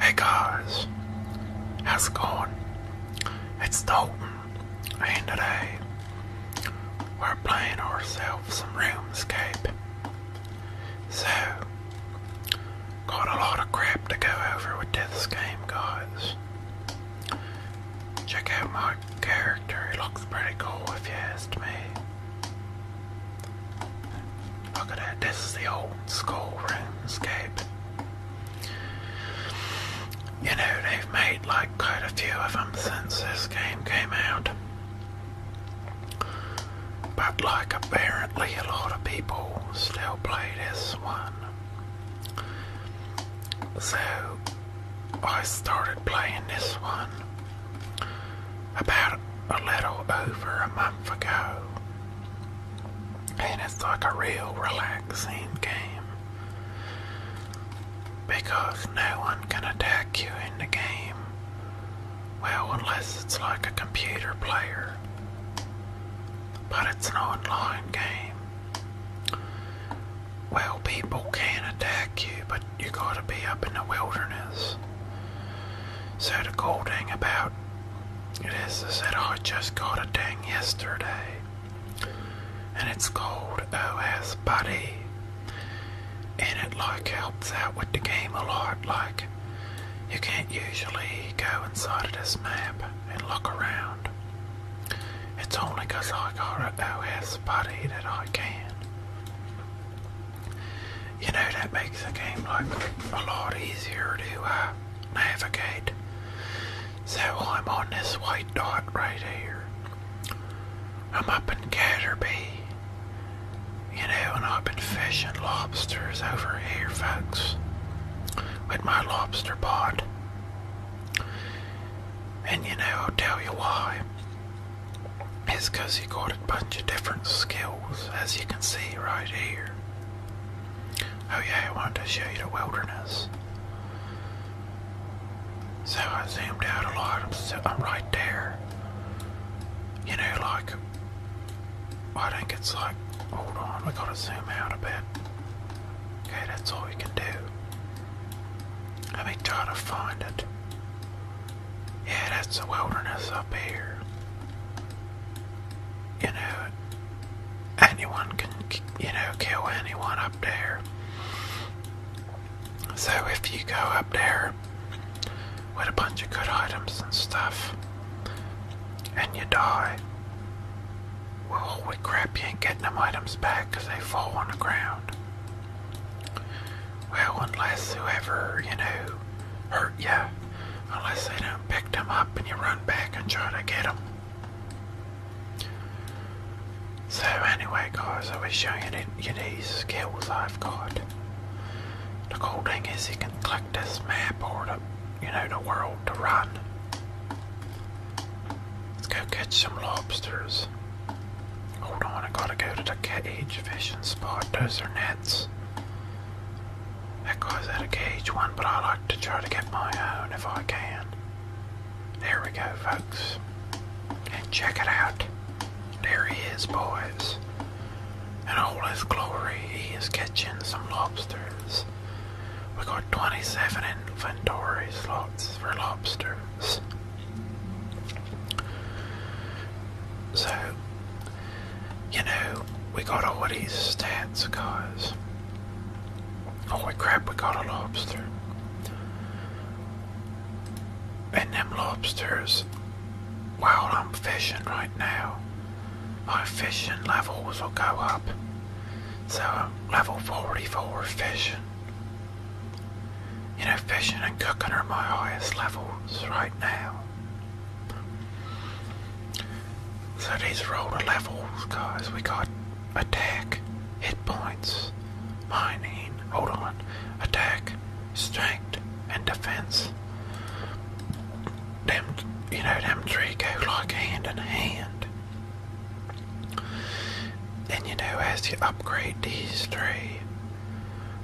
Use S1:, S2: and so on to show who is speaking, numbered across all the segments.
S1: Hey guys, how's it going? It's Dalton, and today we're playing ourselves some RuneScape. So, got a lot of crap to go over with this game, guys. Check out my character, he looks pretty cool if you asked me. Look at that, this is the old school RuneScape. You know, they've made like quite a few of them since this game came out. But like apparently a lot of people still play this one. So I started playing this one about a little over a month ago and it's like a real relaxing game because no one can attack you in the game. Well, unless it's like a computer player, but it's an online game. Well, people can attack you, but you gotta be up in the wilderness. So, the cool thing about it is. I said, I just got a ding yesterday. And it's called OS Buddy. And it like helps out with the game a lot. Like, you can't usually go inside of this map and look around. It's only because I got a OS Buddy that I can you know that makes the game like a lot easier to uh, navigate. So I'm on this white dot right here. I'm up in Catterby. You know, and I've been fishing lobsters over here, folks, with my lobster pot. And you know, I'll tell you why. It's because you got a bunch of different skills, as you can see right here. Oh yeah, I wanted to show you the wilderness. So I zoomed out a lot. I'm, so, right there. You know, like, I think it's like, hold on, we gotta zoom out a bit. Okay, that's all we can do. Let me try to find it. Yeah, that's the wilderness up here you know, anyone can, you know, kill anyone up there. So if you go up there with a bunch of good items and stuff, and you die, well, holy crap, you ain't getting them items back because they fall on the ground. Well, unless whoever, you know, hurt you unless they don't pick them up and you run back and try to get them. So anyway guys, I was showing you these skills I've got. The cool thing is you can click this map or the, you know, the world to run. Let's go catch some lobsters. Hold on, I gotta go to the cage fishing spot. Those are nets. That guy's out of cage one, but I like to try to get my own if I can. There we go, folks. And check it out. There he is, boys. In all his glory, he is catching some lobsters. We got 27 inventory slots for lobsters. So, you know, we got all of these stats because, holy crap, we got a lobster. And them lobsters, while I'm fishing right now, my fishing levels will go up. So level 44 fishing. You know, fishing and cooking are my highest levels right now. So these are all the levels, guys. We got attack, hit points, mining, hold on, attack, strength, and defense. Them, you know, them three go like hand in hand. And you know, as you upgrade these three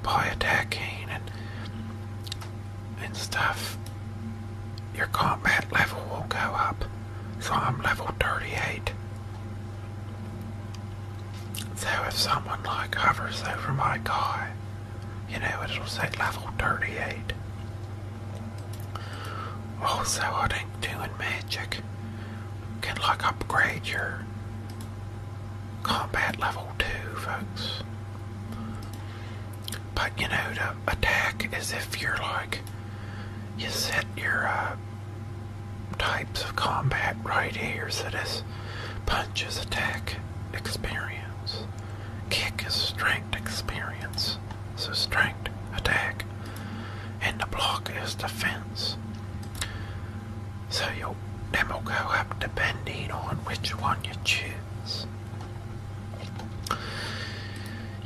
S1: by attacking and and stuff, your combat level will go up. So I'm level 38. So if someone like hovers over my guy, you know, it'll set level 38. Also, I think doing magic can like upgrade your combat level 2, folks. But you know, to attack is if you're like, you set your uh, types of combat right here. So this punch is attack experience, kick is strength experience. So strength, attack, and the block is defense. So your demo will go up depending on which one you choose.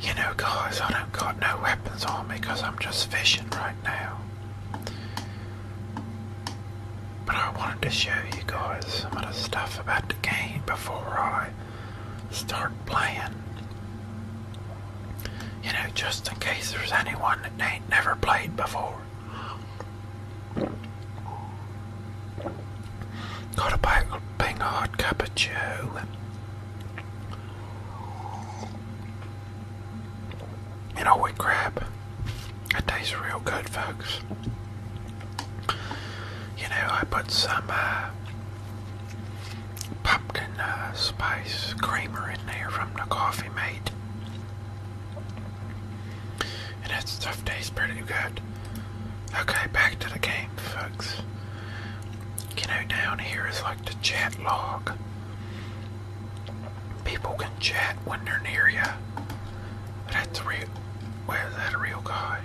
S1: You know, guys, I don't got no weapons on me because I'm just fishing right now. But I wanted to show you guys some of the stuff about the game before I start playing. You know, just in case there's anyone that ain't never played before. Got a bang hard cup of joe. And a wheat crab. It tastes real good, folks. You know, I put some uh, pumpkin uh, spice creamer in there from the coffee mate. And that stuff tastes pretty good. Okay, back to the game, folks. You know, down here is like the chat log. People can chat when they're near you. That's real. Where is that real guy?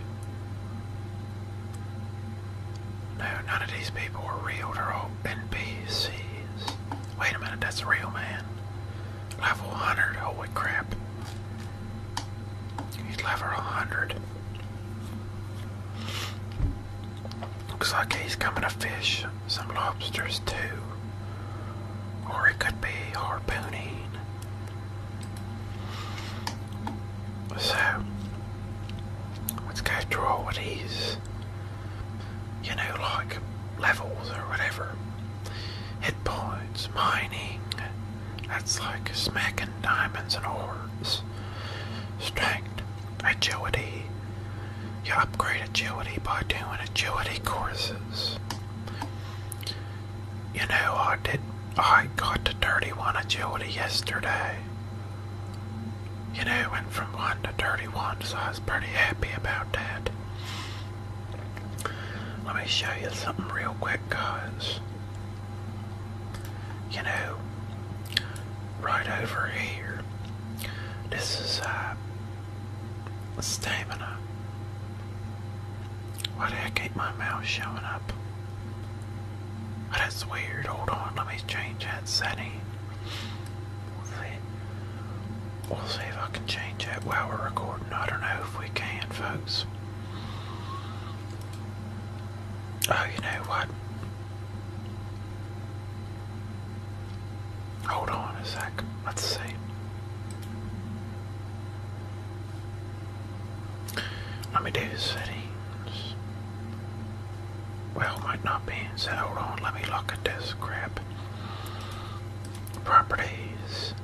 S1: No, none of these people are real. They're all NPCs. Wait a minute, that's a real man. Level 100, holy crap. He'd level 100. Looks like he's coming to fish some lobsters too. Or it could be harpooning.
S2: So, let's go through all of you know, like
S1: levels or whatever. Hit points, mining, that's like smacking diamonds and orbs. Strength, agility. You upgrade agility by doing agility courses. You know, I did. I got to 31 agility yesterday. You know, went from 1 to 31, so I was pretty happy about that. Let me show you something real quick, guys. You know, right over here, this is uh, stamina. Why the heck ain't my mouse showing up? that's weird. Hold on, let me change that setting. We'll see. We'll see if I can change that while we're recording. I don't know if we can, folks. Oh, you know what? Hold on a sec. Let's see. Let me do settings. Well, might not be. So hold on. Let me look at this crap. Properties.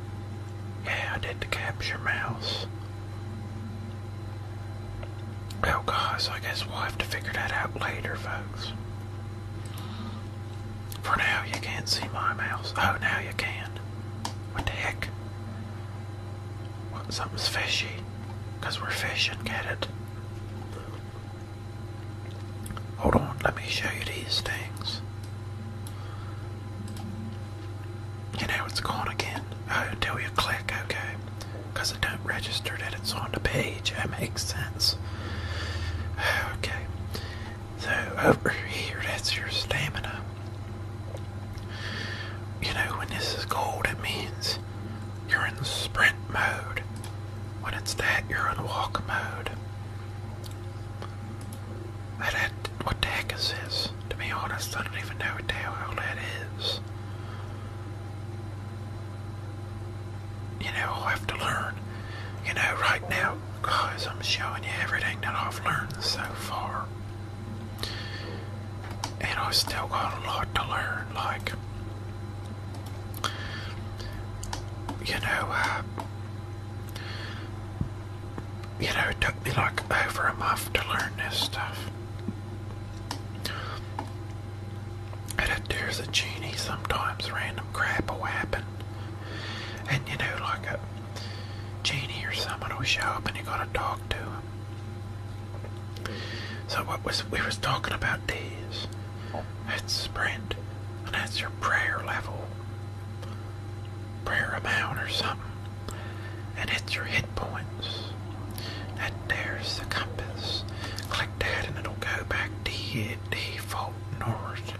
S1: Yeah, I did the capture mouse. Oh god, I guess we'll have to figure that out later, folks. For now, you can't see my mouse. Oh, now you can. What the heck? What, something's fishy. Because we're fishing, get it? Hold on, let me show you these things. And now it's gone again. Oh, until you click, okay. Because it don't register that it's on the page. That makes sense. Okay. So, over here, that's your stamina. You know, when this is gold, it means you're in sprint mode. When it's that, you're in walk mode. what the heck is this? To be honest, I don't even know what tail outlet is. You know, i have to learn. You know, right now, guys, I'm showing you everything that I've learned so far. And I still got a lot to learn, like, you know, uh, you know, it took me like over a month to learn this stuff. It appears a genie sometimes, random crap will happen. And you know, like a genie or someone will show up and you gotta talk to him. So what was we was talking about these. That's sprint. And that's your prayer level. Prayer amount or something and it's your hit points. That there's the compass. Click that and it'll go back to the default north.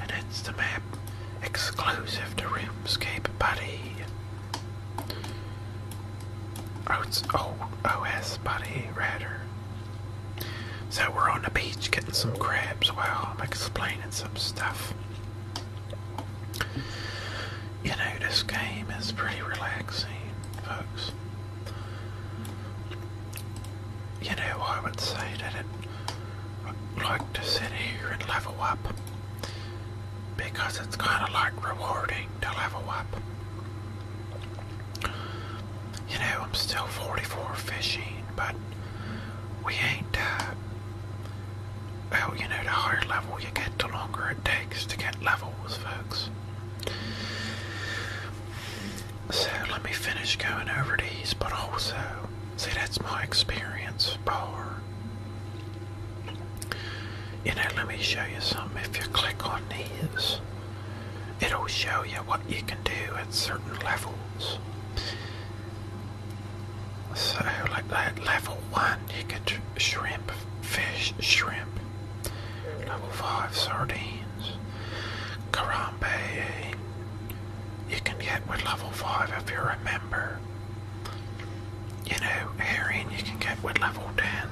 S1: And it's the map exclusive to RuneScape Buddy. Oh, it's old OS Buddy rather. So we're on the beach getting some crabs while I'm explaining some stuff. You know, this game is pretty relaxing, folks. You know, I would say that it I like to sit here and level up because it's kind of like rewarding to level up. You know, I'm still 44 fishing, but we ain't, uh, well, you know, the higher level you get, the longer it takes to get levels, folks. So let me finish going over these, but also, see, that's my experience bar. You know, let me show you some. If you click on these, it'll show you what you can do at certain levels. So, like that, level one, you get shrimp, fish, shrimp. Level five, sardines, karambe. You can get with level five if you remember. You know, herring you can get with level ten.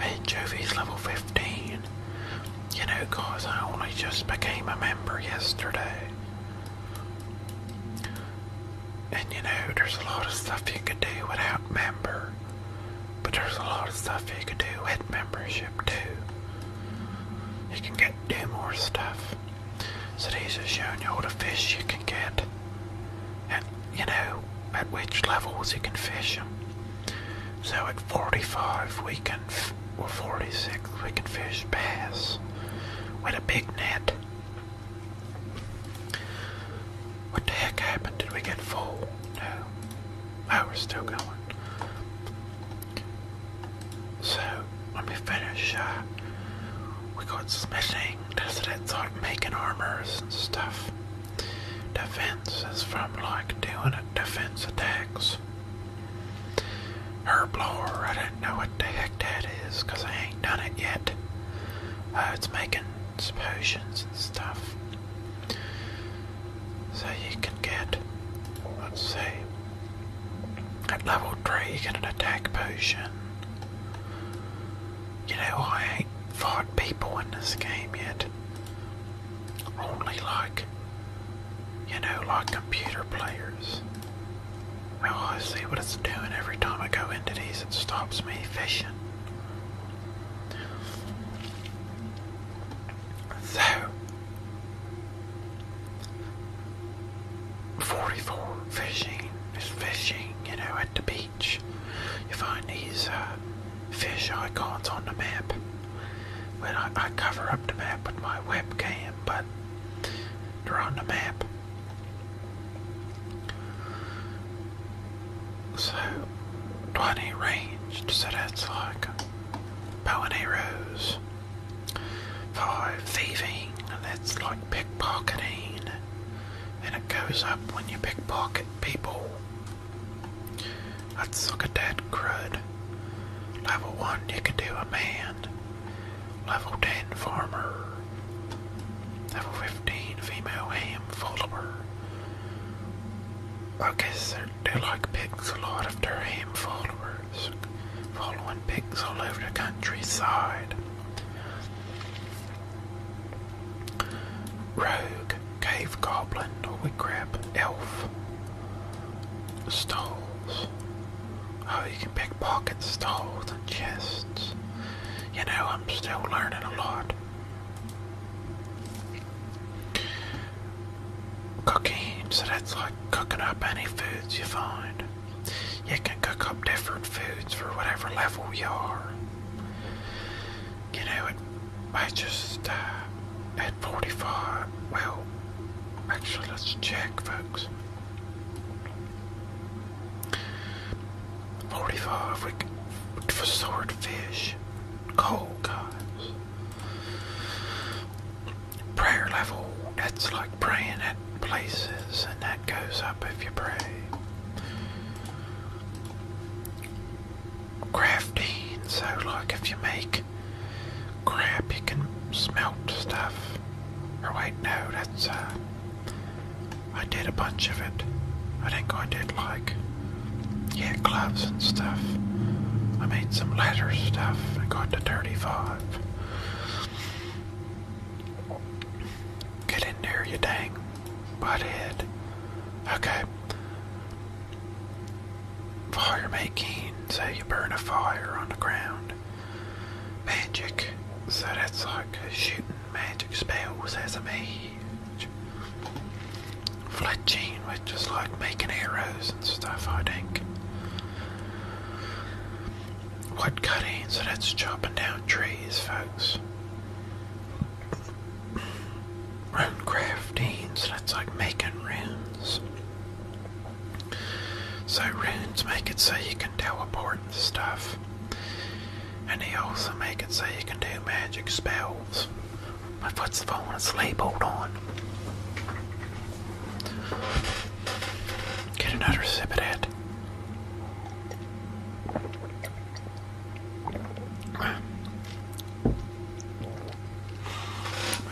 S1: Anchovies level fifteen. You know, guys, I only just became a member yesterday. And you know, there's a lot of stuff you can do without member, but there's a lot of stuff you can do with membership too. You can get do more stuff. So these are showing you all the fish you can get, and you know at which levels you can fish
S2: them. So at 45 we can, or 46 we can fish bass with a big
S1: net. What the heck happened? Did we get full? No. we're still going. So, let me finish. Uh, we got smithing, that's, that's like making armors and stuff. Defense is from like doing defense attacks. Herblore, I don't know what the heck that is, because I ain't done it yet. Oh, it's making potions and stuff. So you can get, let's see, at level 3 you get an attack potion. You know, I ain't fought people in this game yet. Only like, you know, like computer players. Oh, I see what it's doing every time I go into these, it stops me fishing. So, 44 fishing is fishing, you know, at the beach. You find these uh, fish icons on the map. When I cover up the map with my webcam, but they're on the map. So, do I So that's like bow arrows. Five, thieving, that's like pickpocketing. And it goes up when you pickpocket people. That's us a dead that crud. Level 1, you can do a man. Level 10 farmer. Level 15 female ham follower. I guess they like pigs a lot of their ham followers. Following pigs all over the countryside. Rogue, cave goblin, holy grab elf, stalls, Oh, you can pick pockets, stalls, and chests. You know, I'm still learning a lot. Cooking, so that's like cooking up any foods you find. You can cook up different foods for whatever level you are. You know, I just, uh, at 45, well, actually, let's check, folks. Forty-five we, for swordfish, cold guys. Prayer level, that's like praying at places, and that goes up if you pray. Crafting, so like if you make crap, you can smelt stuff. Or wait, no, that's uh, I did a bunch of it. I think I did like, yeah, gloves and stuff. I made some letter stuff I got to 35. Get in there, you dang butthead. Okay. Fire making, So you burn a fire on the ground magic, so that's like shooting magic spells as a mage. Fletching, which is like making arrows and stuff, I think. Wood cutting, so that's chopping down trees, folks. Rune crafting, so that's like making runes. So runes make it so you can teleport and stuff.
S2: And he also makes it so you can do magic spells. My foot's falling
S1: asleep, hold on. Get another sip of that. But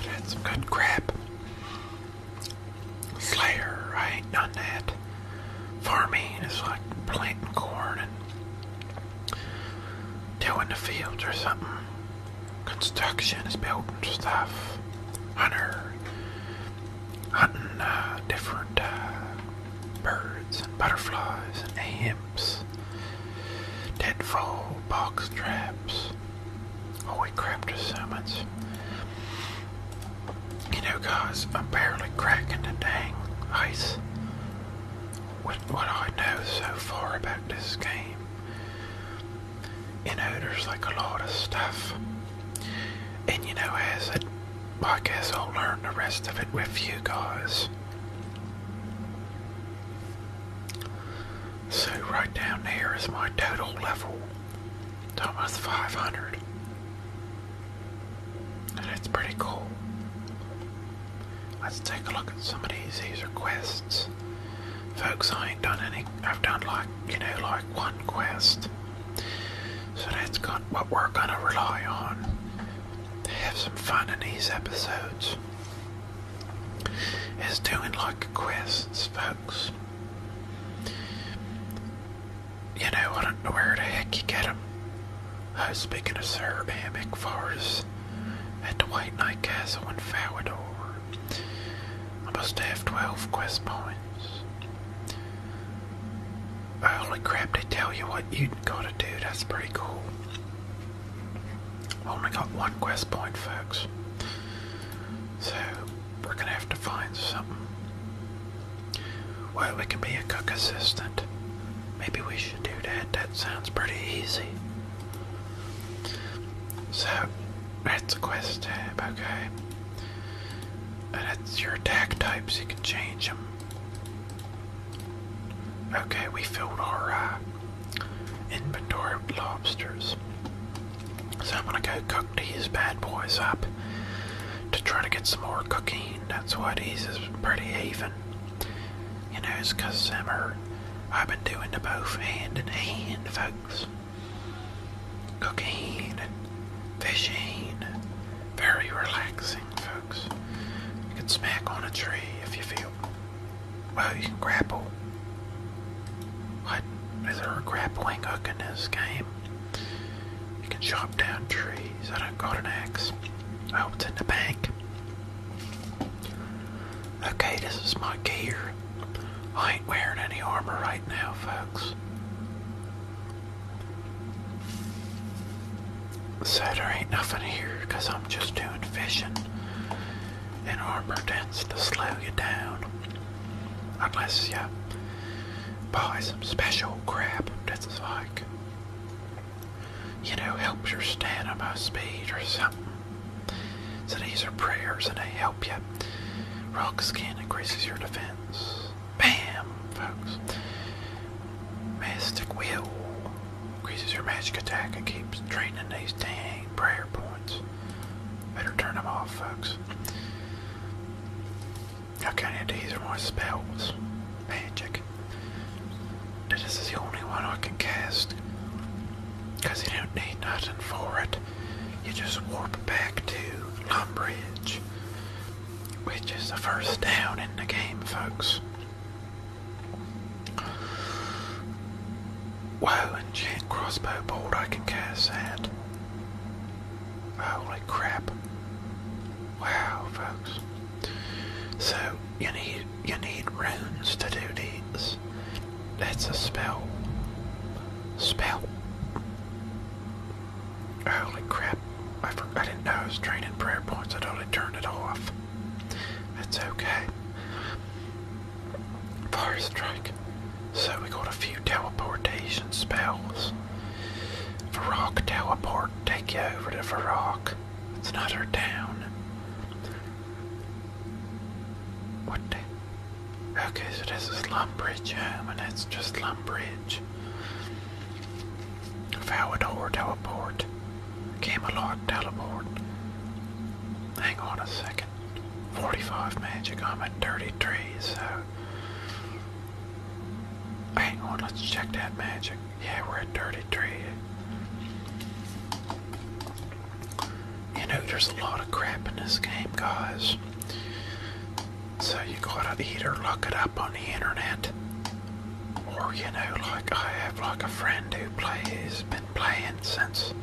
S1: that's some good crap. Slayer, I ain't done that. Farming is like planting corn and tilling the fields or something. Construction is building stuff. Hunter, hunting uh, different uh, birds and butterflies and amps. Deadfall, box traps. Holy crap, there's so much. You know, guys, I'm barely cracking the dang ice with what I know so far about this game. You know, there's like a lot of stuff. And you know, as it, I guess I'll learn the rest of it with you guys. So right down here is my total level. almost 500. And it's pretty cool. Let's take a look at some of these, these requests. Folks, I ain't done any, I've done like, you know, like one quest. So that's got what we're gonna rely on to have some fun in these episodes. Is doing like quests, folks. You know, I don't know where the heck you get them. was speaking of Sir Amick Forest at the White Knight Castle in Falador. I must have 12 quest points. Holy crap, to tell you what you gotta do. That's pretty cool. Only got one quest point, folks. So, we're gonna have to find something well, we can be a cook assistant. Maybe we should do that. That sounds pretty easy. So, that's a quest tab, okay. And uh, that's your attack types, you can change them. Okay, we filled our uh, inventory of lobsters. So I'm gonna go cook these bad boys up to try to get some more cooking that's what he's pretty even. You know, it's cause I'm her. I've been doing the both hand in hand, folks. Cooking and fishing. Very relaxing, folks. You can smack on a tree if you feel. Well, you can grapple. What? Is there a grappling hook in this game? right? You can chop down trees. I don't got an axe. I hope it's in the bank. Okay, this is my gear. I ain't wearing any armor right now, folks. So there ain't nothing here because I'm just doing fishing. And armor tends to slow you down. Unless you buy some special crap that's like you know, helps your stamina speed or something. So these are prayers and they help you. Rock skin increases your defense. Bam, folks. Mystic will increases your magic attack and keeps draining these dang prayer points. Better turn them off, folks. I can't have to use my spells. Magic. This is the only one I can cast. Because you don't need nothing for it. You just warp back to Lumbridge. Which is the first town in the game, folks. Wow, enchant crossbow bolt, I can cast that. Holy crap. Wow, folks. So, you need, you need runes to do these. That's a spell. Spell. Holy crap. I, forgot I did was draining prayer points. I totally turned it off. That's okay. Fire strike. So we got a few teleportation spells. Varrock teleport, take you over to Varrock. It's not her town. What Okay, so this is Lumbridge Home, and it's just Lumbridge. Valador teleport. Camelot teleport. Hang on a second. 45 magic, I'm at 33, so Hang on, let's check that magic. Yeah, we're at 33. You know, there's a lot of crap in this game, guys. So you gotta either look it up on the internet, or you know, like I have like a friend who plays, been playing since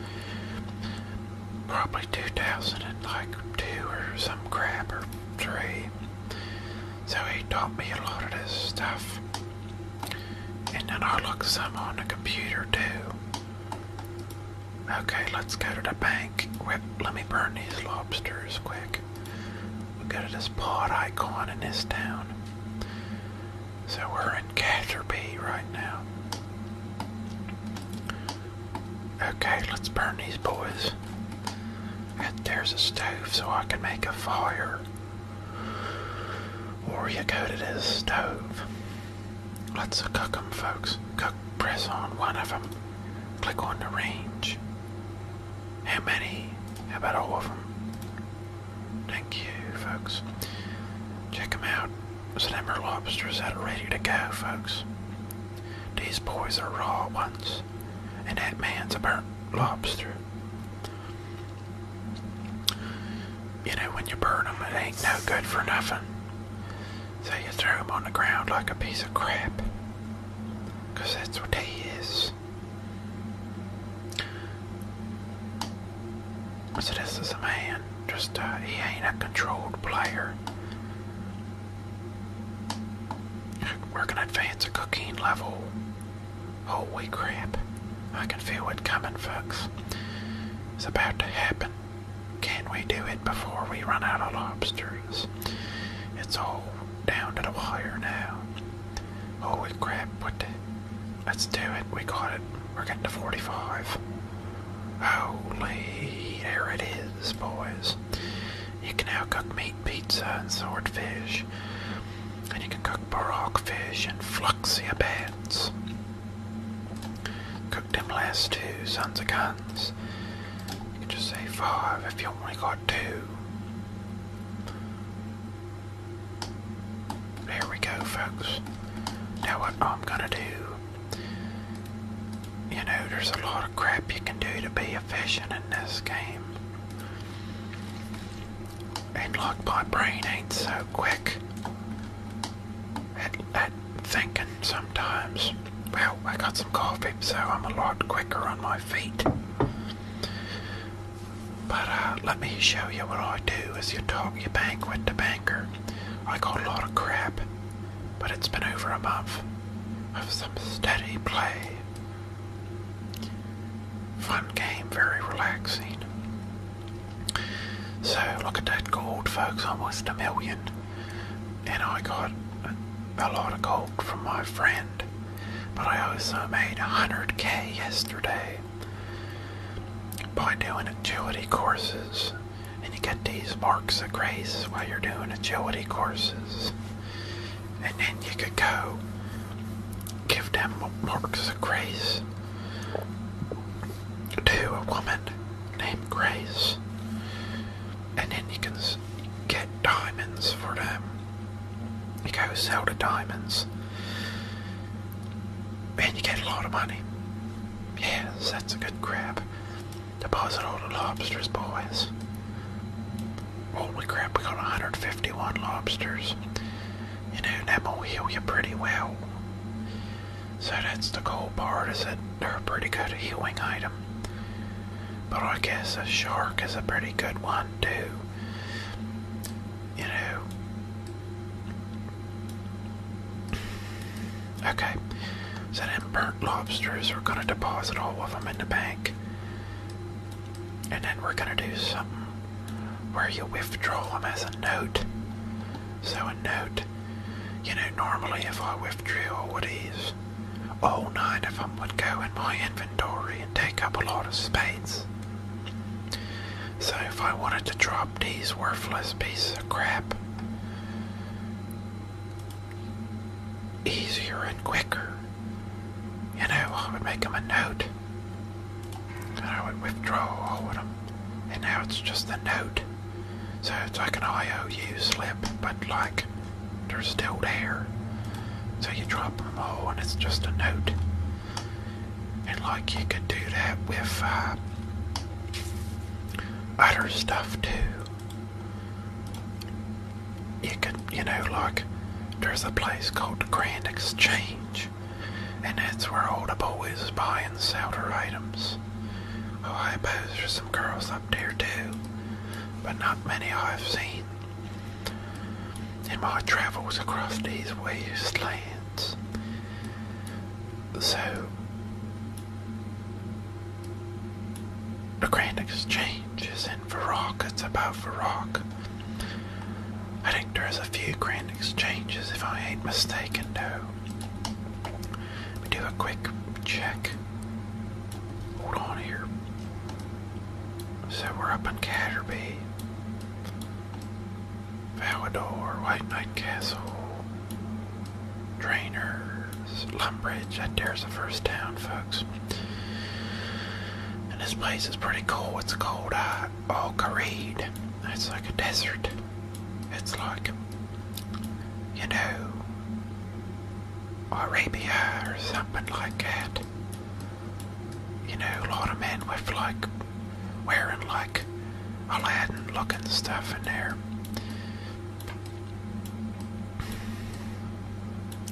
S1: probably 2000 and like two or some crap or three. So he taught me a lot of this stuff. And then I looked some on the computer too. Okay, let's go to the bank. Wait, let me burn these lobsters quick. We'll go to this pod icon in this town. So we're in Catherby right now. Okay, let's burn these boys there's a stove so I can make a fire. Or you go to this stove. Let's cook them, folks. Cook, press on one of them. Click on the range. How many? How about all of them? Thank you, folks. Check them out. Slimmer lobsters that are ready to go, folks. These boys are raw ones and that man's a burnt lobster. You know, when you burn them, it ain't no good for nothing. So you throw them on the ground like a piece of crap. Because that's what they is. So this is a man. Just, uh, he ain't a controlled player. We're gonna advance a cooking level. Holy crap. I can feel it coming, folks. It's about to happen. Can we do it before we run out of lobsters? It's all down to the wire now. Holy crap, what the? Let's do it. We got it. We're getting to 45. Holy, there it is, boys. You can now cook meat pizza and swordfish. And you can cook baroque fish and fluxia beds. Cooked them last two, sons of guns. You can just say five if you only got two. There we go, folks. Now what I'm gonna do, you know, there's a lot of crap you can do to be be in this game. And look, my brain ain't so quick at, at thinking sometimes. Well, I got some coffee, so I'm a lot quicker on my feet. But uh, let me show you what I do as you talk, you bank with the banker. I got a lot of crap, but it's been over a month of some steady play. Fun game, very relaxing. So look at that gold, folks, almost a million. And I got a lot of gold from my friend. But I also made 100k yesterday by doing agility courses. And you get these marks of grace while you're doing agility courses and then you could go give them marks of grace to a woman named Grace, and then you can get diamonds for them. You go sell the diamonds, and you get a lot of money. Yes, that's a good grab. Deposit all the lobsters, boys. Holy crap, we got 151 lobsters. You know, that will heal you pretty well. So that's the cool part, is that they're a pretty good healing item. But I guess a shark is a pretty good one, too. You know. Okay, so then burnt lobsters are going to deposit all of them in the bank. And then we're gonna do something where you withdraw them as a note. So a note, you know, normally if I withdraw, all all nine of them would go in my inventory and take up a lot of space. So if I wanted to drop these worthless pieces of crap, easier and quicker, you know, I would make them a note. And I would withdraw all of them. And now it's just a note. So it's like an IOU slip, but like they're still there. So you drop them all and it's just a note. And like you could do that with uh, other stuff too you could, you know, like there's a place called the Grand Exchange, and that's where all the boys buy and sell their items. Oh, I suppose there's some girls up there too, but not many I've seen in my travels across these wastelands. So, the Grand Exchange is not in Varrock. It's about Varrock. I think there's a few grand exchanges, if I ain't mistaken, Do we do a quick check. Hold on here. So we're up in Catterby. Valador, White Knight Castle, Drainers, Lumbridge. That there's a first town, folks. And this place is pretty cool. It's called uh, Al Kareed. It's like a desert. It's like, you know, Arabia or something like that. You know, a lot of men with like wearing like Aladdin looking stuff in there.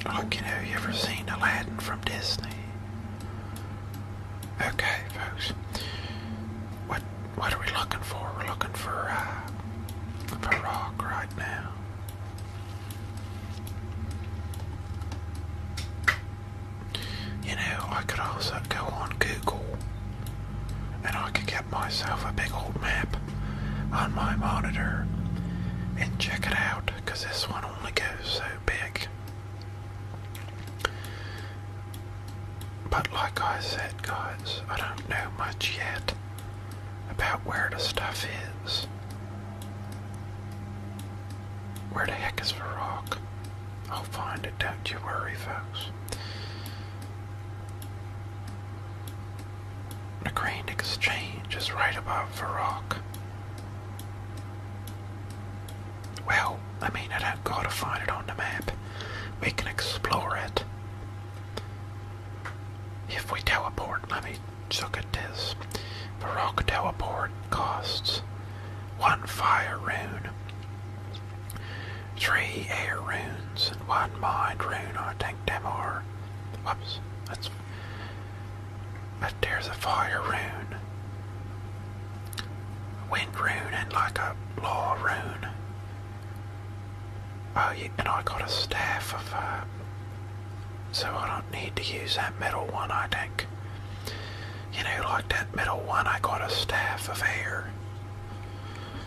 S1: Like, you know, you ever seen Aladdin from Disney? Okay, folks. What what are we looking for? We're looking for uh, for rock right now. You know, I could also go on Google and I could get myself a big old map on my monitor and check it out because this one only goes so but like I said, guys, I don't know much yet about where the stuff is. Where the heck is the I'll find it, don't you worry,
S2: folks. The Grand Exchange
S1: is right above the well, I mean, I don't gotta find it on the map. We can explore it. If we teleport, let me look at this. The rock teleport costs one fire rune, three air runes, and one mind rune. I think them that's but there's a fire rune, wind rune, and like a law rune. Oh, yeah, and I got a staff of, uh, so I don't need to use that middle one, I think. You know, like that middle one, I got a staff of air.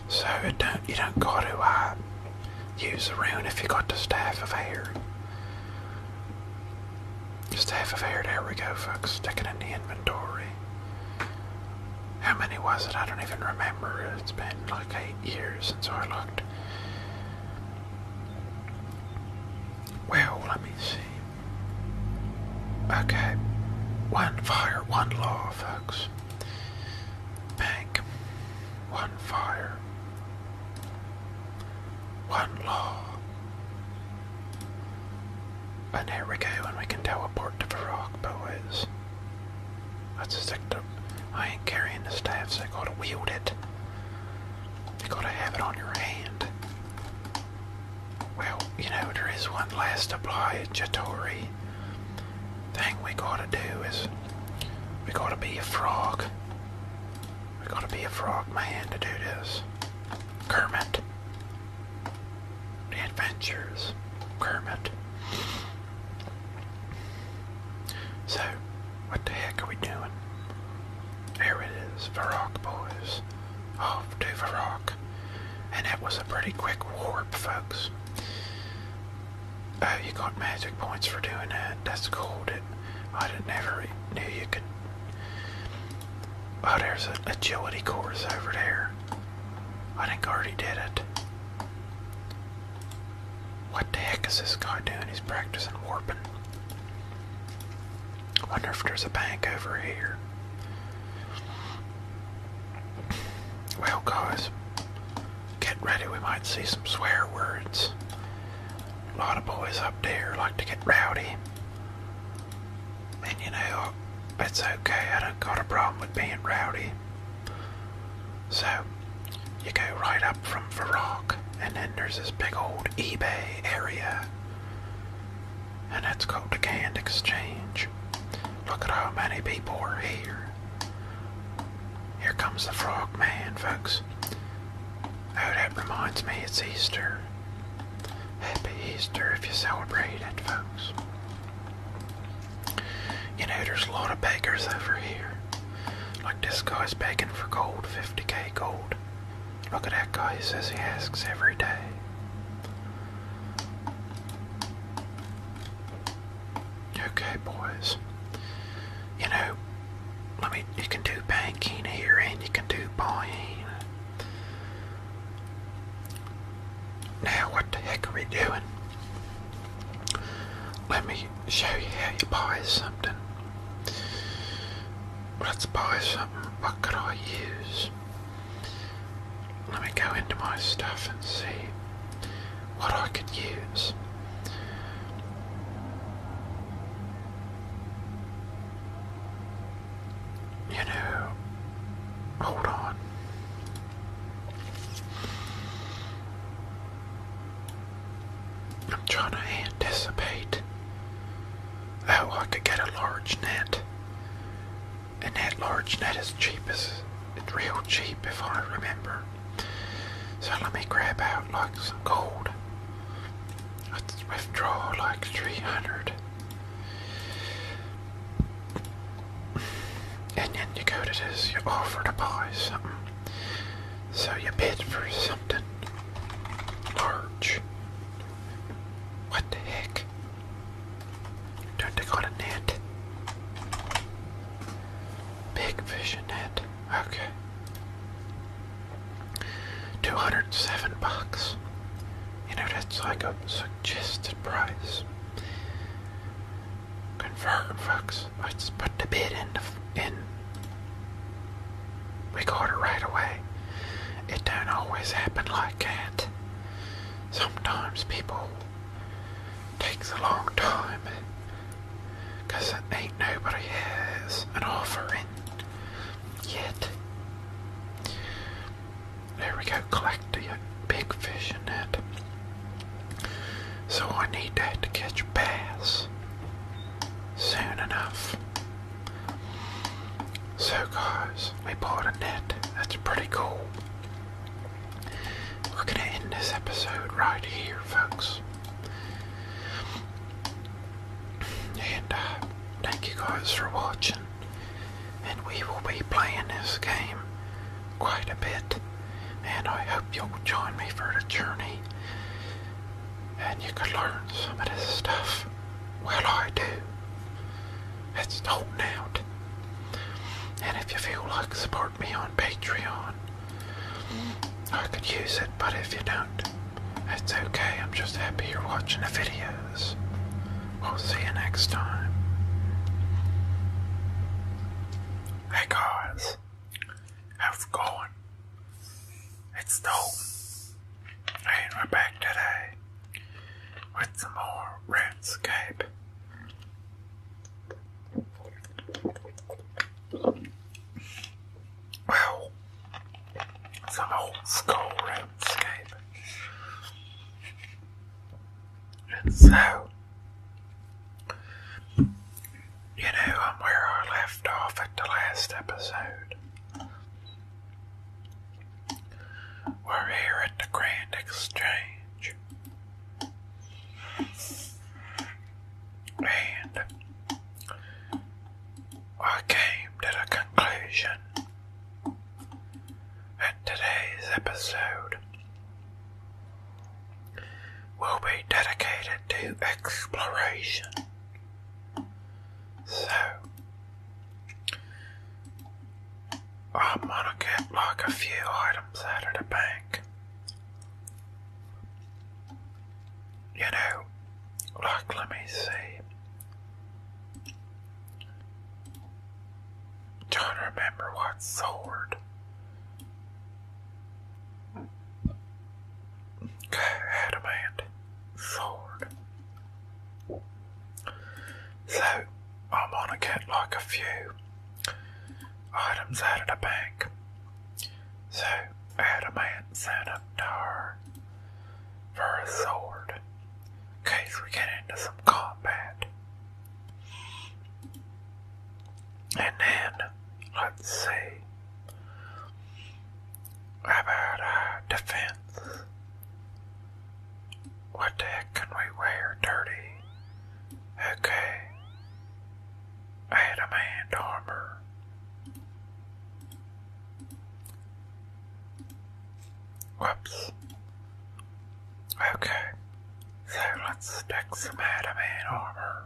S1: So it don't, you don't got to, uh, use a rune if you got the staff of air. Just half of here. There we go, folks. Stick it in the inventory. How many was it? I don't even remember. It's been like eight years since I looked. Well, let me see. Okay. One fire, one law, folks. Bank. One fire. One law. And here we go, and we can teleport to the rock, boys. Let's stick to. I ain't carrying the staff, I gotta wield it. You gotta have it on your hand. Well, you know, there is one last obligatory thing we gotta do is we gotta be a frog. We gotta be a frog man to do this. Kermit. The Adventures Kermit. So, what the heck are we doing? There it is, Varrock boys. Off to Varrock. And it was a pretty quick warp, folks. Oh, you got magic points for doing that. That's cool. I didn't knew you could Oh, there's an agility course over there. I think I did it. What the heck is this guy doing? He's practicing warping. wonder if there's a bank over here. Well, guys, get ready. We might see some swear words. A lot of boys up there like to get rowdy. And you know, it's okay, I don't got a problem with being rowdy. So, you go right up from Varrock, and then there's this big old eBay area. And that's called the Canned Exchange. Look at how many people are here. Here comes the frog man, folks. Oh, that reminds me, it's Easter. Happy Easter if you celebrate it, folks. You know, there's a lot of beggars over here. Like this guy's begging for gold, 50k gold. Look at that guy, he says he asks every day. Okay, boys. You know, let me, you can do banking here and you can do buying. Now what the heck are we doing? Let me show you how you buy something. Let's buy something. What could I use? Let me go into my stuff and see what I could use you know, hold on. I'm trying to anticipate Oh, I could get a large net. And that large net is cheap as it's real cheap if I remember. So let me grab out like some gold. Let's withdraw like 300. And then you go to you offer to buy something. So you bid for something large. What the heck? Don't they got net? Big vision net. Okay. 207 bucks. You know, that's like a suggested price. Confirm, folks. Let's put the bid in. in. We right away. It don't always happen like that. Sometimes people takes a long time because ain't nobody has an offer in yet. There we go, collect the big fish in that. So I need that to catch bass soon enough. So guys, we bought a net. That's pretty cool. We're gonna end this episode right here, folks. And uh, thank you guys for watching and we will be playing this game quite a bit. And I hope you'll join me for the journey and you can learn some of this stuff. Well, I do. It's all out. And if you feel like support me on Patreon, I could use it, but if you don't, it's okay, I'm just happy you're watching the videos. We'll see you next time. Hey guys, how's it going? It's Dalton, we're back today with some more RuneScape. Well, some old school roadscape. And so, you know, I'm where I left off at the last episode. We're here at the Grand Exchange. And I came to the conclusion that today's episode will be dedicated to exploration. So, I'm gonna get like a few items out of the bank. You know, like, let me see. Don't remember what sword. Adamant sword. So I'm gonna get like a few items out of the bank. So adamant sent a tar for a sword in case we get into some combat. And then, let's see, how about uh, defense? What the heck can we wear? Dirty. Okay. Adamant armor. Whoops. Okay, so let's stick some adamant armor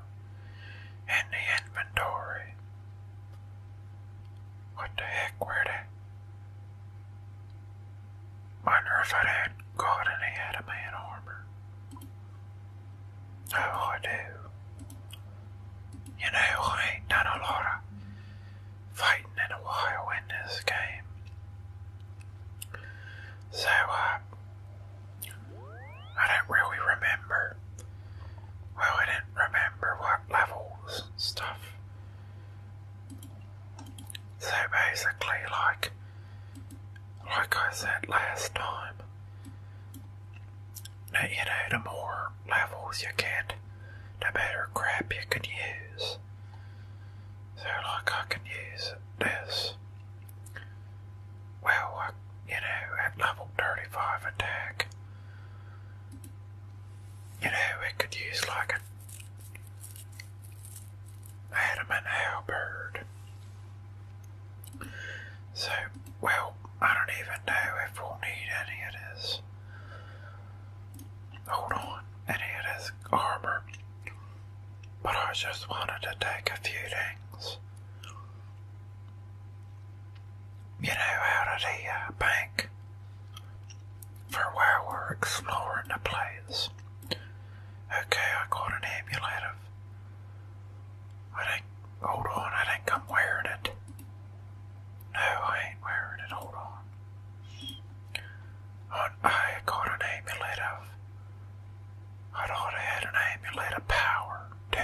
S1: in the inventory. What the heck, where they? Wonder if I had got any adamant armor. Oh, I do. You know, I ain't done a lot fighting in a while in this game. So, uh, I don't really remember. Well, I didn't remember what levels and stuff. So basically, like, like I said last time, now, you know, the more levels you get, the better crap you can use they like, I can use this. Well, you know, at level 35 attack, you know, it could use like a adamant halberd. So, well, I don't even know if we'll need any of this. Hold on, any of this armor. But I just wanted to take a few things. You know, out of the uh, bank for while we're exploring the place. Okay, I got an amulet of. I think. Hold on, I think I'm wearing it. No, I ain't wearing it. Hold on. I got an amulet of. I'd already had an amulet of power, too.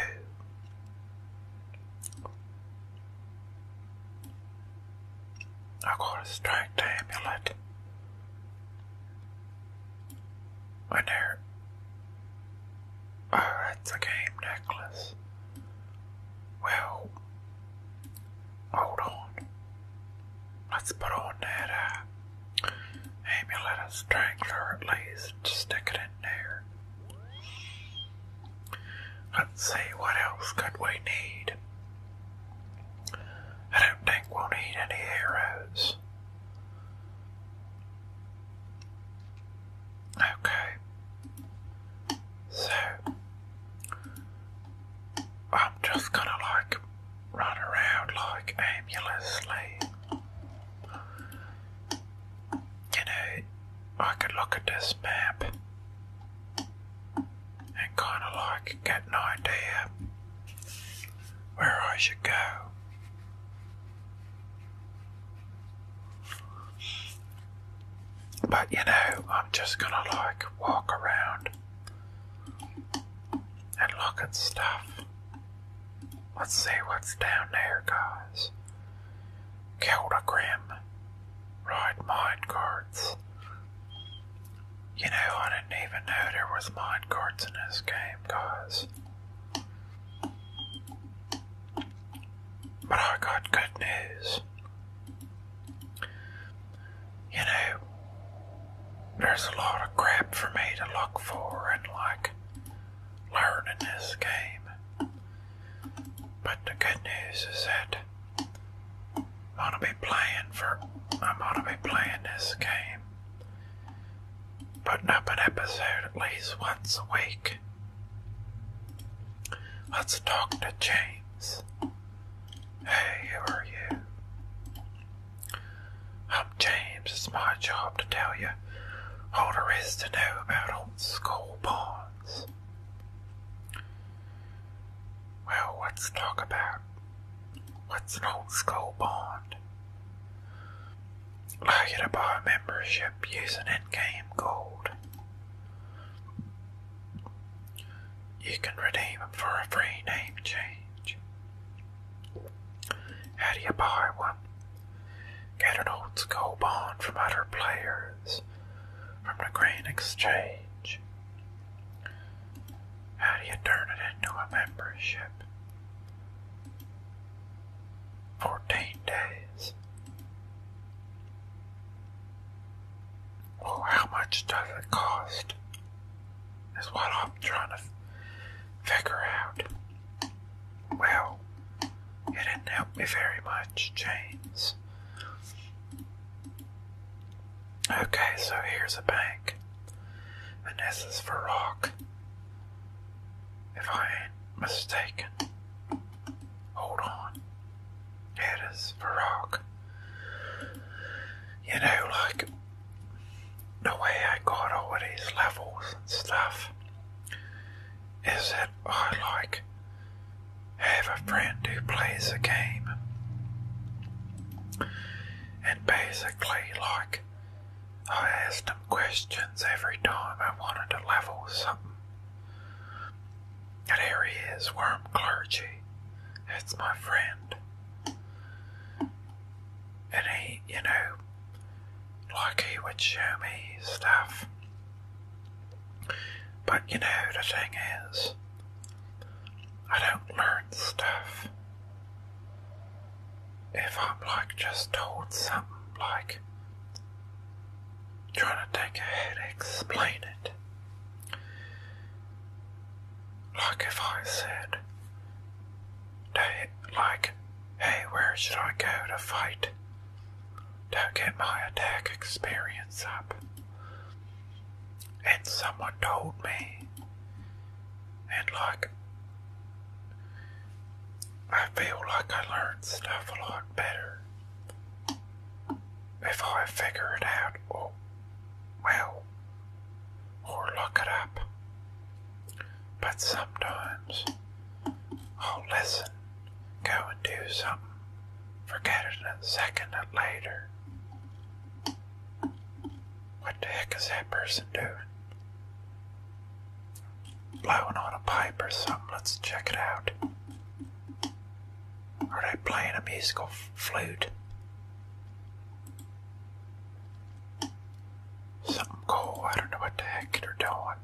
S1: I got a strength amulet. And there. Oh, that's a game necklace. Well, Hold on. Let's put on that uh, amulet of strangler at least. Stick it in there. Let's see, what else could we need? I don't think we'll need any arrows. Okay. So I'm just gonna like run around like aimlessly. You know, I could look at this map and kind of like get an idea where I should go. But you know, I'm just gonna like walk around and look at stuff. Let's see what's down there, guys. Keldagrim. Right, mine You know, I didn't even know there was mine in this game, guys. But I got good news you know, there's a lot of crap for me to look for and like learn in this game. But the good news is that I'm gonna be playing for I'm gonna be playing this game. Putting up an episode at least once a week. Let's talk to James. Hey, who are you? I'm James. It's my job to tell you all there is to know about old school bonds. Well, let's talk about what's an old school bond. Allow you to buy membership using in-game gold. You can redeem them for a free name change. How do you buy one? Get an old school bond from other players from the Green Exchange. How do you turn it into a membership? 14 days. Or how much does it cost? Is what I'm trying to figure out. Well, it didn't help me very much, James. Okay, so here's a bank. And this is for rock. If I ain't mistaken. Hold on. It is for rock. You know, like the way I got all these levels and stuff is that I like have a friend who plays a game and basically like I asked him questions every time I wanted to level something and he is, Worm Clergy. That's my friend. And he, you know, like he would show me stuff. But you know, the thing is, I don't learn stuff. If I'm like just told something, like trying to take a head, explain it. Like if I said,
S2: they, like, hey, where should I go to fight? To get my
S1: attack experience up. And someone told me, and like, I feel like I learned stuff a lot better if I figure it out. Or, oh, well, or look it up. But sometimes I'll listen, go and do something, forget it a second later. What the heck is that person doing? Blowing on a pipe or something, let's check it out. Are they playing a musical flute? Something cool. I don't know what the heck they're doing.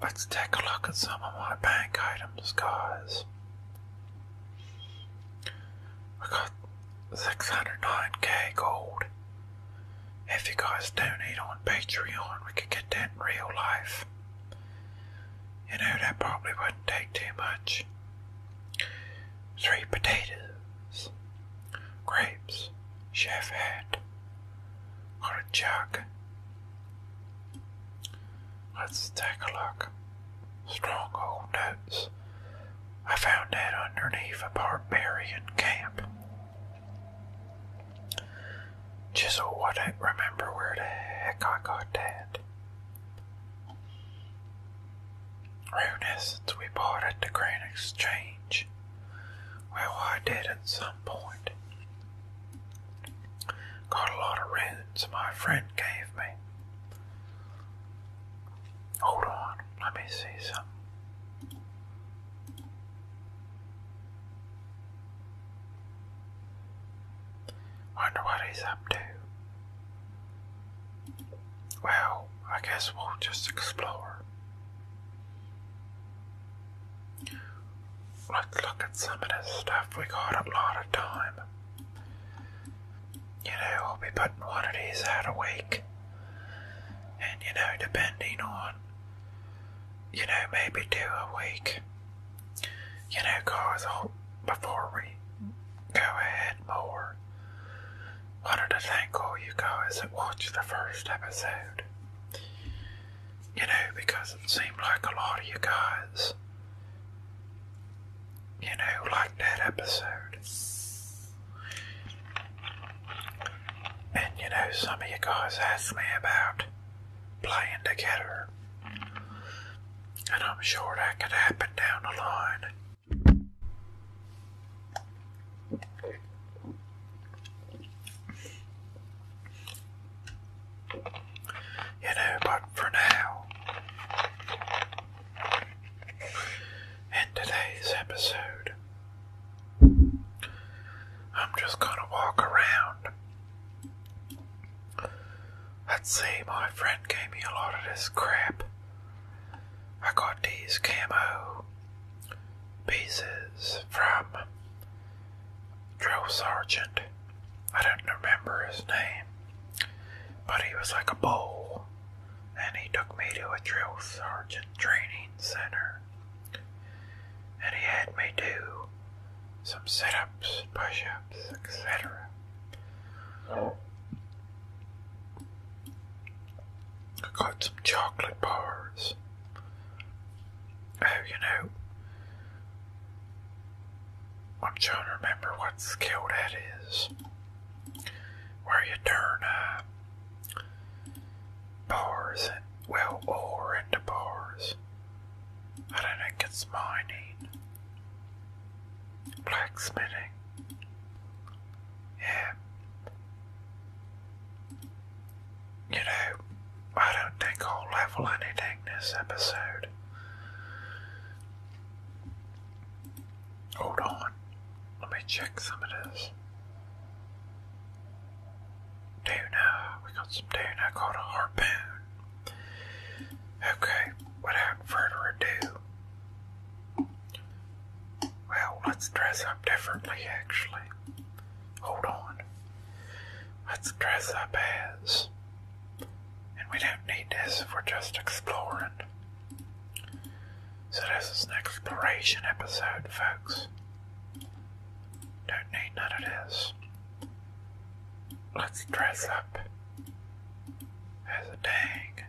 S1: Let's take a look at some of my bank items, guys. I got 609k gold. If you guys donate on Patreon, we could get that in real life. You know, that probably wouldn't take too much. Three potatoes, grapes, chef hat, artichoke. Let's take a look. Stronghold notes. I found that underneath a barbarian camp. Chisel, I not remember where the heck I got that. Runescence we bought at the Grand Exchange. Well, I did at some point. Got a lot of runes my friend gave me. Hold on, let me see some. Wonder what he's up to. Well, I guess we'll just explore. Let's look at some of this stuff. We got a lot of time. You know, I'll be putting one of these out a week. And, you know, depending on, you know, maybe two a week you know, guys, oh, before we go ahead more, wanted to thank all you guys that watched the first episode. You know, because it seemed like a lot of you guys, you know, liked that episode. And you know, some of you guys asked me about playing together and I'm sure that could happen down the line. You know, but for now, in today's episode, I'm just gonna walk around I'd see my friend gave me a lot of this crap. I got these camo pieces
S2: from drill sergeant. I don't remember
S1: his name, but he was like a bull, and he took me to a drill sergeant training center, and he had me do some sit ups, push ups, etc. I got some chocolate bars. Oh, you know, I'm trying to remember what skill that is. Where you turn uh, bars well, ore into bars. I don't think it's mining blacksmithing. Yeah. You know, I don't think I'll level anything this episode. Hold on. Let me check some of this. Tuna. We got some tuna called a harpoon. Okay, without further ado, well, let's dress up differently actually. Hold on. Let's dress up as. And we don't need this if we're just exploring. So, this is an exploration episode, folks. Don't need none of this. Let's dress up has a tag.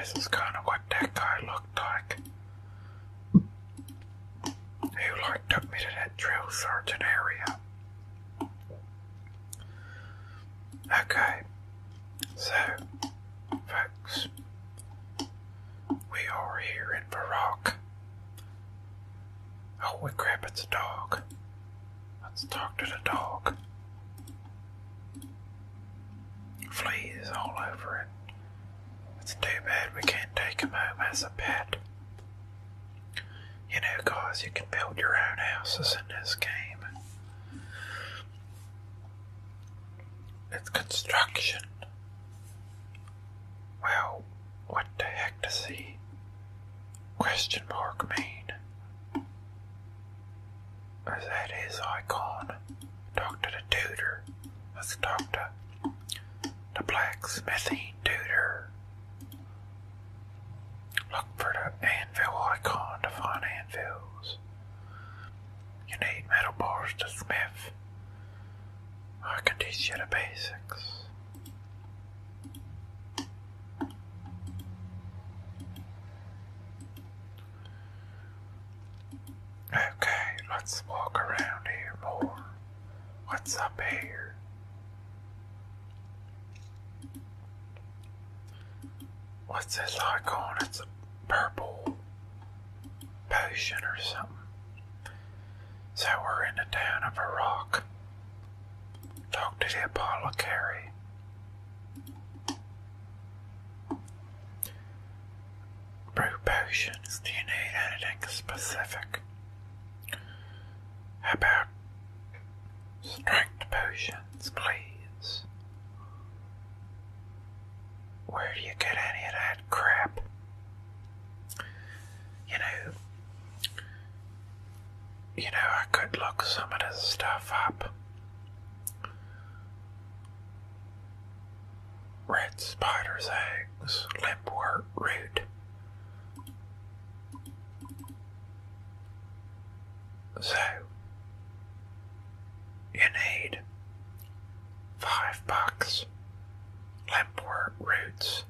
S1: This is kind of what that guy looked like. He like took me to that drill sergeant area. Okay, so folks, we are here in Varrock. Oh, my grab its a dog. Let's talk to the dog. Fleas all over it. It's too bad we can't take him home as a pet. You know, guys, you can build your own houses in this game. It's construction. Well, what the heck does he question mark mean? Is that his icon? the Tutor. That's Doctor the Blacksmithing Tutor. Look for the anvil icon to find anvils. You need metal bars to smith. I can teach you the basics. Okay, let's walk around here more. What's up here? What's this icon? It's a purple potion or something. So we're in the town of a rock. Talk to the apothecary. Brew potions. Do you need anything specific? about strength potions, please? Where do you get any of that crap? You know, you know, I could look some of this stuff up. Red spider's eggs, limpwort root. So, you need five bucks, limpwort roots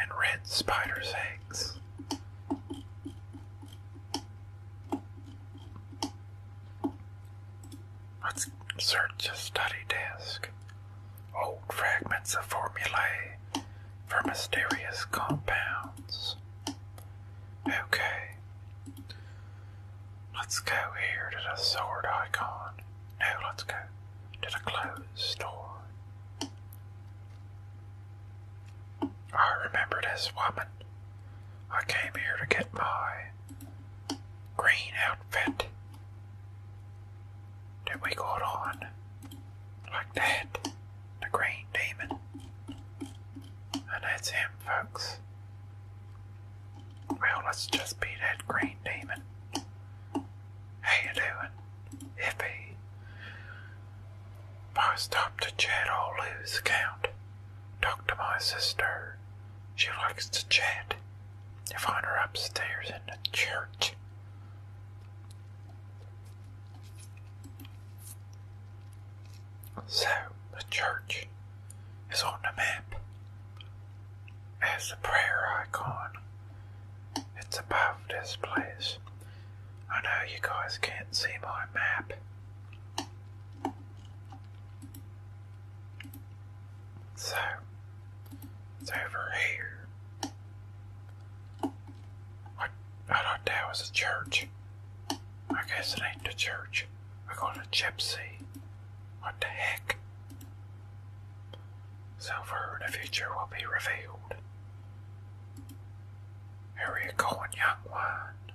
S1: and red spiders' eggs. Let's search a study desk. Old fragments of formulae for mysterious compounds. Okay. Let's go here to the sword icon. No, let's go to the closed door. I remember this woman. I came here to get my green outfit that we got on. Like that. The green demon. And that's him, folks. Well, let's just be that green demon. How you doing? Hippie. I stop to chat, I'll lose count. Talk to my sister. She likes to chat. You find her upstairs in the church. So, the church is on the map as the prayer icon it's above this place. I know you guys can't see my map. So, it's over here. What? I thought that was a church. I guess it ain't the church. I got a gypsy. What the heck? So
S2: far the future will be revealed. Where are you going,
S1: young one.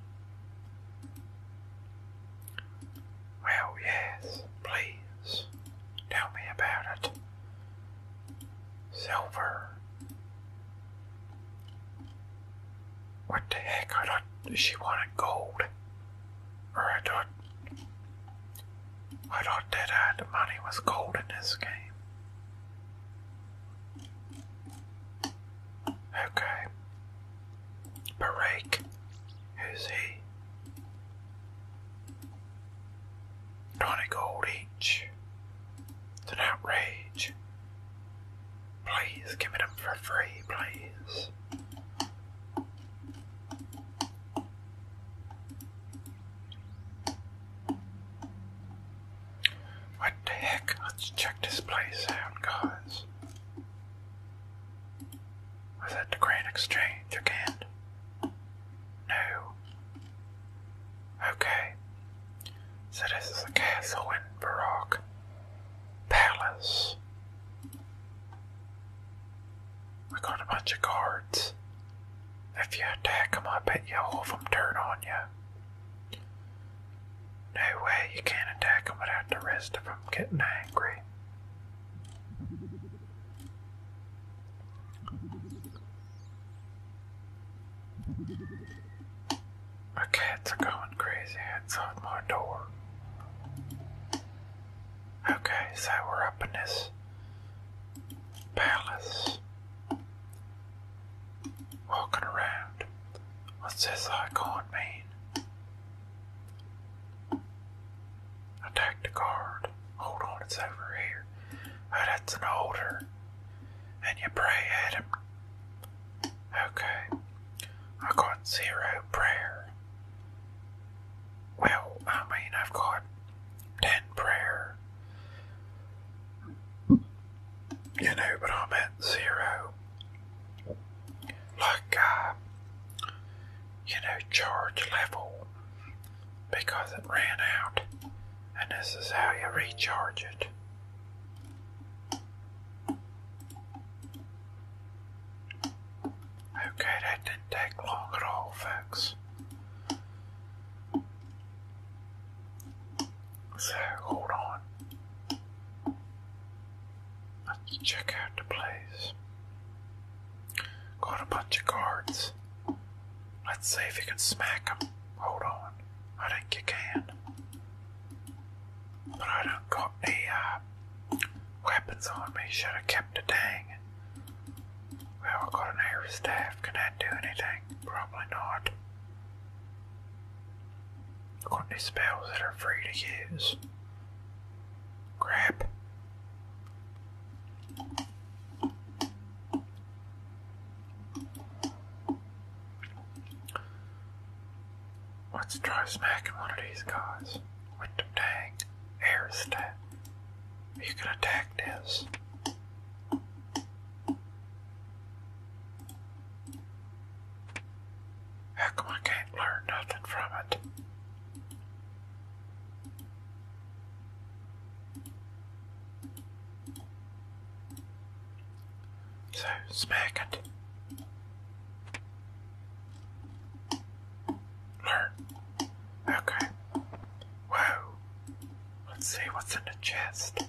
S1: Well, yes, please tell me about it. Silver. What the heck? I thought she wanted gold. I thought. I thought that uh, the money was gold in this game. Okay. Barak. Who's he? 20 gold It's an outrage. Please give it up for free, please. What the heck? Let's check this place out, guys. Was that the Grand Exchange again? No. Okay. So this is a castle in Baroque Palace. We got a bunch of guards. If you attack them, I bet you all of them turn on you. No way you can't attack them without the rest of them getting angry. My cats are going crazy outside my door. Okay, so we're up in this palace walking around. What's this icon mean? Attack the guard. Hold on, it's over here. Oh, that's an older. And you pray at Okay. I got zero prayer. Well, I mean, I've got ten prayer you know, but I'm at zero. Like, uh, you
S2: know, charge level because it ran out, and this
S1: is how you recharge it. Okay, that didn't take long at all, folks. So hold on. Let's check out the place. Got a bunch of cards. Let's see if you can smack them. Hold on. I think you can. But I don't got any uh, weapons on me. Should have kept a dang. Well, I got an air staff. Can that do anything? Probably not. I've got any spells that are free to use. Crap. Let's try smacking one of these guys with the dang air You can attack this. How come I
S2: can't learn nothing from it?
S1: So, smack it. Learn. Okay. Whoa. Let's see what's in the chest.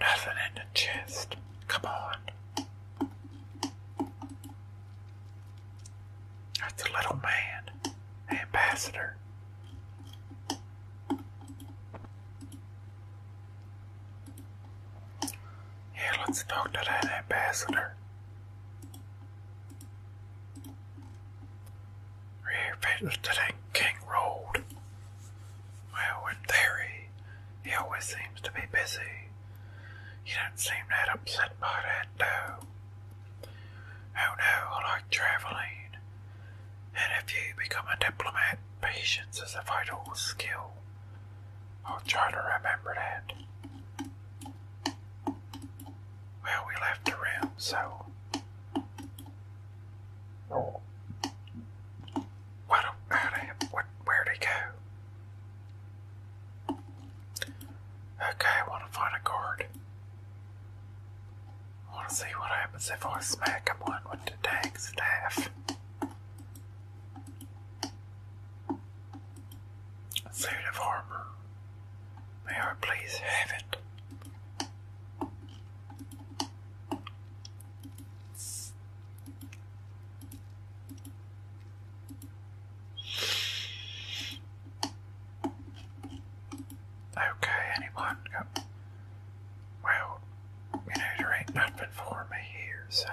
S1: Nothing in the chest. Come on. That's a little man. Ambassador. Yeah, let's talk to that ambassador rear fitness to that King Road. Well, in theory, he always seems to be busy. He do not seem that upset by that, though. Oh no, I like traveling. And if you become a diplomat, patience is a vital skill. I'll try to remember that. Well, we left the room, so what? How do? What? Where'd he go? Okay, I want to find a card. I want to see what happens if I smack him one with the dang staff. suit of armor. May I please have it? Okay, anyone? Well, you know, there ain't nothing for me here, so.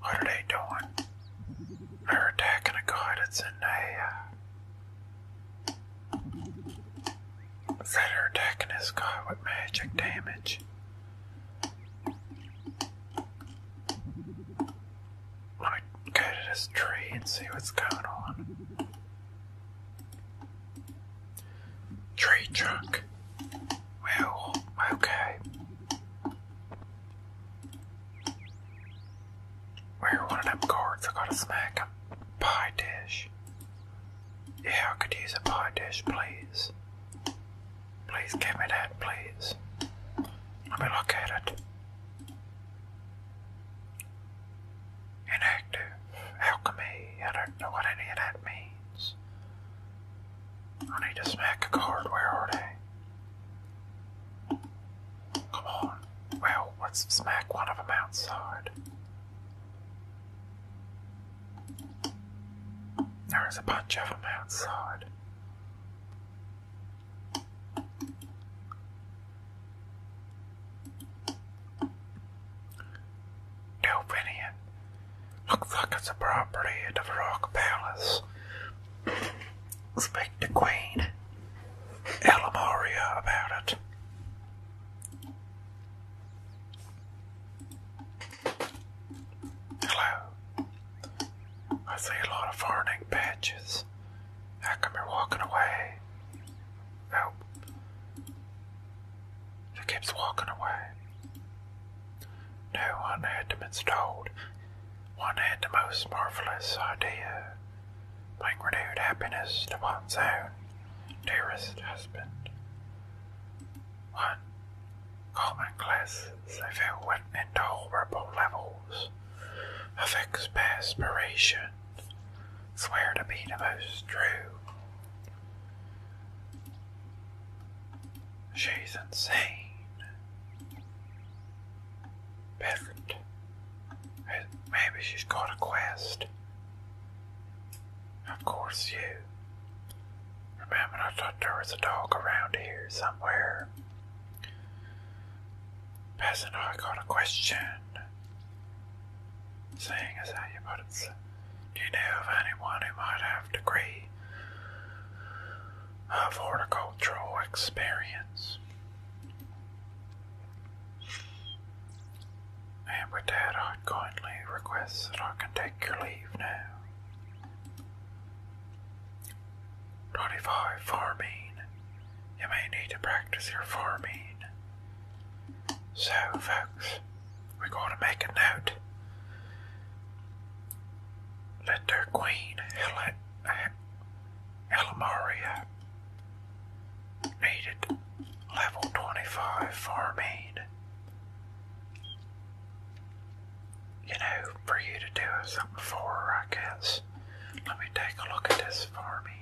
S2: What are they doing? They're attacking a guy that's
S1: Fred are attacking his guy with magic damage. I me go to this tree and see what's going on.
S2: Tree trunk. Well, okay.
S1: Wear one of them cards. I gotta smack a pie dish. Yeah, I could use a pie dish, please. Please give me that, please. Let me look at it. Inactive. Alchemy. I don't know what any of that means. I need to smack a card. Where are they? Come on. Well, let's smack one of them outside. There's a bunch of them outside. Delphinian. Looks like it's a property of the Rock Palace. Speak to Queen. Alamoria about it. Hello. I see a lot of farning patches. How come you're walking away? Oh. She keeps walking away. No one had One had the most marvelous idea. Like renewed happiness to one's own dearest husband. One, common classes I fill with intolerable levels of exasperation, swear to be most true. She's insane. Perfect. Maybe she's got a quest. Of course, you. Remember, I thought there was a dog around here somewhere. Peasant, I got a question. Seeing as how you put it, do you know of anyone who might have degree of horticultural experience? And with that, I kindly request that I can take your leave now. 25. Farming. You may need to practice your farming. So, folks, we're going to make a note. Let queen, Hel- Elamari, Needed level 25 farming.
S2: You know, for you to do something for, I guess. Let me take a look at this
S1: farming.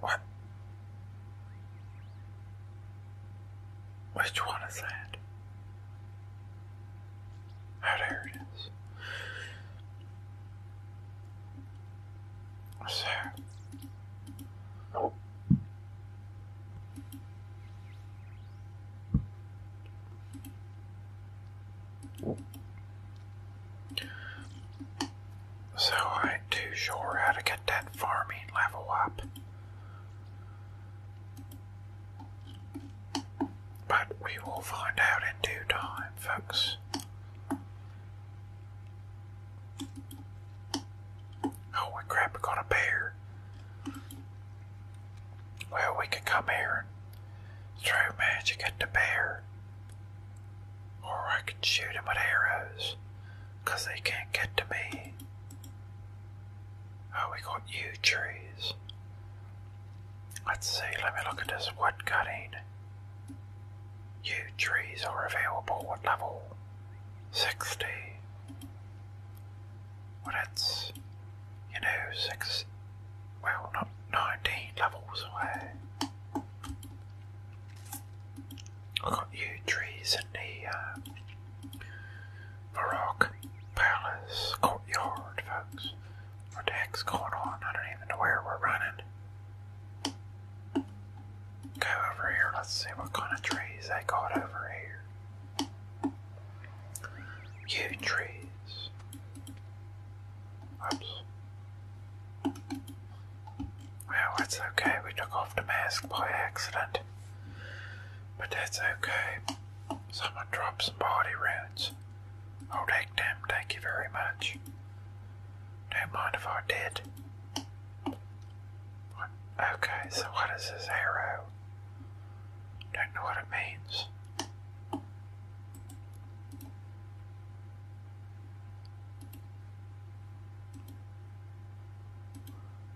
S1: What? Which one is that? Oh, there it is. So, so I ain't too sure how to get that farming level up. But we will find out in due time, folks. Oh, we got a bear. Well, we could come here and throw magic at the bear. Or I could shoot him with arrows. Because they can't get to me. Oh, we got yew trees. Let's see, let me look at this woodcutting. cutting. Yew trees are available at level 60. Well, that's, you know, 6, well, not 19 levels away i got yew trees in the uh, Palace courtyard, folks. What the heck's going on? I don't even know where we're running. Go over here, let's see what kind of trees they got over here. Yew Oops.
S2: Well, it's okay, we took off the mask by accident. But that's
S1: okay. Someone dropped some body runes. I'll oh,
S2: take them, thank you very much. Don't mind if I did.
S1: Okay, so what is this arrow? Don't know what it means.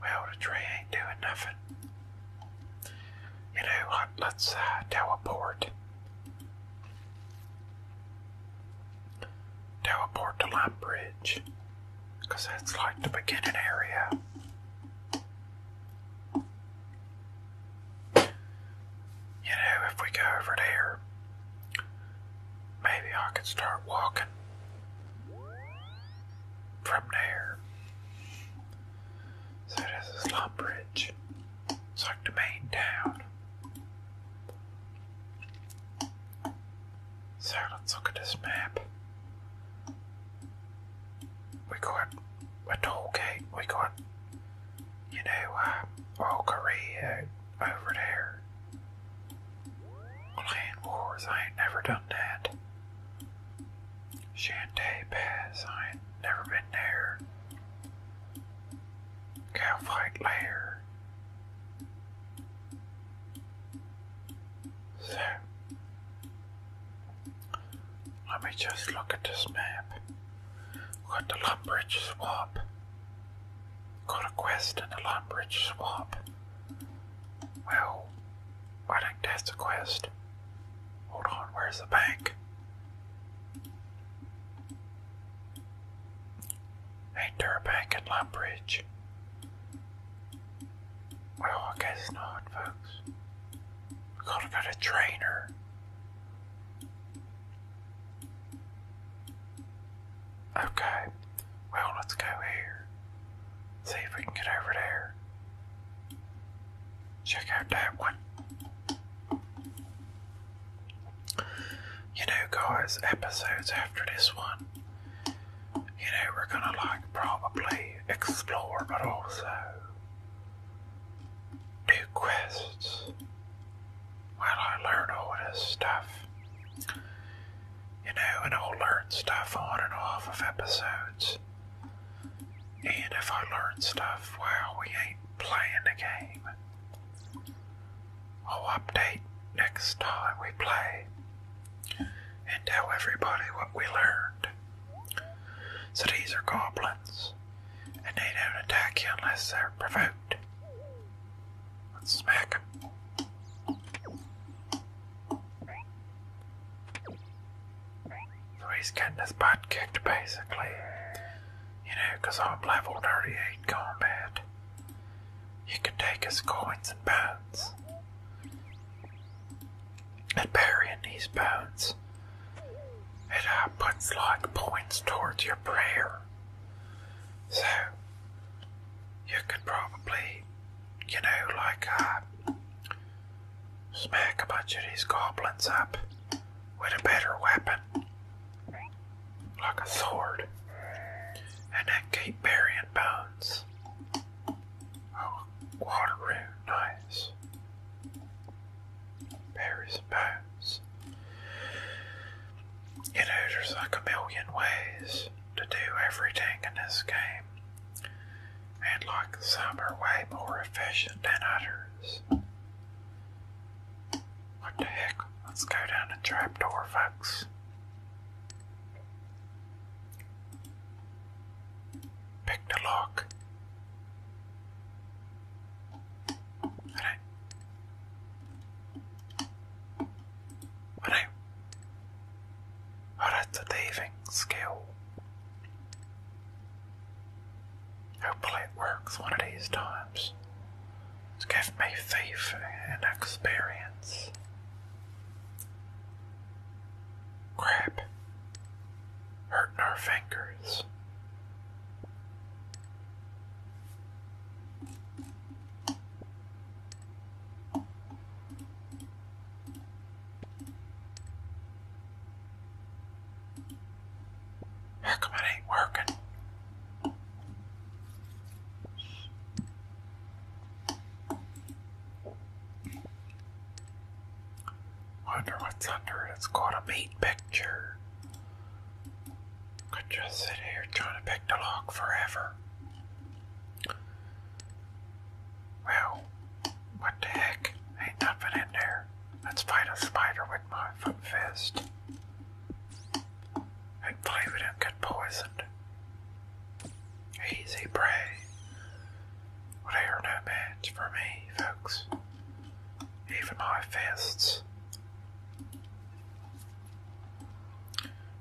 S1: Well, the tree ain't doing nothing. You know Let's teleport. Teleport to Lime that's like the beginning area. You know, if we go over there, maybe I could start walking from there. So this is Lumbridge. It's like the main town. So let's look at this map. We got a toll gate, we got, you know, uh, Old over there. Clan Wars, I ain't never done that. Shantae Pass, I ain't never been there. Cowfight Lair. So, let me just look at this map. got the Lumbridge Swamp. Got a quest in the Lumbridge Swamp. Well, I think that's a quest. Hold on, where's the bank? Ain't there a bank in Lumbridge? Well, I guess not, folks. gotta get a trainer. Okay, well, let's go here. See if we can get over there. Check out that one. You know, guys, episodes after this one, you know, we're gonna like probably explore, but also do quests while I learn all this stuff you know, and I'll learn stuff on and off of episodes. And if I learn stuff while we ain't playing
S2: the
S1: game, I'll update next time we play and tell everybody what we learned. So these are goblins, and they don't attack you unless they're provoked. Let's smack so he's getting his butt kicked basically. You know, because I'm level 38 combat. You can take his coins and bones. And burying these bones, it uh, puts like points towards your prayer. So, you could probably you know, like uh, smack a bunch of these goblins up with a better weapon, like a sword, and then keep burying bones. Oh, water rune, nice. Bury bones. You know, there's like a million ways to do everything in this game. And like some are way more efficient
S2: than others. What the heck? Let's go
S1: down the trapdoor, folks. Pick the lock. What I, Oh, that's a thieving skill. Hopefully it works one of these times. It's given me thief and experience. Crap. Hurting our fingers.
S2: How come it ain't
S1: working? Wonder what's under it. It's called a meat picture. Could just sit here trying to pick the lock forever. Well, what the heck? Ain't nothing in there. Let's fight a spider with my fist. And play get poisoned. Easy prey. Well, they are for me, folks. Even my fists.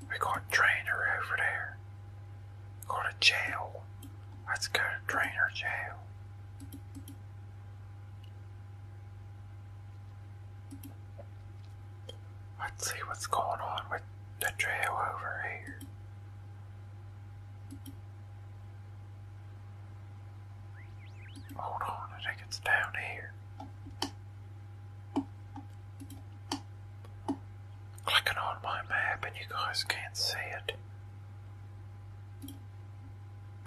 S1: We got Trainer over there. Go to jail. Let's go to Drainer jail. Let's see what's going on with the jail over here. Hold on, I think it's down here clicking on my map and you guys can't see it.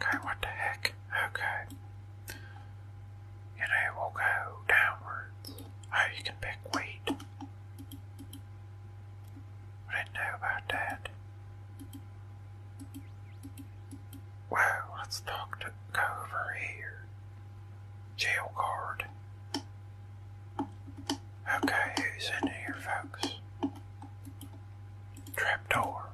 S2: Okay, what the heck?
S1: Okay. You will go downwards. Oh, you can pick wheat. didn't know about that.
S2: Wow, let's talk to over here. Jail guard.
S1: Okay, who's in here, folks? Trapdoor.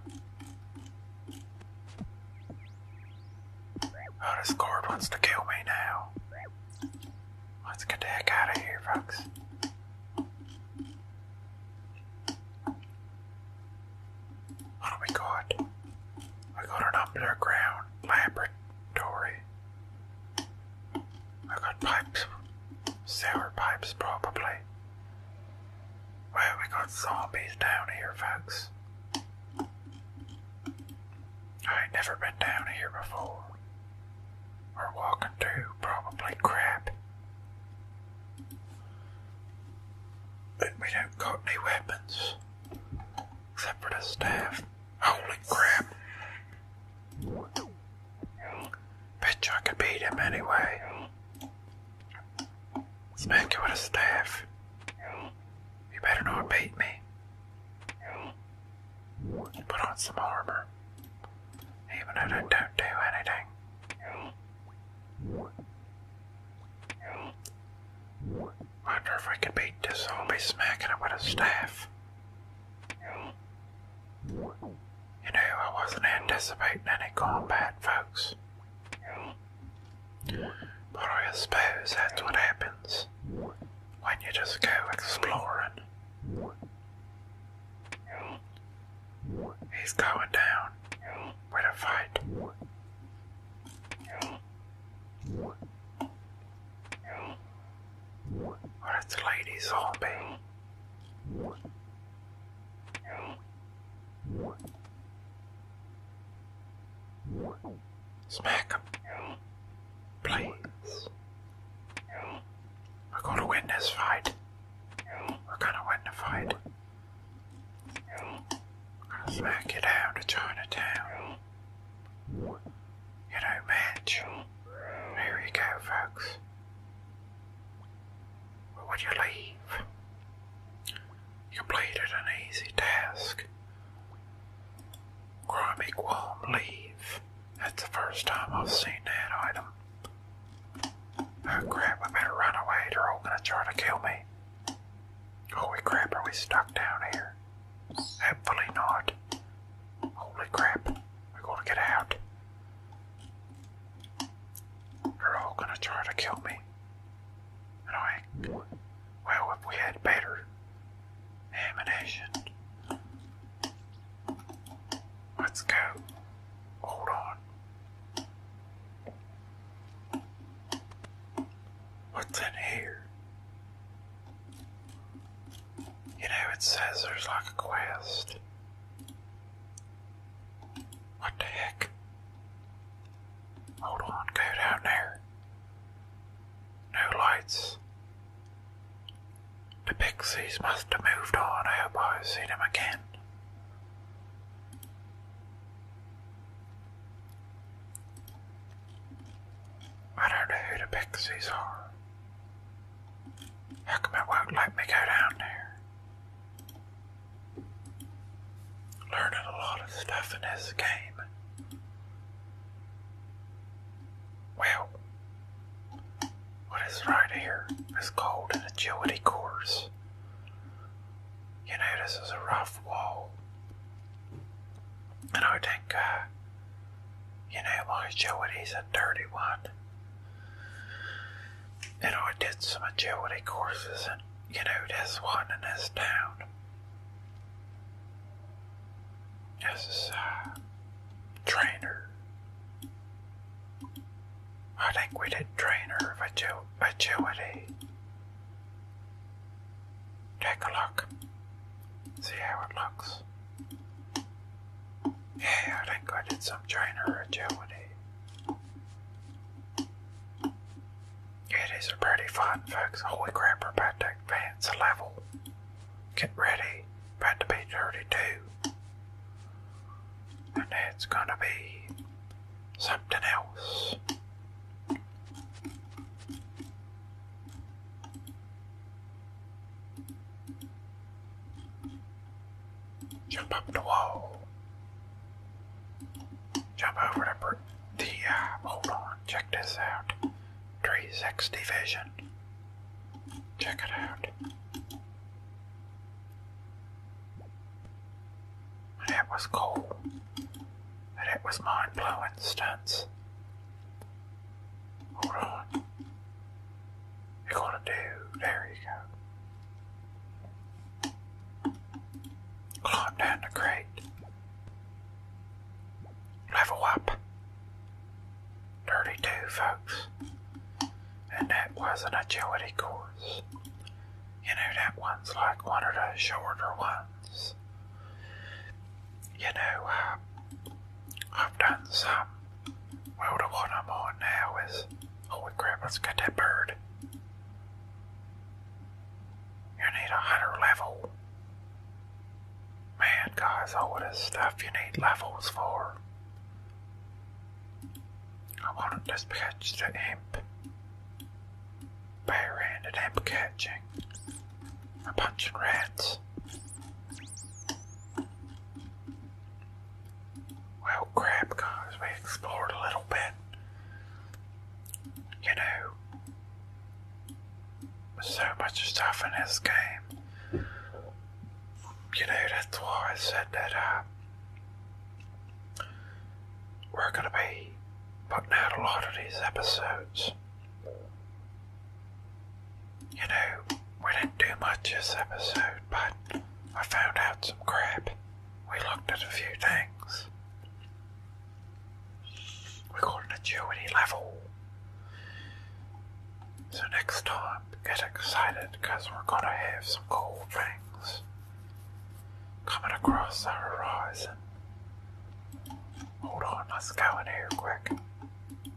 S1: Oh, this cord wants to kill me now. Let's get the heck out of here, folks. What do we got? We got an underground laboratory. I got pipes, sour pipes probably. Well, we got zombies down here, folks. I ain't never been down here before. Or walking through probably crap. But we don't got any weapons. Except for the staff. Holy crap. Bet I could beat him anyway. Smack him with a staff. You better not beat me. Put on some armor. Even if I don't do anything. Wonder if I can beat this zombie smacking it with a staff. You know, I wasn't anticipating any combat, folks. But I suppose that's what happens when you just go exploring. He's going down with a fight. Or it's Lady Zombie. Smack him. Please. We're going to win this fight. We're going to win the fight. We're going to smack you down to Chinatown. You know, match. Here we go, folks. But would you leave, you completed an easy task. Grimy Qualm leave. That's the first time I've seen that item. Oh crap, I better run away, they're all gonna try to kill me. Holy crap, are we stuck down here? Hopefully not. Holy crap, we're gonna get out. They're all gonna try to kill me. And I Well, we had better ammunition. Let's go. Hold on. What's in here? You know, it says there's like a quest. What the heck? Hold on, go down there. No lights. The pixies must have moved on. I hope I see them again. I don't know who the pixies are. How come it won't let me go down there? Learning a lot of stuff in this game. Well, what is right here is called an agility course. You know, this is a rough wall. And I think, uh, you know, my agility's a dirty one. You know, I did some agility courses, and you know, this one in this town. This uh,
S2: trainer.
S1: I think we did trainer of agility. Take a look. See how it looks. Yeah, I think I did some trainer agility. It is a pretty fun, folks. Holy crap, we're about to advance a level. Get ready. About to be 32. And it's gonna be something else. Jump up the wall. Jump over the, uh, hold on, check this out. 360 vision. Check it out. That was cool. And was mind blowing stunts. Hold on you're gonna do. There you go. Climb down the crate. Level up. 32, folks. And that was an agility course. You know, that one's like one of the shorter ones. You know, uh, I've done some well, the one I'm on now is. Holy oh, crap, let's get that bird. You need a higher level. Man, guys, all this stuff you need levels for. I want to just catch the imp. Bare-handed imp catching. I'm punching rats. Well, crap, guys, we explored a little bit. You know, so much stuff in this game. You know, that's why I said that uh, we're going to be putting out a lot of these episodes. You know, we didn't do much this episode, but I found out some crap. We looked at a few things. We got an level. So next time, get excited because we're gonna have some cool things coming across the horizon. Hold on, let's go in here quick.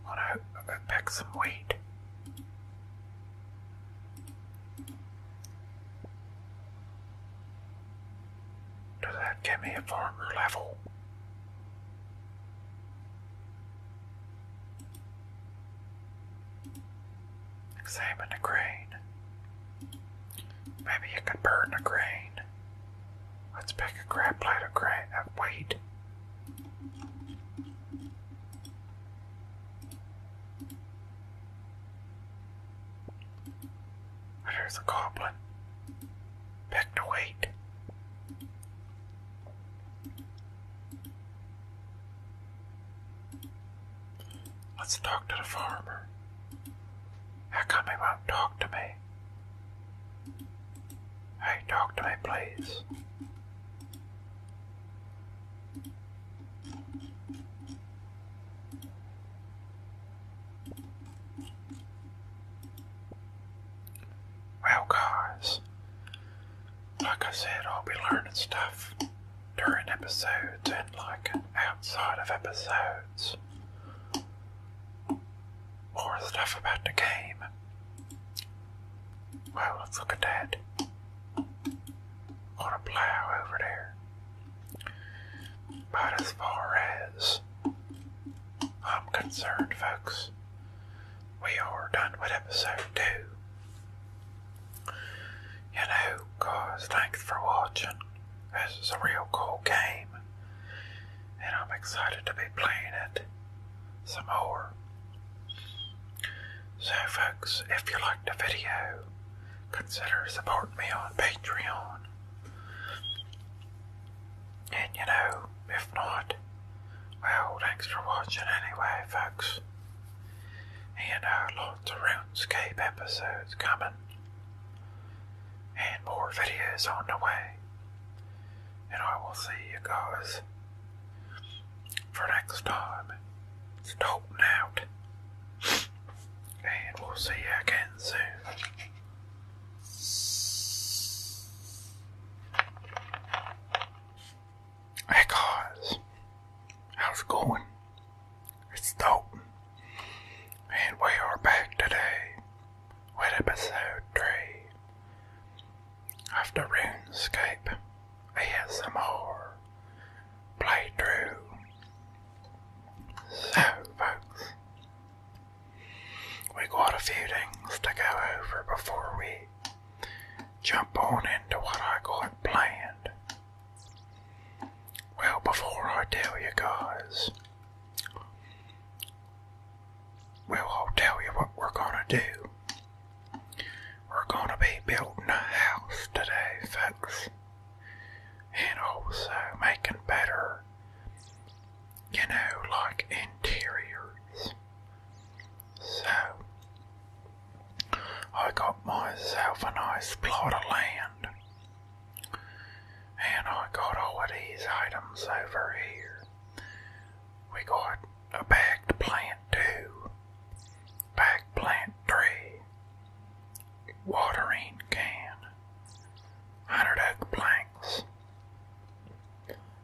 S1: wanna uh, pick some wheat. Does that give me a farmer level? Examine the grain. Maybe you could burn the grain. Let's pick a crap plate of grain of uh, wheat. There's a goblin. Back wait. Let's talk to the farmer. How come he won't talk to me? Hey, talk to me, please. Well, guys, like I said, I'll be learning stuff during episodes and like outside of episodes. More stuff about the game. Well, look at that on a plow over there. But as far as I'm concerned, folks, we are done with episode two. You know, thanks for watching. This is a real cool game, and I'm excited to be playing it some more. So folks, if you liked the video, consider supporting me on Patreon. And you know, if not, well, thanks for watching anyway, folks. And uh, lots of RuneScape episodes coming. And more videos on the way. And I will see you guys for next time. It's Dalton out. And we'll see you again soon. Hey guys, how's it going? It's Dalton, and we are back today with episode 3 of RuneScape ASMR playthrough. So, folks, we got a few things to go over before we jump on into what I got planned. Well, before I tell you guys, well, I'll tell you what we're gonna do. We're gonna be building a house today, folks. And also making better, you know, like interiors. So, I got myself a nice plot of land. And I got all of these items over here. We got a bagged plant two, bagged plant three, watering can, hundred oak planks,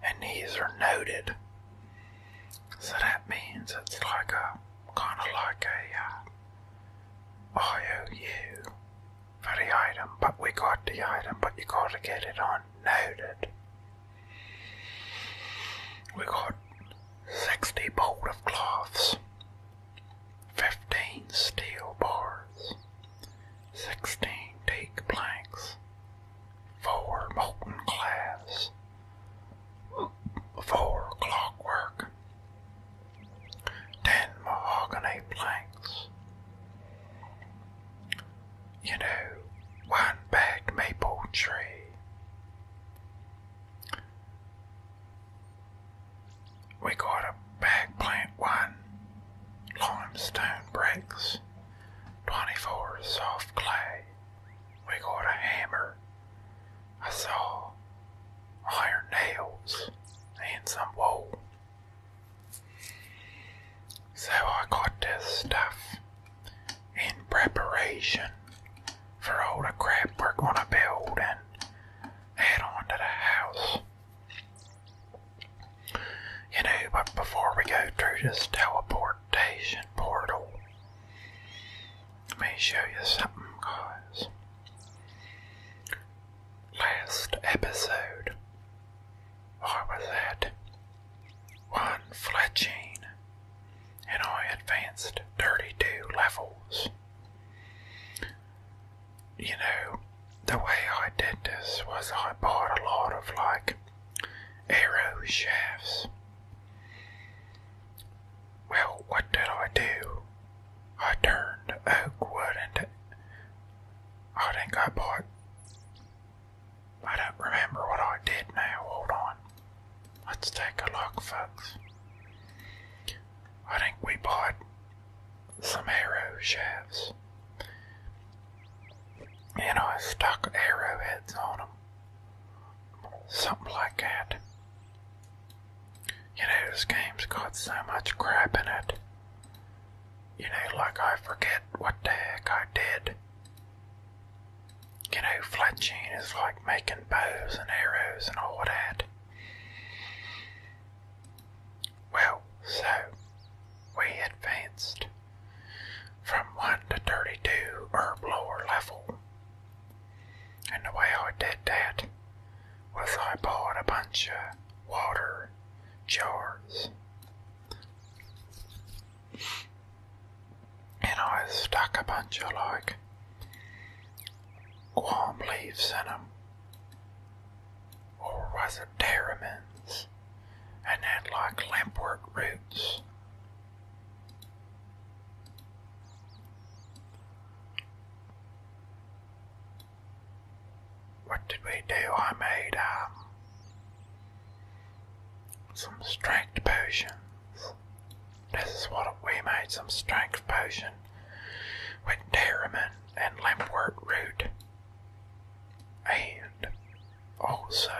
S1: and these are noted. So that means it's like a kind of like a uh, IOU for the item, but we got the item, but you got to get it on noted. We got 60 bolt of cloths, 15 steel bars, 16 teak planks, 4 molten glass, 4 clockwork, 10 mahogany planks. You know, one big maple tree, we got a bag plant one, limestone bricks, 24 soft clay. We got a hammer, a saw, iron nails, and some wool. So I got this stuff in preparation for all the crap we're gonna build and add on to the house. You know, but before we go through this teleportation portal, let me show you something, guys. Last episode, I was at one Fletching and I advanced 32 levels. You know, the way I did this was I bought a lot of like arrow shafts. Well, what did I do? I turned oak wood into. I think I bought. I don't remember what I did now. Hold on. Let's take a look, folks. I think we bought some arrow shafts. And I stuck arrowheads on them. Something like that. You know, this game's got so much crap in it. You know, like I forget what the heck I did you know, fletching is like making bows and arrows and all that. Well, so we advanced from 1 to 32 or lower level. And the way I did that was I bought a bunch of water jars and I stuck a bunch of like guam leaves in them, or was it terramins, and then like lampwork roots. What did we do? I made um, some strength potions. This is what we made some strength potion with Derriman and Limpwort root. And also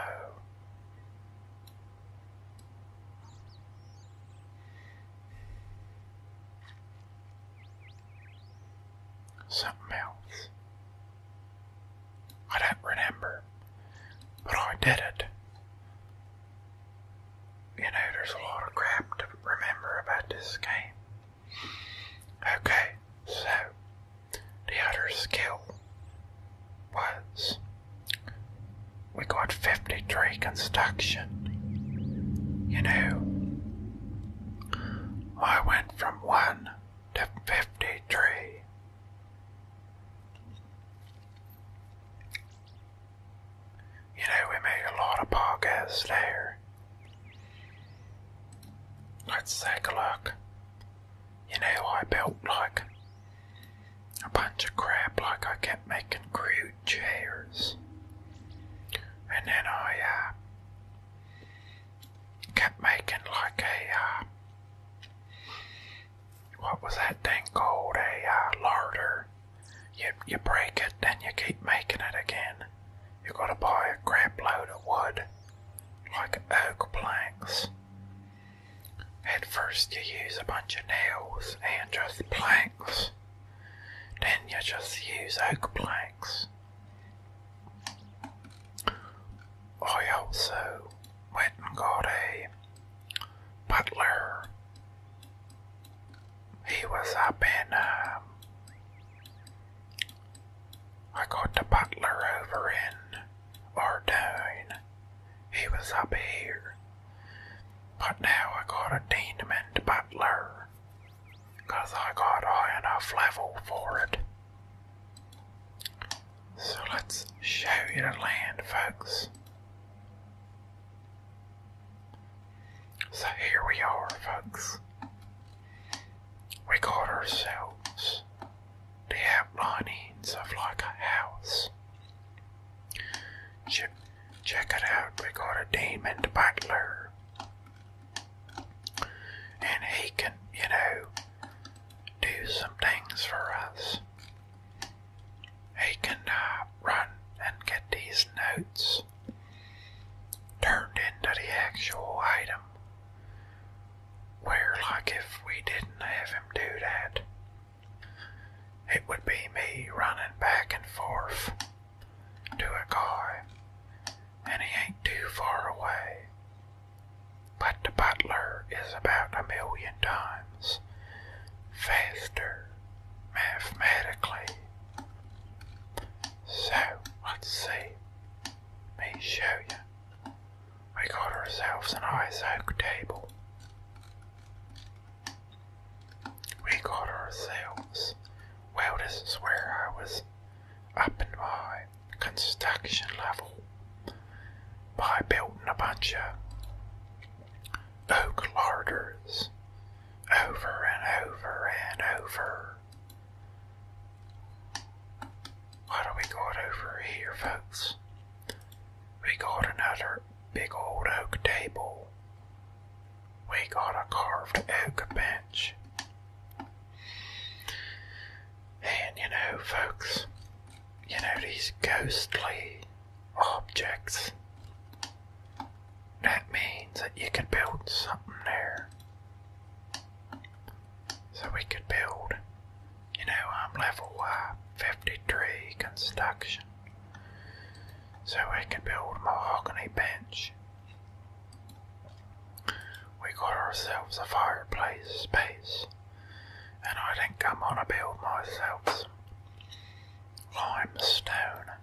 S1: something else. I don't remember, but I did it you know, there's a lot of crap to remember about this game. Okay, so the other skill was we got 53 construction. You know, I went from 1 to 53. You know, we made a lot of podcasts there. Let's take a look. You know, I built like a bunch of crap, like I kept making crude chairs. And then I uh, kept making like a uh, what was that thing called? A uh, larder. You you break it, then you keep making it again. You gotta buy a crap load of wood, like oak planks. At first, you use a bunch of nails and just planks. Then you just use oak planks. I also went and got a butler he was up in, um, I got the butler over in Ardone. He was up here. But now I got a Deanman the butler. Because I got high enough level for it. So let's show you the land, folks. So here we are, folks. We got ourselves the outlinings of like a house. Check, it out, we got a demon butler. And he can, you know, do some things for us. He can uh, run and get these notes turned into the actual item. Where, like, if we didn't have him do that, it would be me running back and forth to a guy, and he ain't too far away. But the butler is about a million times faster mathematically. So, let's see. me show you. We got ourselves an ISO table. We got ourselves. Well, this is where I was up in my construction level by building a bunch of oak larders over and over and over. What do we got over here, folks? We got another big old oak table. We got a carved oak bench. And you know, folks, you know, these ghostly objects. That means that you can build something there. So we could build, you know, I'm um, level uh, 53 construction. So we could build a mahogany bench. We got ourselves a fireplace space. And I think I'm gonna build myself limestone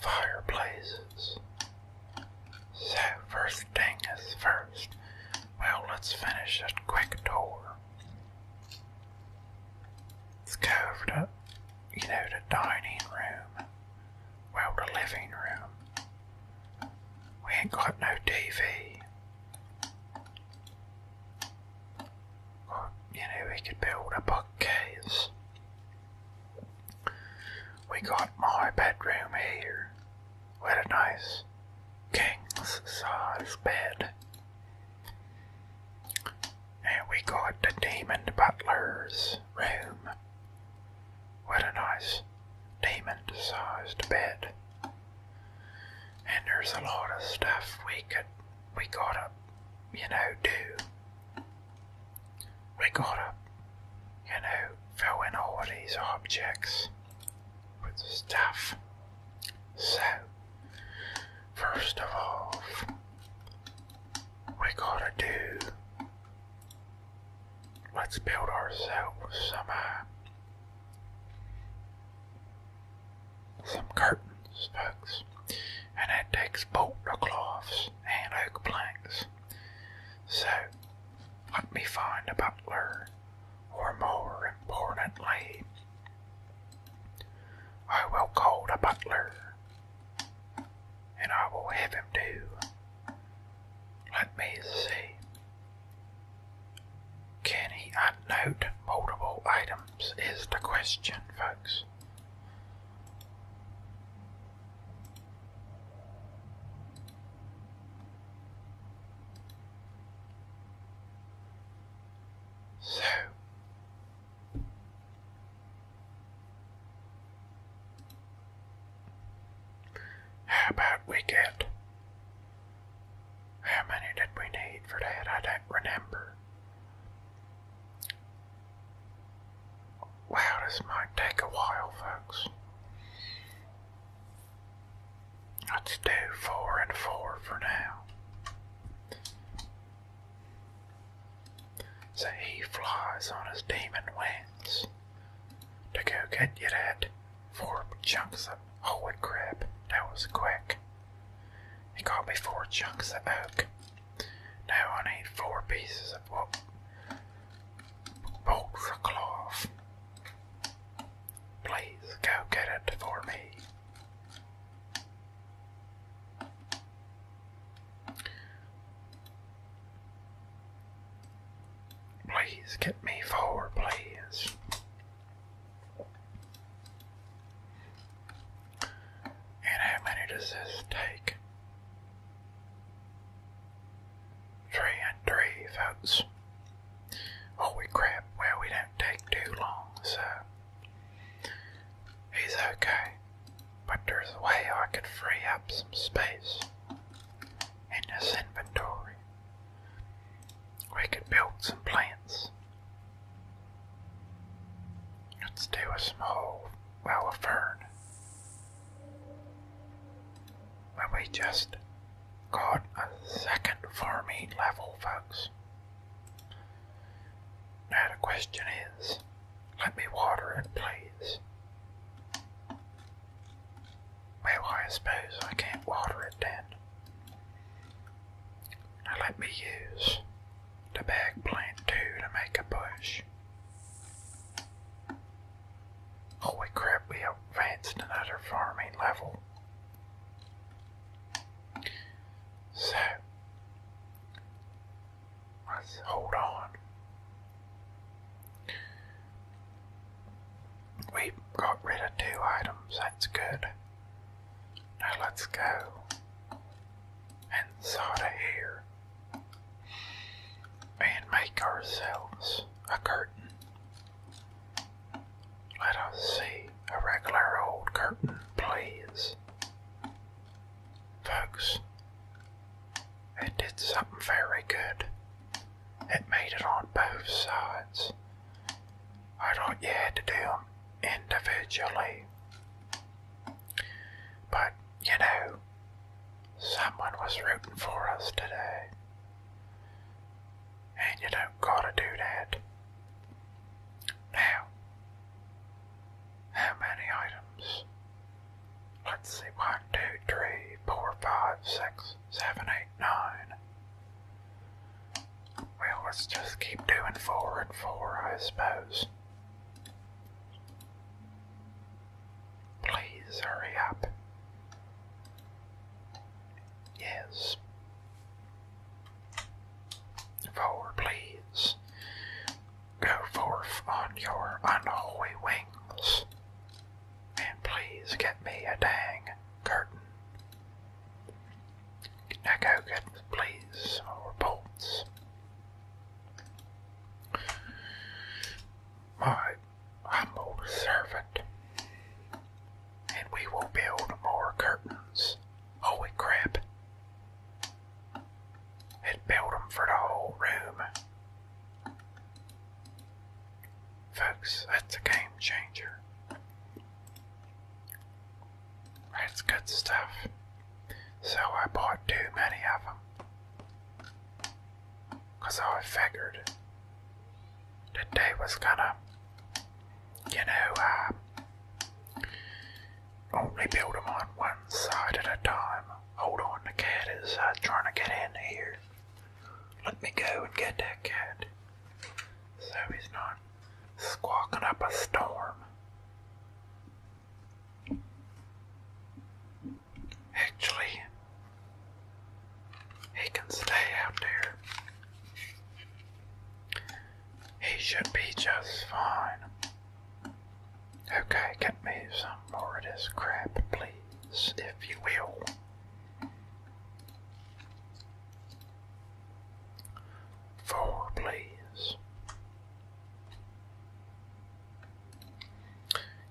S1: fireplaces. So, first thing is first. Well, let's finish that quick tour. It's covered up, you know, the dining room. Well, the living room. We ain't got no TV you know, we could build a bookcase. We got my bedroom here with a nice king-sized bed. And we got the demon butler's room What a nice demon sized bed. And there's a lot of stuff we could we gotta you know do we got to you know, fill in all these objects with stuff. So, first of all, we gotta do. Let's build ourselves some uh, some curtains, folks. And that takes the cloths and oak planks. So, let me find a butler,
S2: or more importantly, I will
S1: call the butler, and I will have him do. Let me see. Can he unnote multiple items? Is the question, folks. So how about we get how many did we need for that? I don't remember. Wow, this might take a while, folks. Let's do four and four for now. So he flies on his demon wings to go get you that four chunks of holy crap. That was quick. He got me four chunks of oak. Now I need four pieces of what? Bolts cloth. Please go get it for me. Please get me four, please. And how many does this take? Three and three, folks. Holy crap, well, we don't take too long, so he's okay. But there's a way I could free up some space in this inventory. We could build some plants. Let's with some small well of we just got a second farming level, folks. Now the question is, let me water it, please. Well, I suppose I can't water it then. Now let me use the bag plant two to make a push. Holy crap, we advanced another farming level. So, let's hold on. We got rid of two items, that's good. Now let's go and sort of here and make ourselves a curtain. Let us see a regular old curtain, please. Folks, it did something very good. It made it on both sides. I thought you had to do individually. But you know, someone was rooting for us today. And you don't gotta do that. Now, how many items? Let's see, one, two, three, four, five, six, seven, eight, nine. Well, let's just keep doing four and four, I suppose. Please hurry up. Yes. Forward, please. Go forth on your unholy wings. And please get me a dang curtain. Now go get, please, or bolts my humble servant, and we will build more curtains. Holy crap! And build for the whole room. Folks, that's a game changer. That's good stuff. So I bought too many of them. Because I figured the day was gonna, you know, uh, only build them on one side at a time. Hold on, the cat is uh, trying to get in here. Let me go and get that cat so he's not squawking up a storm. Actually, he can stay out there. He should be just fine. Okay, get me some more of this crap, please, if you will. Four, please.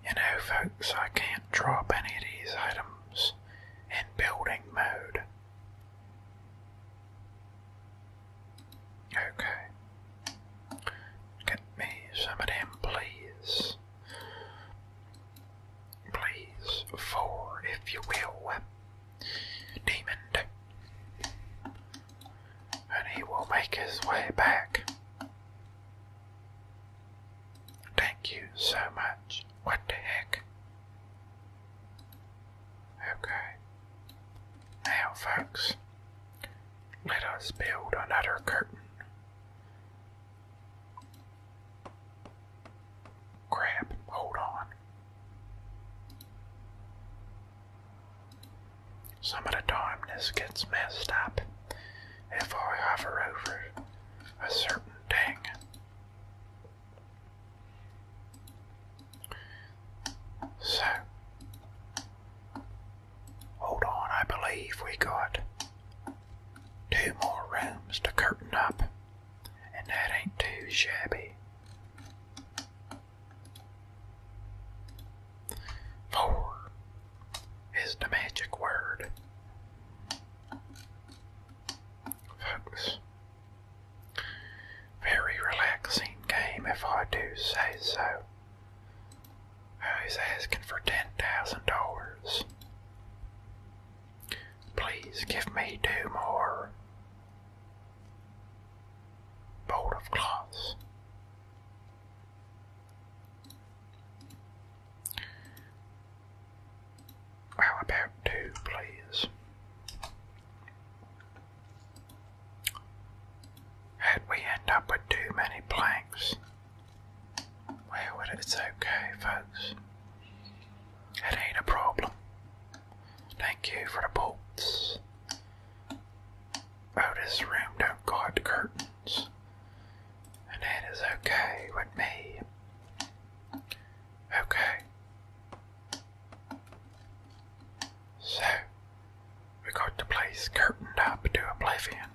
S1: You know, folks, I can't drop any of these items in building mode. Okay. Get me some of them, please. Please, four, if you will. Demon and he will make his way back. Thank you so much. What the heck? Okay. Now, folks, let us build another curtain. Crap, hold on. Some of the time gets messed up if I hover over a certain thing. So, hold on, I believe we got two more rooms to curtain up, and that ain't too shabby. Four is the magic word. Folks, very relaxing game if I do say so. Oh, he's asking for $10,000. Please give me two more. Bolt of cloths. How about two, please? Had we end up with too many planks, well, it's okay, folks. It ain't a problem. Thank you for the bolts. Oh, room don't got curtains, and that is okay with me. Okay. So, we got the place curtained up to oblivion.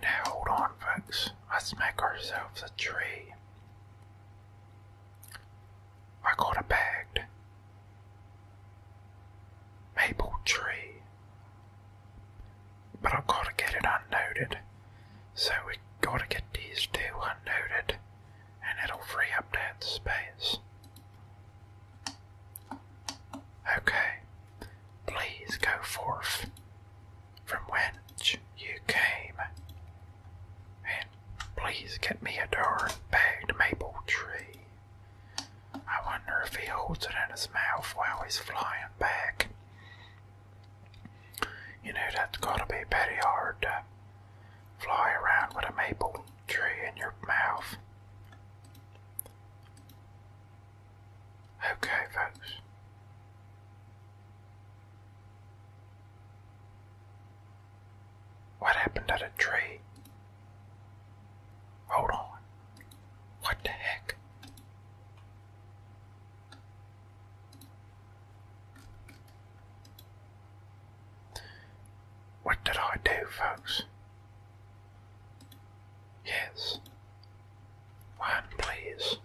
S1: Now, hold on, folks. Let's make ourselves a tree. I got a bag maple tree. But I've got to get it unnoted. So we got to get these two unnoted and it'll free up that space. Okay, please go forth from whence you came, and please get me a darn bagged maple tree. I wonder if he holds it in his mouth while he's flying back. You know, that's gotta be pretty hard to
S2: fly around with a maple tree in your mouth. Okay,
S1: folks. What happened to the tree? Hold on. What the heck? What did I do, folks? Yes. One, please.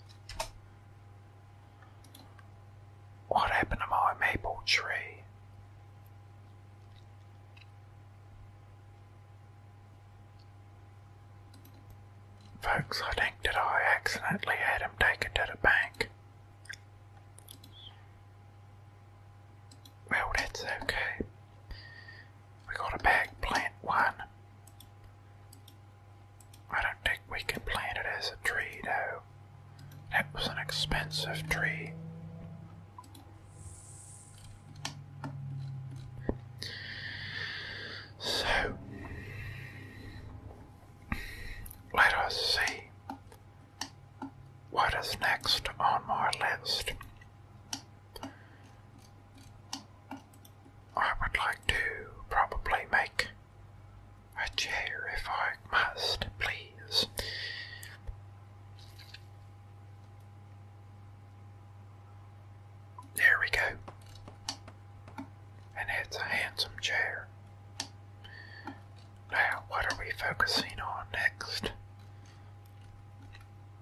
S1: What happened to my maple tree? Folks, I think that I accidentally had him taken to the bank. Well, that's okay. We got a bag plant one. I don't think we can plant it as a tree though. That was an expensive tree. So let us see what is next on my list. I would like to probably make a chair if I must, please. There we go. And that's a handsome chair. Now, what are we focusing on next?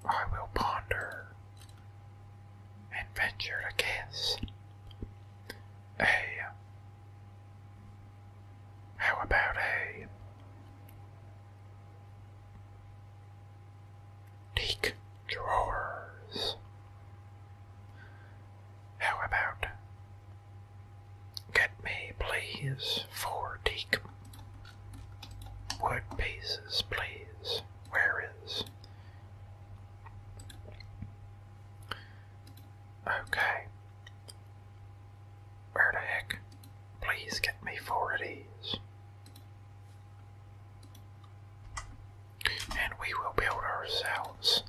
S1: I will ponder and venture to guess. A. How about a Take drawers. How about get me, please, four teak wood pieces, please? Where is? Okay. Where the heck? Please get me four of these. And we will build ourselves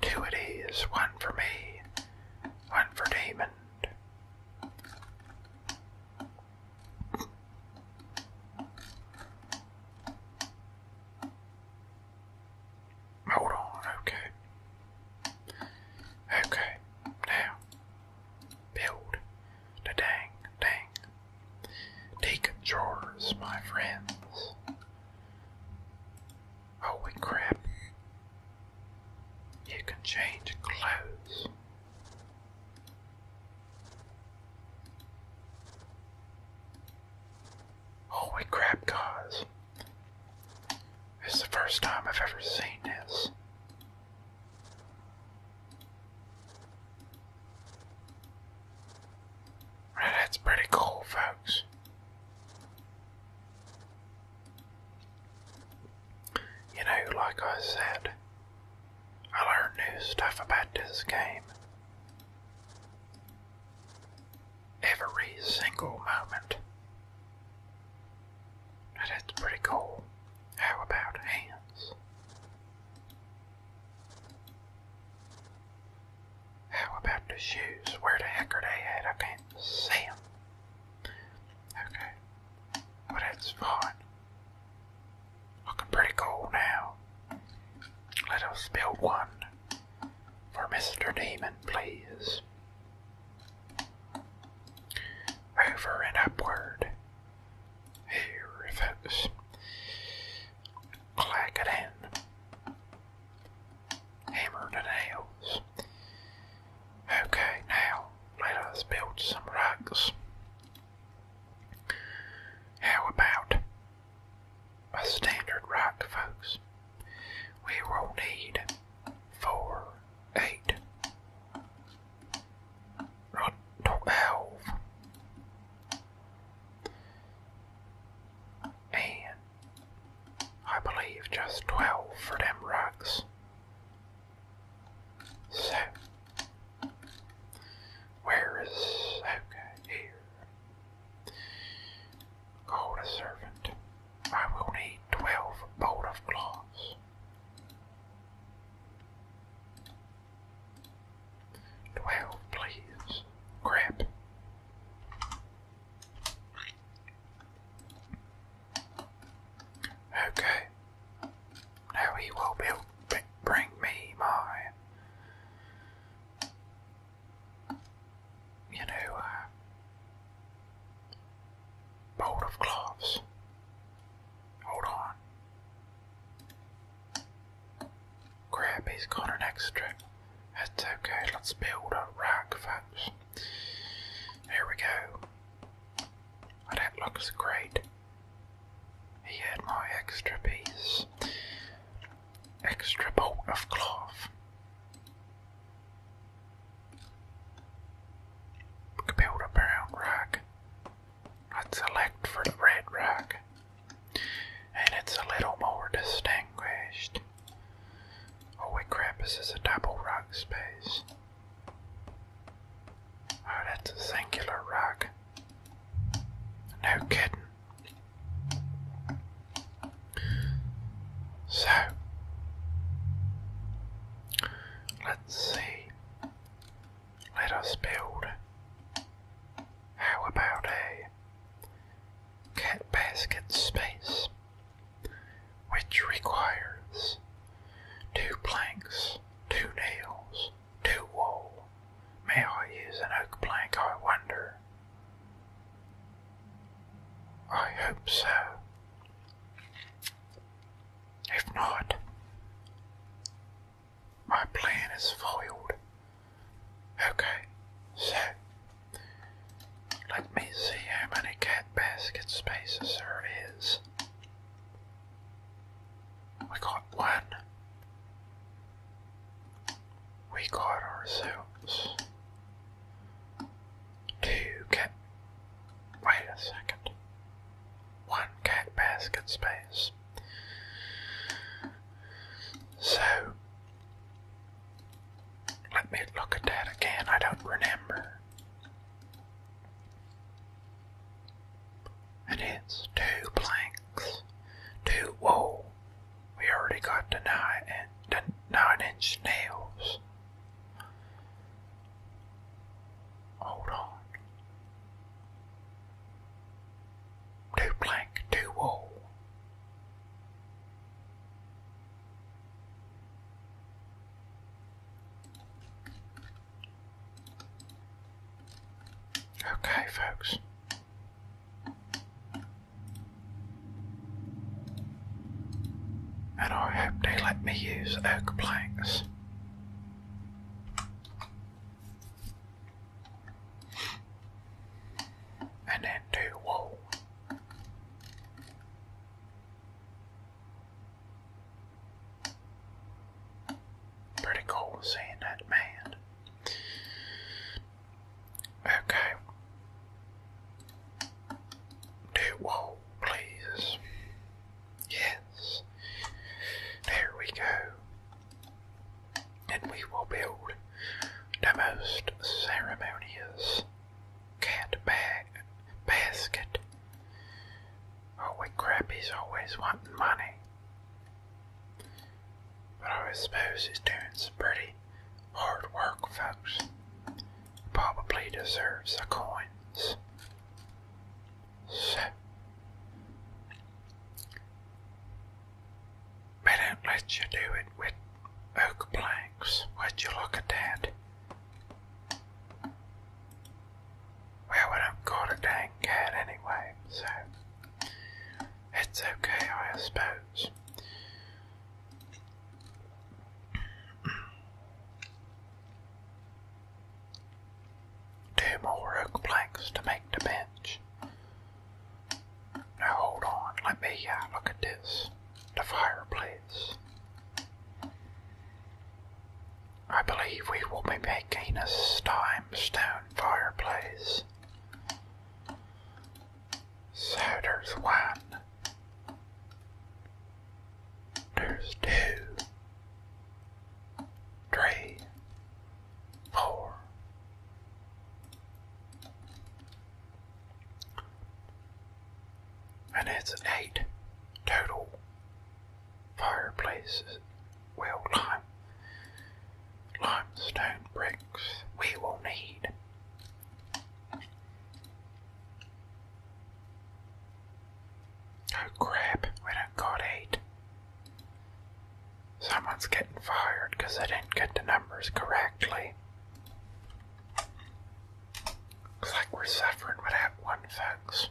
S1: two of these. One for me, one for Damon. Hold on, okay. Okay, now Build the dang dang. Take drawers, my friends. Holy oh, crap. You can change clothes. Holy oh, crap, guys. It's the first time I've ever seen this that's pretty cool, folks. You know, like I said, I learned new stuff about this game every single moment. That's pretty cool. How about hands? How about the shoes? Where the heck are they at? I can't see them. Okay. Well, that's fun. Looking pretty cool now. Let us build one for Mr. Demon, please. Over and upward. Here it is. Clack it in. Hammer the nails. Okay, now let us build some rugs. How about a standard rug, folks? We will need four, eight, Right, twelve. And I believe just twelve for them rugs. So where is here? Call the servant. I will need twelve bolt of cloths. Twelve, please. Crap. Okay. Now he will build, bring me my, you know, uh, Bolt of cloths. Hold on. Crab is got an extra. That's okay, let's build a rack, folks. Here we go. Oh, that looks great. He had my extra piece. Extra bolt of cloth. We build a brown rack. Let's select for the red rock. And it's a little more distinguished. Oh, we this is a double rock space. Oh, that's a singular rock. No kidding. So, let's see. Let us build. How about a cat basket space, which requires two planks, two nails, two wool. May I use an oak plank, I wonder? I hope so. If not, my plan is foiled. Okay, so let me see how many cat basket spaces there is. We got one. We got ourselves two cat. Wait a second one cat basket space. So let me look at that again. I don't remember. And it's two planks, two wool. We already got the nine and the nine inch nails. Hold on. Two blank, two wool. Okay, folks. And I hope they let me use oak planks. And then two wall. Pretty cool seeing that man. Okay. Do wall, please.
S2: Yes. There we
S1: go. And we will build the most ceremonious cat bag basket. Holy oh, crap, he's always wanting money. But I suppose he's doing some pretty hard work, folks. Probably deserves the coins. They don't let you do it with oak planks. Would you look at that? we don't got a dang anyway, so it's okay, I suppose. Two more oak planks to make the bench. Now hold on, let me uh, look at this. The fireplace. I believe we will be making a stime fireplace. So there's one. There's two three, four. And it's eight total fireplaces, well lime, limestone bricks we will need. Oh crap, we don't got eight. Someone's getting fired because they didn't get the numbers correctly. Looks like we're suffering with one, folks.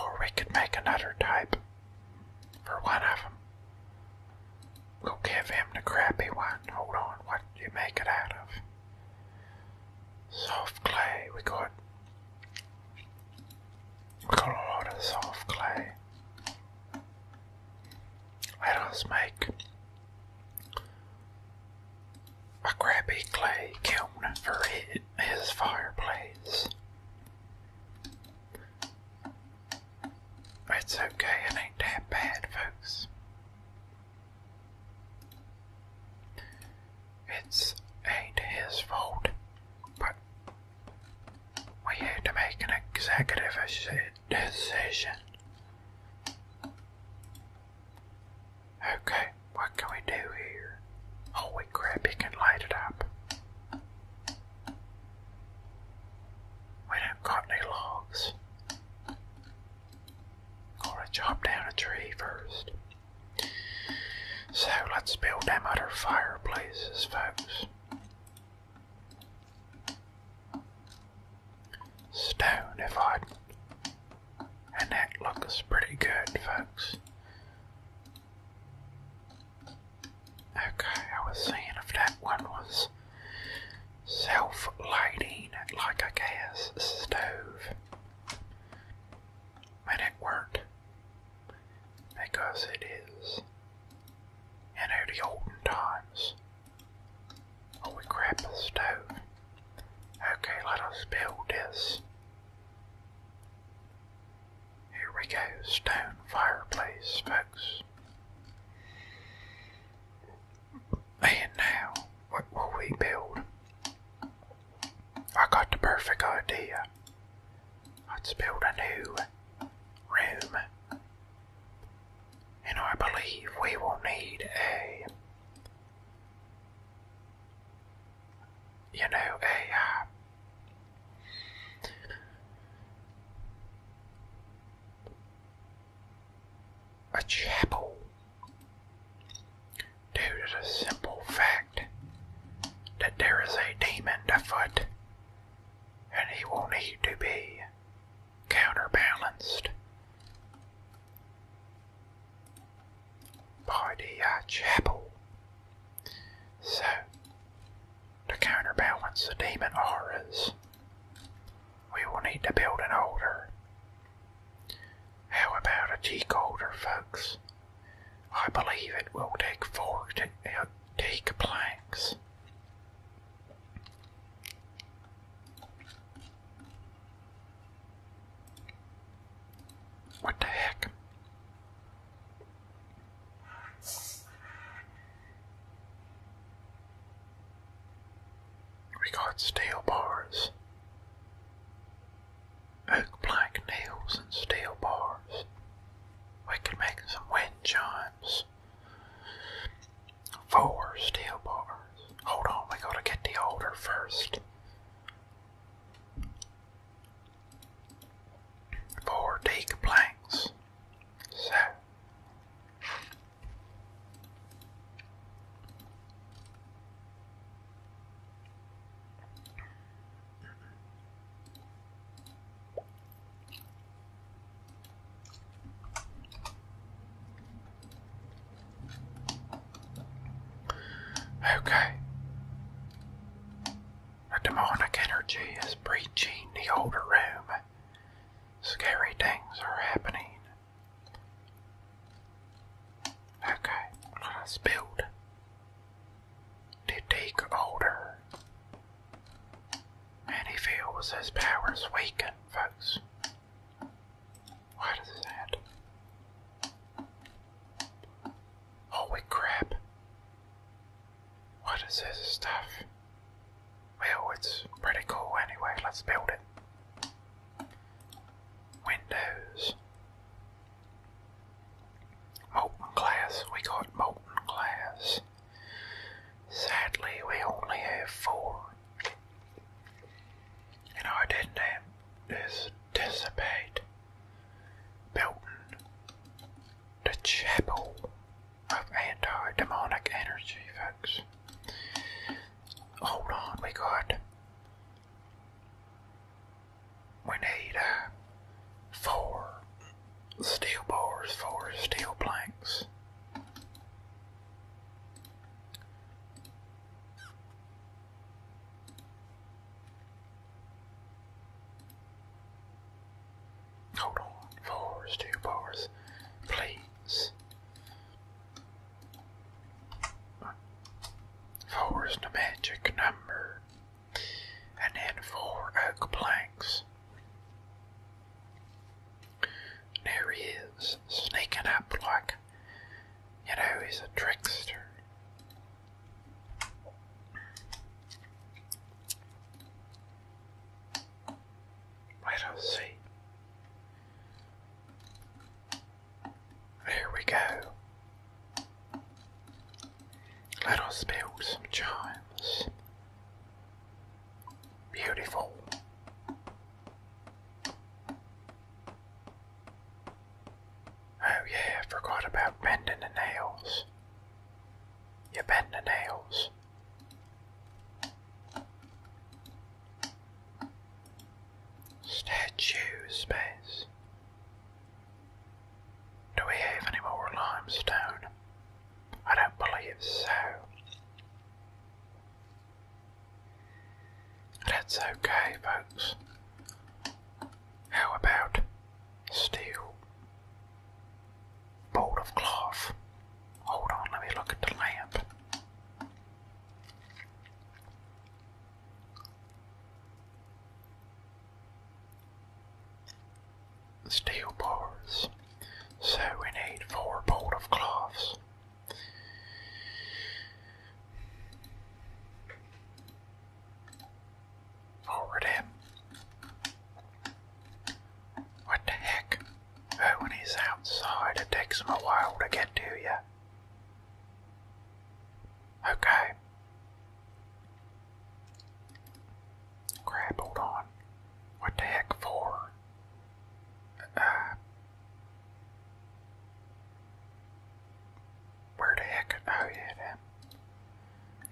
S1: Or we could make another type for one of We'll give him the crappy one. Hold on, what do you make it out of? Soft clay. We got we got a lot of soft clay. Let us make a crappy clay kiln for his fireplace. It's okay, it ain't that bad, folks. It's ain't his fault, but we had to make an executive decision. Okay, what can we do here? Holy oh, crap, he can light it up. We don't got any logs. Gotta chop down a tree first. So let's build them other fireplaces, folks. Stone, if I. And that looks pretty good, folks. Okay, I was seeing if that one was self lighting, like a gas stove when it were because it is. in the olden times, holy oh, crap, a stove. Okay, let us build this. Here we go, stone fireplace, folks. And now, what will we build? I got the perfect idea. Let's build a new room. And I believe we will need a, you know, a, uh, a chapel due to the simple fact that there is a demon afoot and he will need to be counterbalanced by the uh, chapel. So, to counterbalance the demon auras, we will need to build an altar how about a decoder, folks? I believe it will take four to uh, take planks.
S2: What the heck?
S1: We got steel bars oak plank nails and steel bars. We can make some wind chimes. Four steel bars. Hold on, we gotta get the older first. Four teak planks. So Okay. The demonic energy is breaching the older room. Scary things are happening. Okay, let's build. Did he older? And he feels his powers weaken, folks. What is that? Holy oh, crap. What is this stuff? Well, it's pretty cool anyway. Let's build it. Windows. Molten glass, we got molten glass. Sadly, we only have four. and our I didn't anticipate building the chapel of anti demonic energy, folks. Hold on, we got we need uh, four steel bars, four steel planks. Hold on, four steel bars, please. Four the magic number. And then four oak planks. There he is, sneaking up like, you know, he's a trickster. Let us see. There we go. Let us build some giants. Beautiful. Oh yeah, forgot about bending the nails. You bend the nails. Statue space. Do we have any more limestone? I don't believe so. That's okay, folks. How about steel? Bolt of cloth. Hold on, let me look at the lamp. Steel bars. So we need four bolt of cloths. Forward him. What the heck? when oh, he's outside, it takes him a while to get to you. Okay. Crap, hold on. What the heck for? Uh, where the heck? Oh, yeah, that.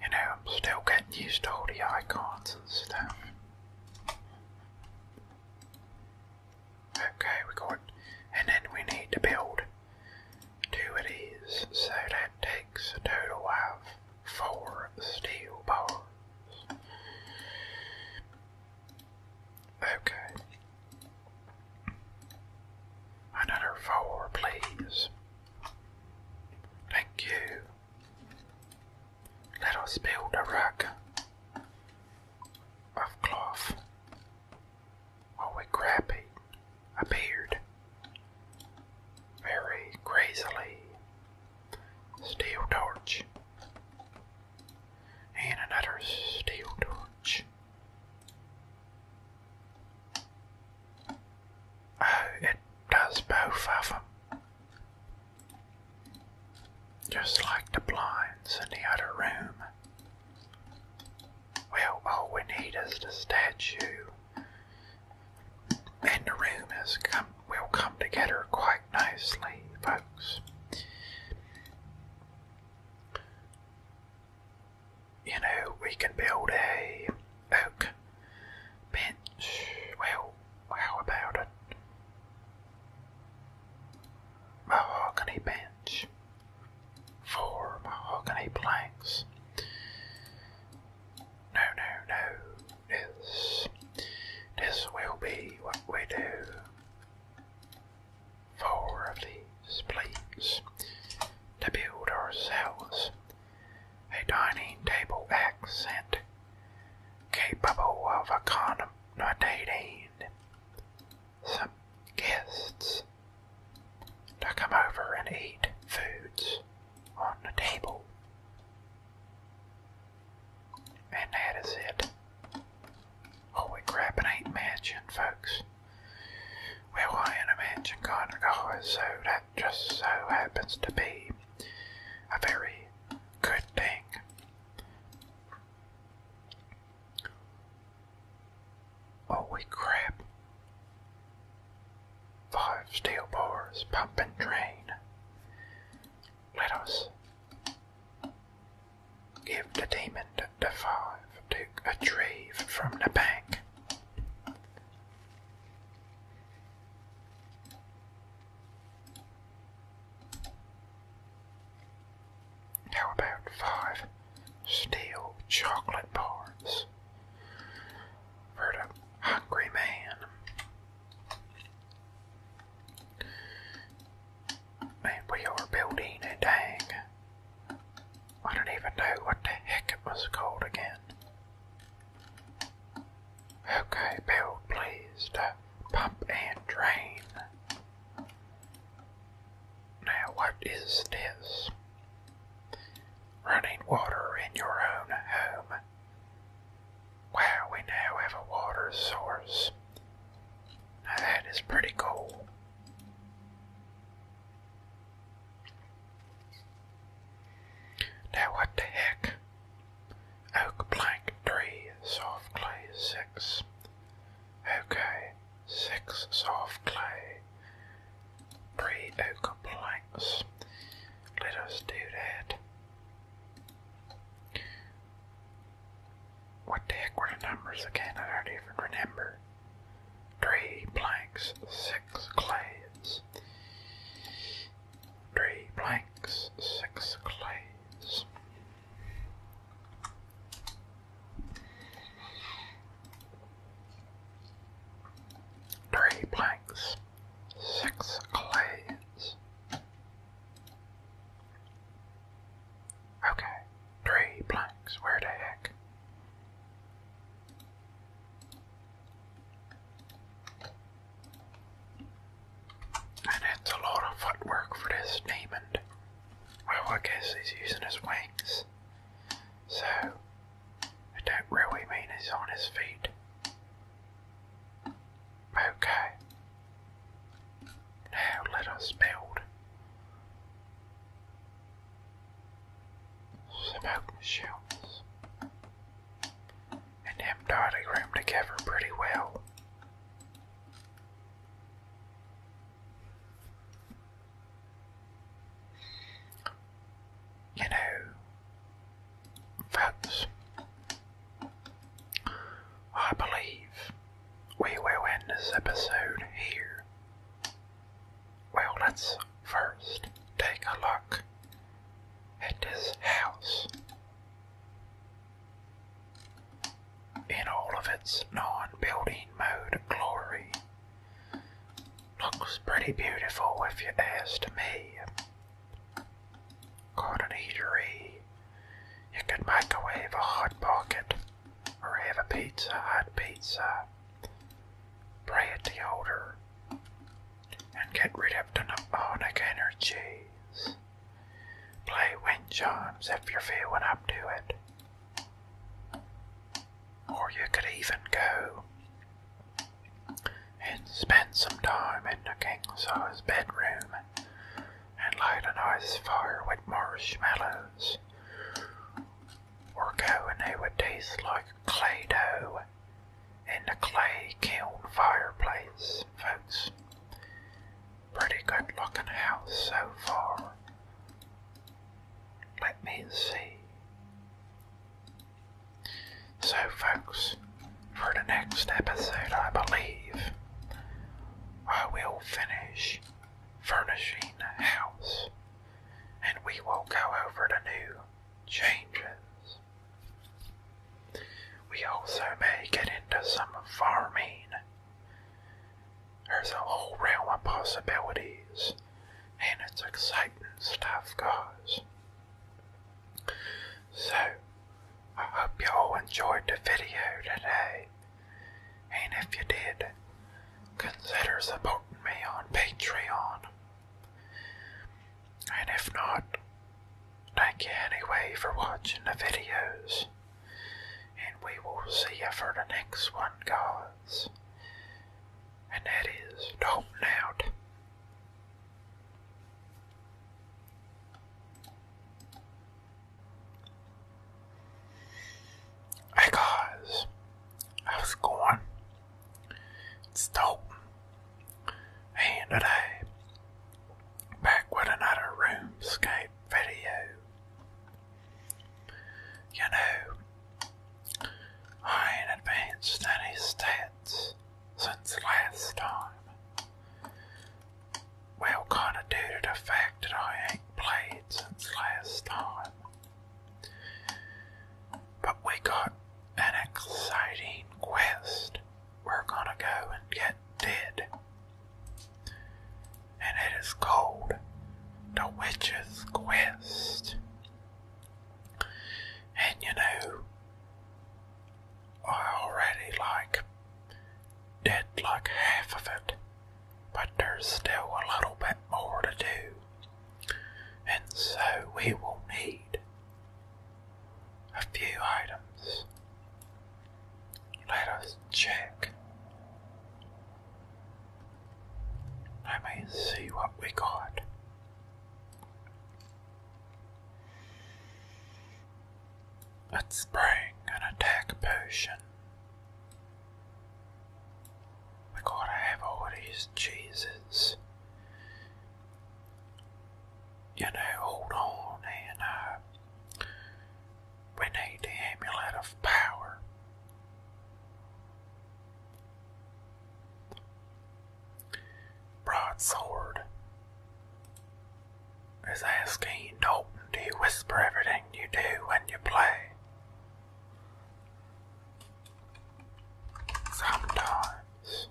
S1: You know, I'm still getting used to all the icons and stuff. Okay, we got. And then we need to build two of these, so that takes a total of four steel bars. Okay. Another four, please. Thank you. Let us build a rack of cloth. Holy crap, he appeared very crazily. Steel torch. And another steel torch. Oh, it does both of them. Just like the blinds in the other room. Well, all we need is the statue, and the room has come we will come together quite nicely, folks. You know, we can build a oak bench. Well, how about it? Mahogany bench. Four mahogany planks. No, no, no. This, this will be what we do. Four of these, please, to build ourselves a dining table accent capable of accommodating some guests to come over and eat foods on the table. And that is it. Holy crap, it ain't mansion, folks. Well, I am a mansion Conagoa, so that just so happens to be a very good thing. Holy crap. Five steel bars, pump and drain. Let us give the demon the five to retrieve from the bank. How about five? Steal chocolate bars for the hungry man. Man, we are building a dang. I don't even know what the heck it was called again. Okay, build please pump and drain. Now, what is this? Running water in your own home. Wow, we now have a water source. that is pretty cool. Now what the heck? Oak plank three, soft clay six. Okay, six soft clay. Three oak planks. Let us do that. What the heck were the numbers again? I don't even remember. Three planks, six clays. Three planks, six clays. Three blanks, six clays. Okay, three blanks, where the heck? And it's a lot of footwork for this demon. Well, I guess he's using his wings. So, I don't really mean he's on his feet. Okay. Now let us build some oak shelves. And them diagram together pretty well. You know, that's. I believe we will end this episode here. Well, let's first take a look at this house in all of its non building mode glory. Looks pretty beautiful if you asked me. Got an eatery. You could microwave a hot pocket or have a pizza, hot pizza. Pray at and get rid of demonic energies. Play wind chimes if you're feeling up to it. Or you could even go and spent some time in the King's size bedroom and light a nice fire with marshmallows or go and they would taste like clay dough in the clay kiln fireplace, folks. Pretty good luck in the house so far. Let me see. So, folks, for the next episode, I believe I will finish furnishing the house and we will go over the new changes. We also may get into some farming. There's a whole realm of possibilities and it's exciting stuff, guys. So, I hope y'all enjoyed the video today, and if you did, consider supporting me on Patreon. And if not, thank you anyway for watching the videos. And we will see you for the next one, guys. And that is Dalton out. Hey guys, how's it going? It's dope. And today, back with another RoomScape video. You know, I ain't advanced any stats since last time. Well, kinda due to the fact that I ain't played since last time. But we got an exciting quest.
S2: We're gonna go and get dead. And it is called The Witch's
S1: Quest. And you know, I already like did like half of it, but there's still a little bit more to do. And so we will need a few items. Let us check. Let me see what we got. Let's bring an attack potion. We gotta have all these cheeses. You know, hold on, and uh, we need the amulet of power. Broadsword. Is asking Dalton, do you whisper everything you do when you play? Sometimes.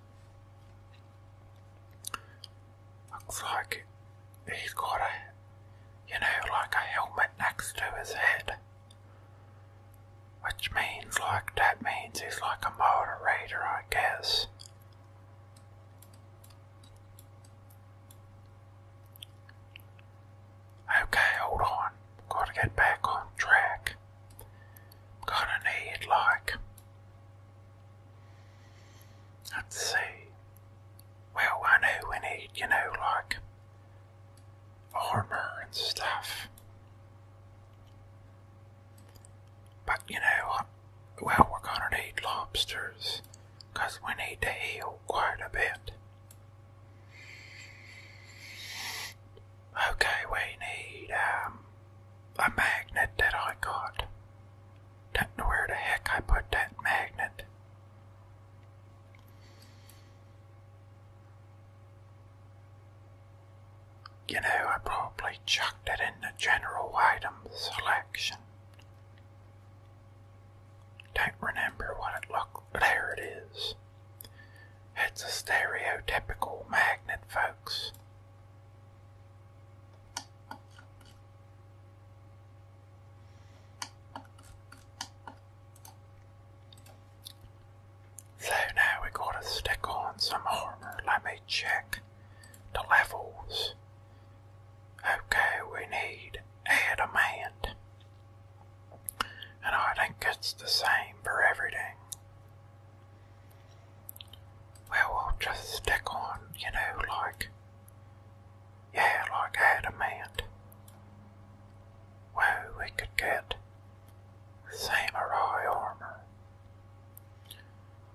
S1: Looks like he's got a, you know, like a helmet next to his head. Which means, like, that means he's like a moderator, I guess. Okay, hold on. Gotta get back on track. i to need, like, let's see. Well, I know we need, you know, like, armor and stuff. But you know, well, we're gonna need lobsters because we need to heal quite a
S2: bit. Okay, we
S1: need um, a magnet that I got. Don't know where the heck I put that magnet. You know, I probably chucked it in the general item selection. Don't remember what it looked there it is. It's a stereotypical magnet, folks. So now we gotta stick on some armor. Let me check the levels. Okay, we need adamant. And I think it's the same for everything. Well, we'll just stick on, you know, like, yeah, like adamant. Well, we could get samurai armor.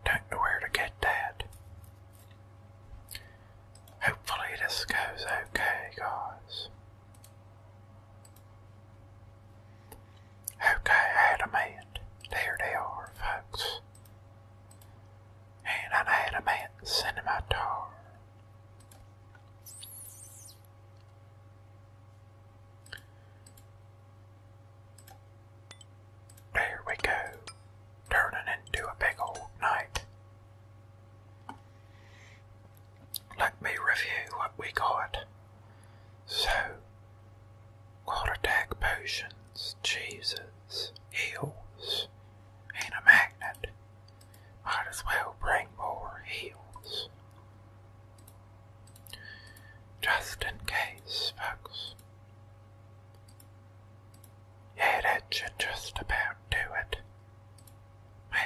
S1: Don't know where to get that. Hopefully, this goes okay, guys. Okay, adamant. There they are, folks. And an adamant cinematar. There we go, turning into a big old night. Let me review what we got. So, quarterback potions, cheeses, eels, and a magnet. Might as well bring more eels. Just in case, folks. Yeah, that should just about do it.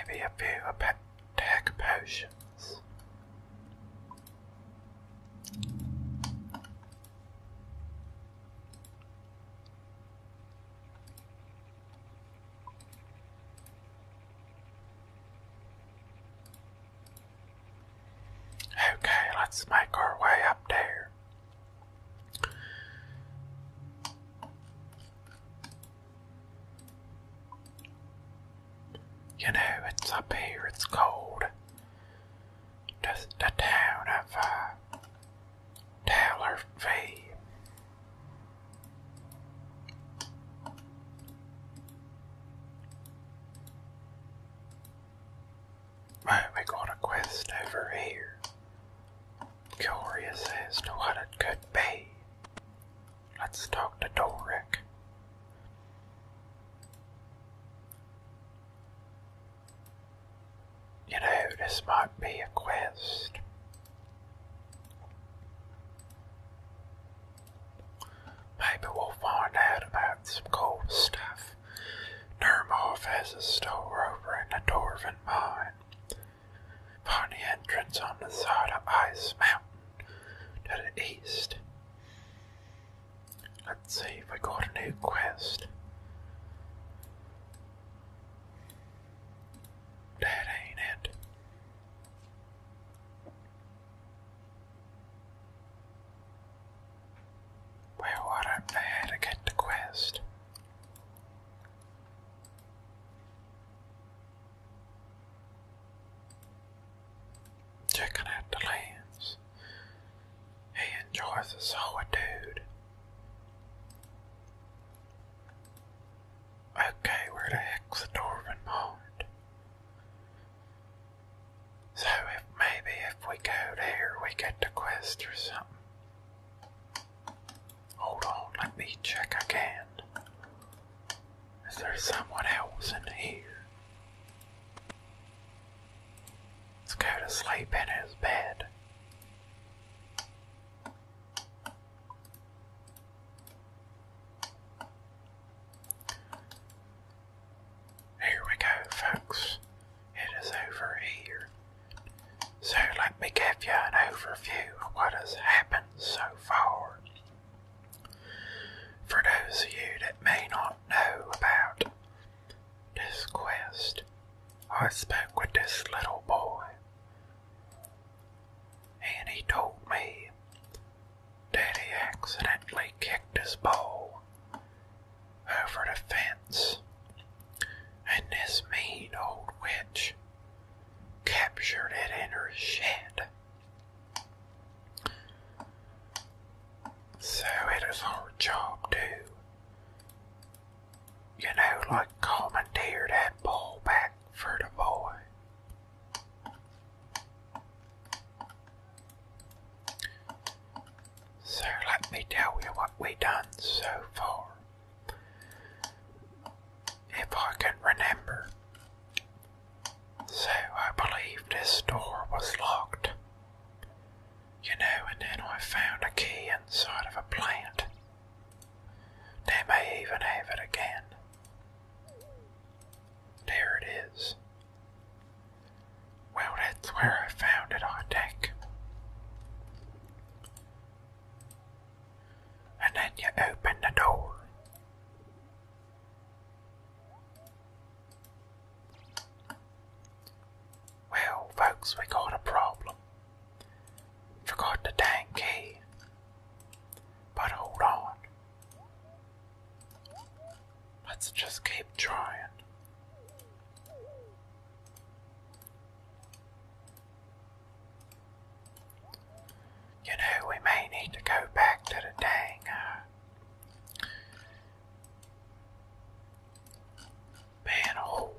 S1: Maybe a few attack potions. Okay, let's make our way up there. You know, it's up here, it's cold. The, town of uh, Right, we got a quest over here. Curious as to what it could be. Let's talk to Doric. You know, this might be a quest. Maybe we'll find out about some cool stuff. Dermoff has a store over in the Dwarven Mine. Find the entrance on the side of Ice Mountain to the east. Let's see if we got a new quest. That ain't it. Where would I be there to get the quest? Checking out the lands. He enjoys the solitude. Okay, where the heck's the Dwarven Mart? So if maybe if we go there, we get the quest or something. Hold on, let me check again. Is there someone else in here? Let's go to sleep in his bed. Here we go, folks. It is over here. So let me give you an
S2: overview of what has happened so far. For
S1: those of you that may not know about this quest, I spoke with this little boy, and he told me Daddy accidentally kicked his ball over the fence, and this mean old witch captured it in her shed. So it is our job to, you know, like commandeer that ball back for the boy. So let me tell you what we have done so far. If I can remember. So I believe this door was locked. You know, and then I found a key inside of a plant. They may even have it again. There it is. Well, that's where I found it, I think. And then you open the door. Well, folks, we got a problem. Forgot the dang key. But hold on, Let's just keep trying. You know, we may need to go back to the dang. Uh, manhole.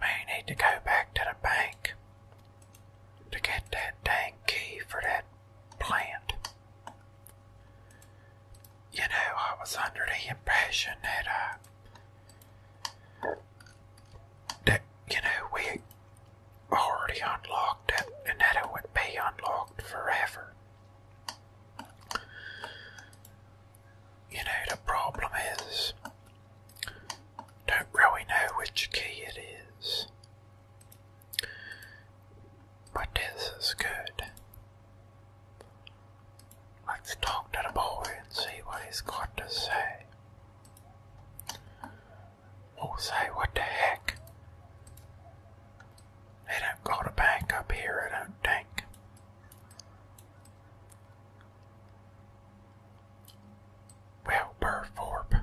S1: May need to go back to the bank to get that dang key for that planned. You know, I was under the impression that, uh, that, you know, we already unlocked it and that it would be unlocked forever. You know, the problem is, don't really know which key it is. But this is good. Let's talk to the boy and see what he's got to say. Oh, say, what the heck? They don't got a bank up here, I don't think. Well, Burthorpe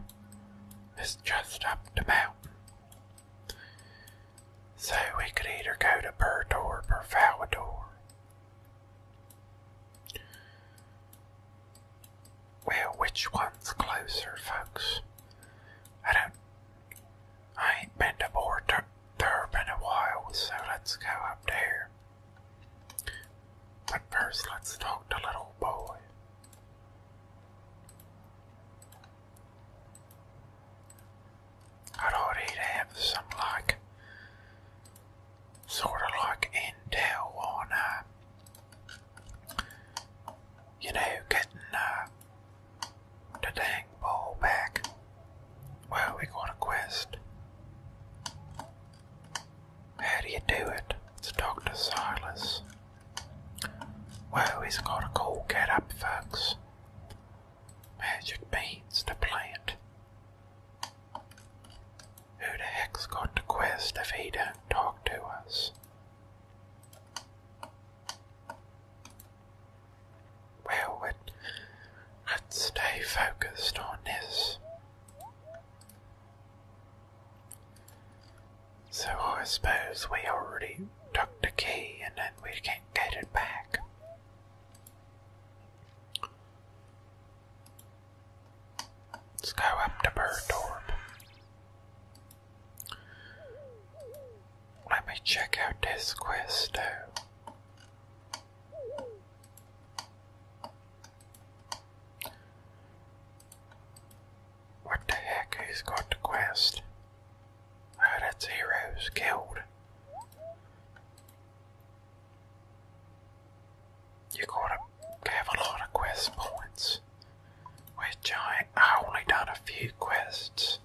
S1: is just up the mountain. So we could either go to Pertor or Falidor. Well, which one's closer, folks? I don't. I ain't been to Port Durb been a while, so let's go up there. But first, let's talk to little boy. I'd already have some like sort of like intel on uh you know getting uh, the dang ball back. Well we got a quest. How do you do it? It's Dr. Silas. Well, he's got a cool get up, folks. Magic beans to plant. Who the heck's got the quest if he don't talk to us? Well, it, let's stay focused on this. So I suppose we already took the key and then we can't get it back. Let's go up to Birdorp. Let me check out this quest though. What the heck? He's got the quest. Oh, that's Heroes Guild. You gotta have a lot of quest points. Which I, I only done a few quests.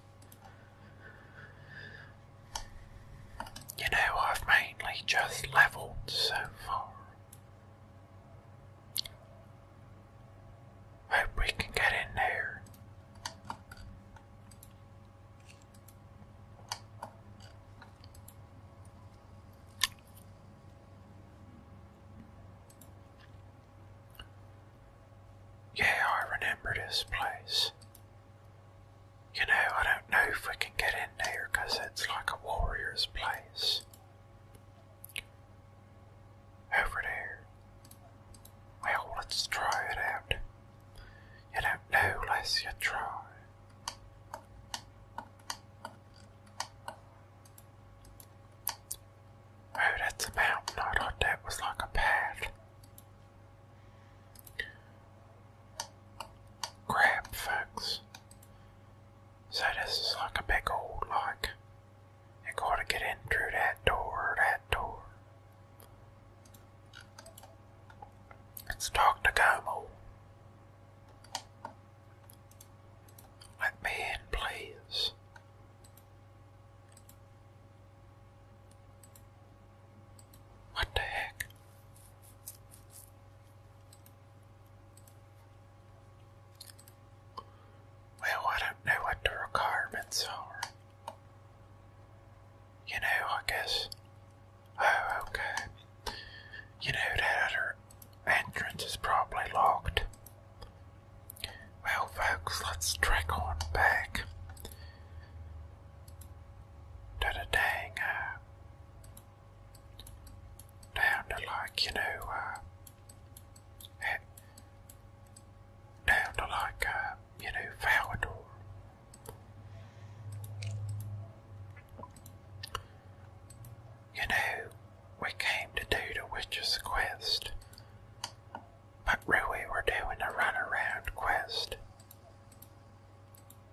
S1: You know, I've mainly just leveled so far.
S2: Hope we can get in there.
S1: Yeah, I remember this place. You know, I don't know if we can get in there because it's like a warrior's place over there. Well, let's try it out. You don't know unless you try. Oh, that's a mountain. I that was like a path. Crap, folks. So this is like a big old, like, I gotta get in through that door, that door. Let's talk to Como. Let me in, please.
S2: What the heck?
S1: Well, I don't know what the requirements are. You know, I guess. Oh, okay. You know, that other entrance is probably locked. Well, folks, let's trek on back to the dang, uh, down to like, you know, uh, down to like, uh, you know, Valador. You know, we came to do the Witch's quest, but really we're doing a runaround quest.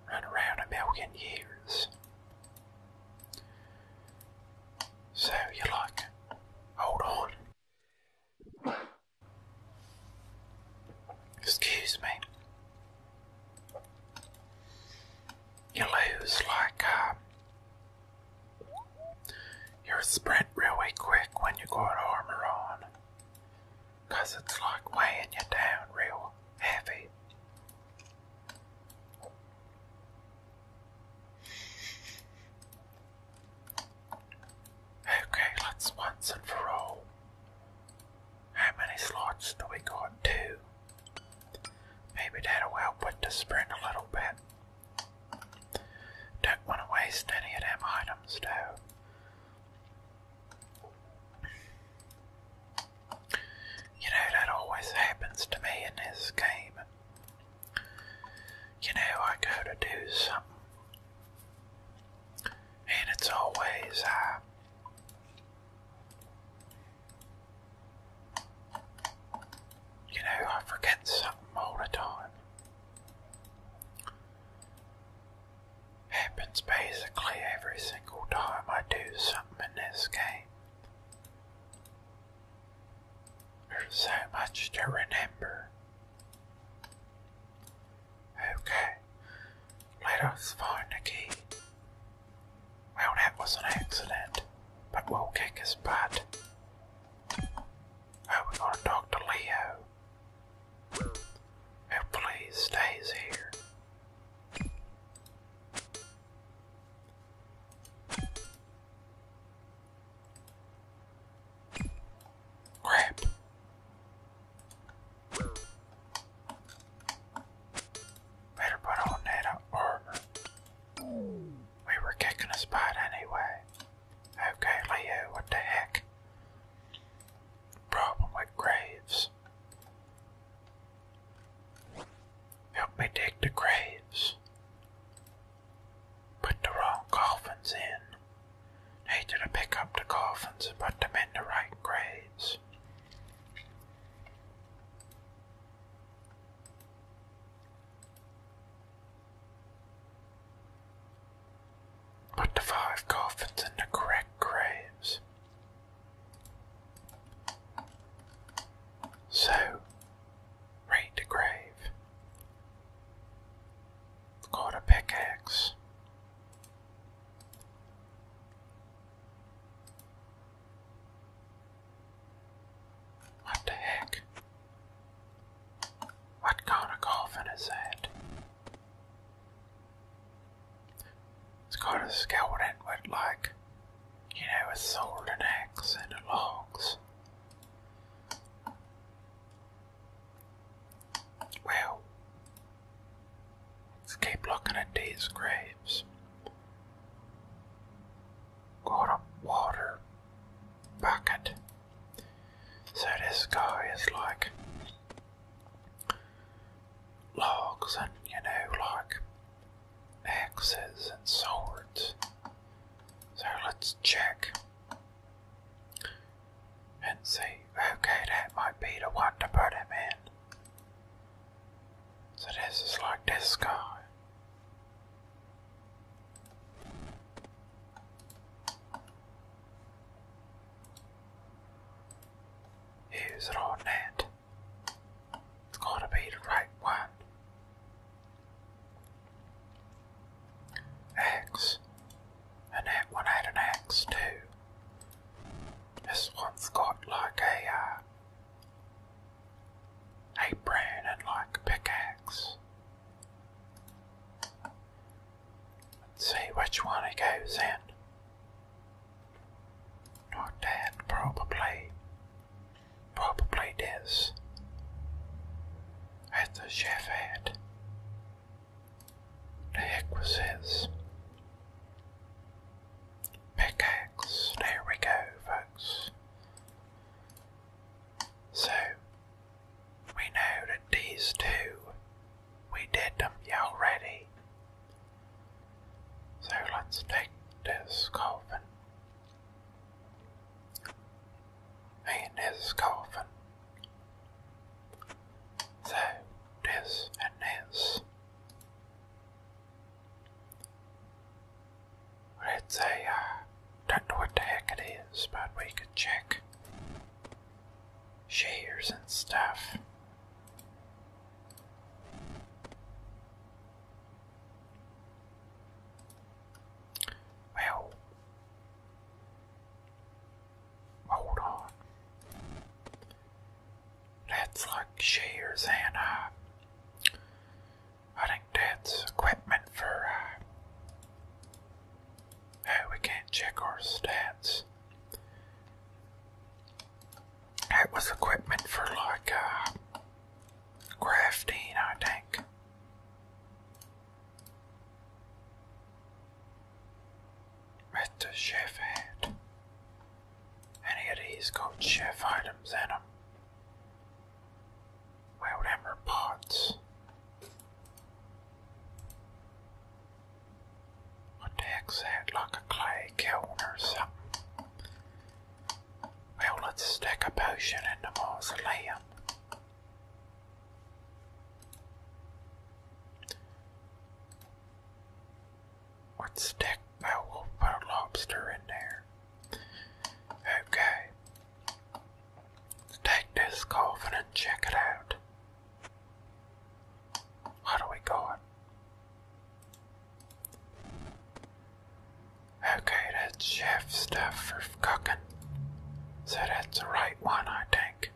S1: Run around a million years. So you like, hold on, Excuse me. You lose like uh, your sprint really quick when you go got armor on. Cause it's like weighing you down real heavy. Okay, let's once and for all. How many slots do we got? Two. Maybe that'll help with the sprint a little bit. Don't want to waste any of them items though. You know, that always happens to me in this game. You know, I go to do something, and it's always I. Uh, you know, I forget something all the time. Happens basically every single time I do something in this game. There's so much to remember. Okay, let us find the key. Well, that was an accident, but we'll kick his butt. Oh, we're to talk to Leo. Who oh, please stays here. Crap. Better put on that armor.
S2: Uh, we
S1: were kicking a spot anyway. Okay, Leo, what the heck? Problem with graves. Help me dig the graves. Put the wrong coffins in. Needed to pick up the coffins and put them in the right graves. Put the five coffins in the correct graves. So, rate the grave. Called a pickaxe. What the heck? What kind of coffin is that? It's got a skeleton with like, you know, a sword and axe and logs. Well, let's keep looking at these graves. Got a water bucket. So this guy is like logs and you know like axes and swords. So let's check and see, okay, that might be the one to put him in. So this is like this guy. Use it that. It's to be the right one. Axe. An axe. One had an axe too. This one's got like a uh, a brand and like a pickaxe. Let's see which one he goes in. Not that, probably. Probably this. At the chef hat. The heck was his Pickaxe. There we go, folks. So, we know that these two, we did them already. So let's take this coffin. And this coffin. So, this and this. Let's uh, don't know what the heck it is, but we could check shares and stuff. Well, hold on. That's like shears and uh, I think that's equipment for. Uh, we can't check our stats. That was equipment for like uh, crafting, I think with the chef hat. and he has got chef items in him. Well, them are What the heck's that? Like a clay kiln or something? Well, let's stick a potion in the mausoleum. Let's stick that oh, wolf we lobster in there. Okay. Let's take this coffin and check it out. What do we got? Okay, that's chef stuff for cooking. So that's the right one, I think.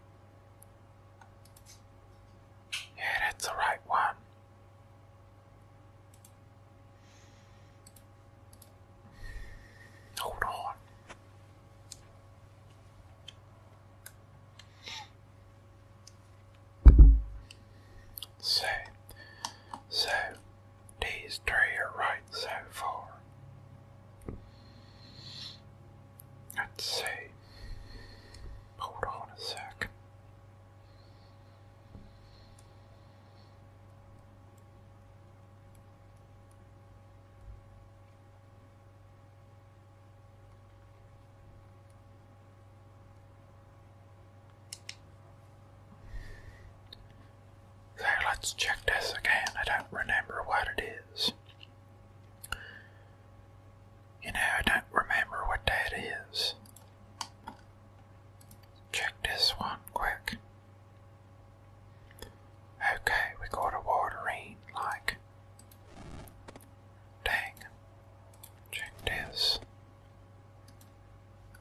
S1: Yeah, that's the right one. Hold on. So, so these three are right so far. I'd say, hold on a sec. So let's check this again. I don't remember what it is. You know, I don't remember what that is. Check this one quick. Okay, we got a watering like. Dang. Check this.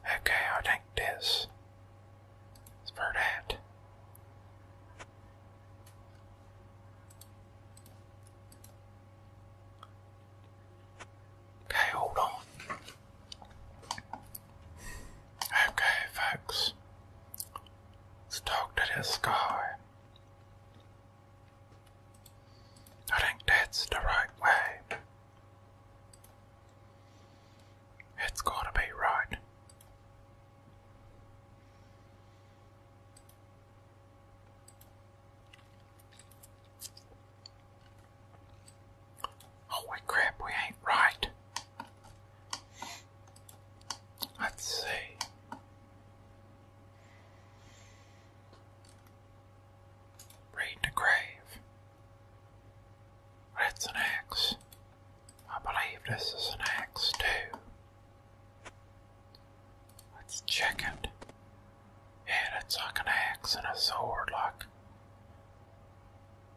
S1: Okay, I'll take this. It's for that. Okay, hold on. Okay, folks. Let's talk to this guy. I think that's the right way. It's gotta be right. Holy oh, crap, we ain't right. Let's see. Raid the grave. That's an I believe this is an axe too. Let's check it. Yeah, that's like an axe and a sword, like.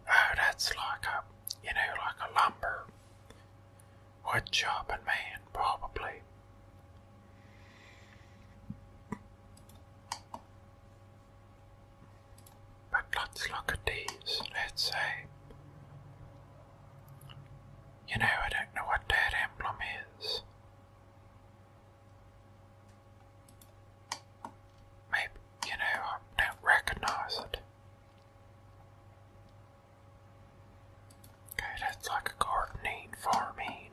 S1: Oh, that's like a, you know, like a lumber wood chopping man, probably. But let's look at these. Let's say you know, I don't know what that emblem is. Maybe, you know, I don't recognize it. Okay, that's like a gardening, farming.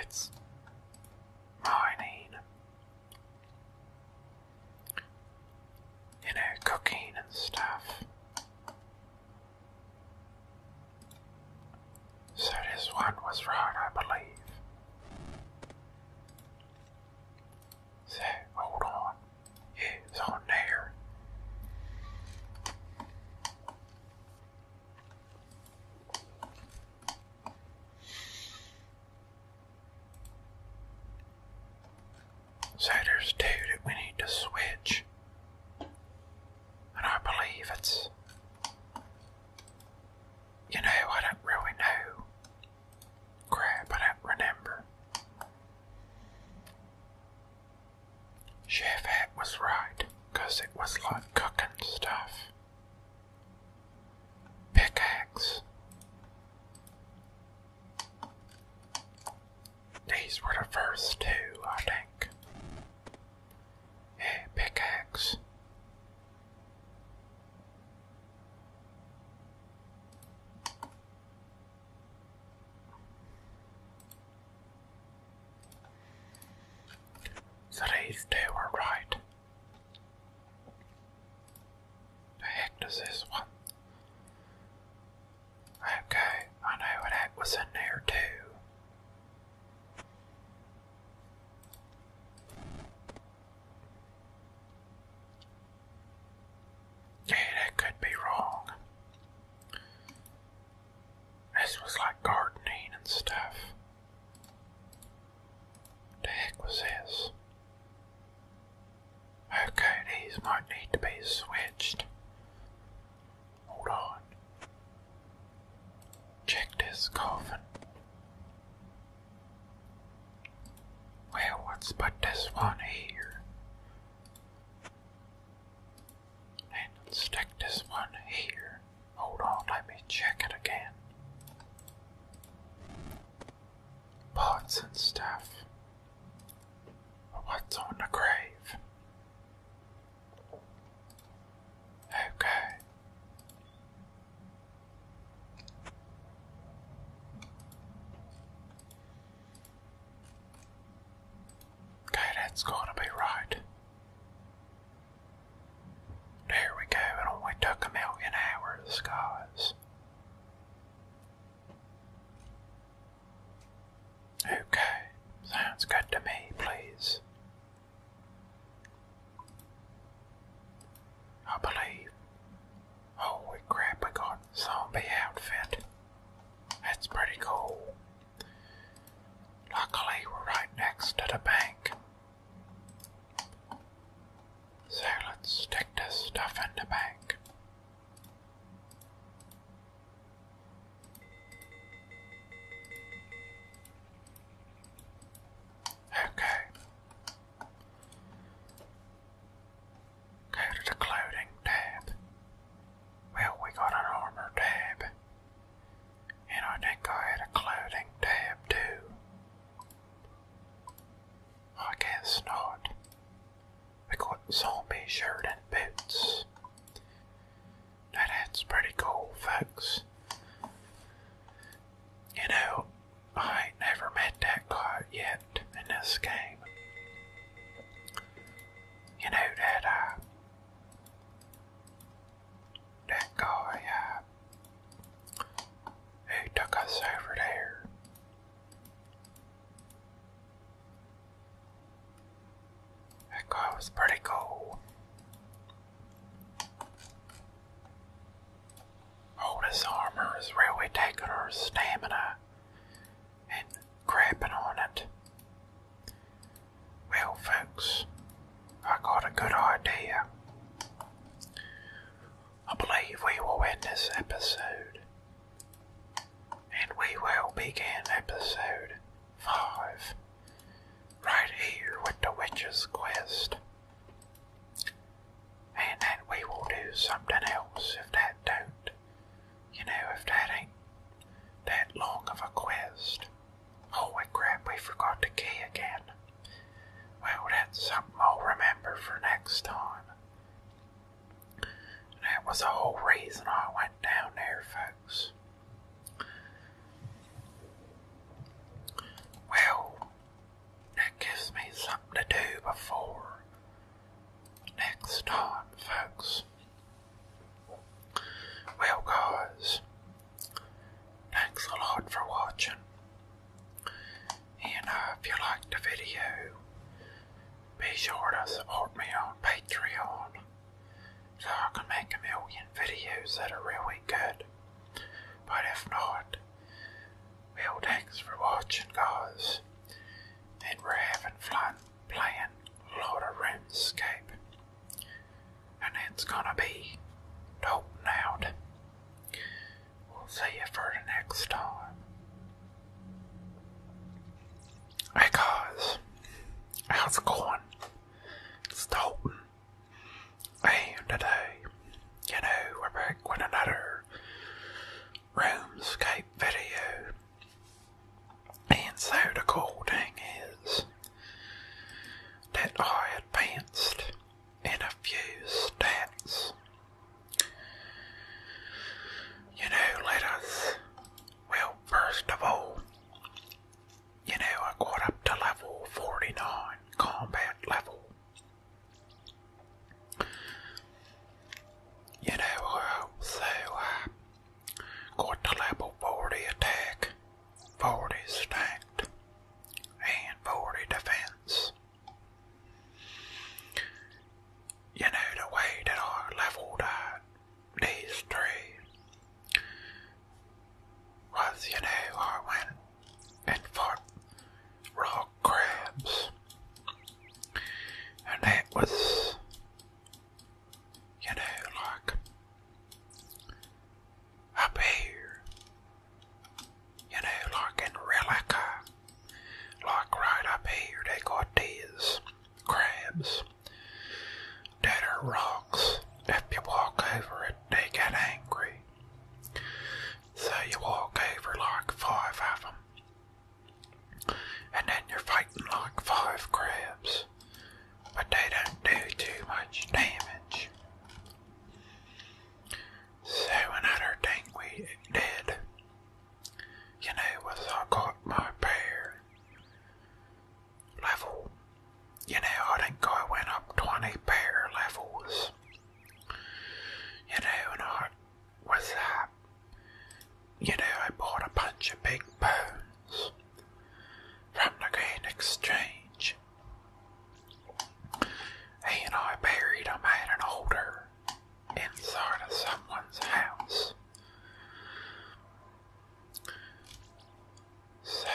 S1: It's mining you know, cooking and stuff. So this one was right, I believe. So, hold on. it's on there. So there's two that we need to switch. And I believe it's. You know, I don't really know. Crap, I don't remember. Chef was right, it was like cooking stuff. Pickaxe. These were the first two, I think. Yeah, pickaxe. So these two are right. The heck does this one? Okay, I know what was in there too. Yeah, that could be wrong. This was like gardening and stuff. What the heck was this? Okay, these might need to be switched. Hold on. Check this coffin. Well, let's this one here. And stick this one here. Hold on, let me check it again. Pots and stuff. What's on the grave? Okay. Okay, that's gonna be right. There we go, it only took a million hours, guys. Okay, sounds good to me, please. I believe. Holy oh, crap, we got zombie outfit. That's pretty cool. Luckily, we're right next to the bank. So let's stick this stuff in the bank. Okay. Go to the clothing tab. Well, we got an armor tab. And I think I had a clothing tab too. I guess not equipped zombie shirt and boots. that's pretty cool, folks. You know, I ain't never met that guy yet in this game. You know that uh that guy uh who took us over there. That guy was pretty cool. All oh, this armor is really taking our stamina and crapping on it. Well, folks, I got a good idea. I believe we will end this episode
S2: and we will begin episode 5
S1: right here with the Witch's Quest. And then we will do something else if that don't. You know, if that ain't that long of a quest. Holy crap, we forgot the key again. Well, that's something I'll remember for next time that was the whole reason I went down there, folks. Well, that gives me something to do before next time, folks. Well, guys, thanks a lot for watching. And uh, if you liked the video, be sure to support me on Patreon. So I can make a million videos that are really good. But if not, well, thanks for watching, guys. And we're having fun playing a lot of RuneScape. And it's gonna be dope now. We'll see you for the next time. Hey guys, how's it going? It's Dalton. And today, you know, we're back with another room RoomScape video. And so the cool thing is that I advanced in a few steps. You know, let us well, first of all, you know, I got up to level 49, combat level. You know, uh, so I uh, got to level 40 attack, 40 stacked, and 40 defense. You know, the way that I leveled, up days straight. Was you know I went and fought rock crabs, and that was you know like up here, you know like in Relica, like right up here they got these crabs. Dead are rocks. If you walk over it, they get angry. So you walk over like five of And then you're fighting like five crabs. But they don't do too much damage. So another thing we did, you know, was I got my bear level. You know, I think I went up 20 pair levels. You know, and I was that. Uh, you know, I bought a bunch of big bones from the green Exchange. He and I buried them at an older inside of someone's house. So,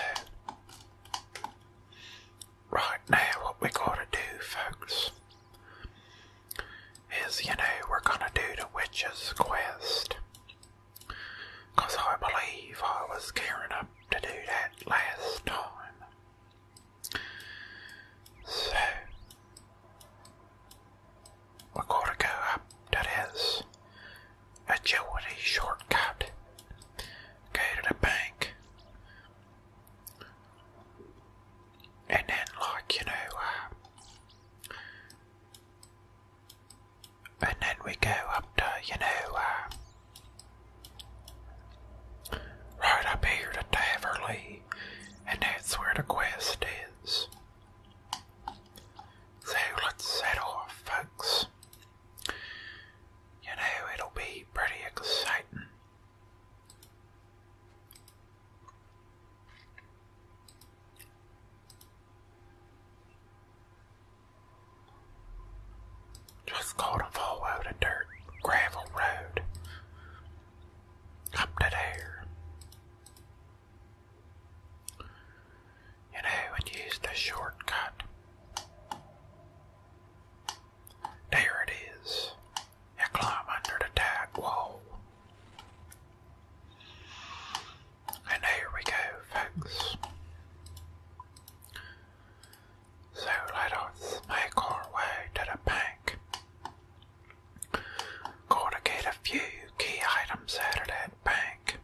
S1: right now, what we gotta do, folks, is you know, we're gonna do the Witch's Quest. Because I believe I was gearing up to do that last time. So, we're gonna go up to this agility shortcut. Go to the bank. And then, like, you know, uh, and then we go up to, you know, uh, right up here to Taverley, and that's where the quest is. So let's set off, folks. You know, it'll be pretty exciting.
S2: Just gotta follow
S1: the dirt gravel road up to there. You know, when use the shortcut. There it is. You climb under the tag wall. And here we go, folks. So let us make our way to the bank. Gotta get a few key items out of that bank.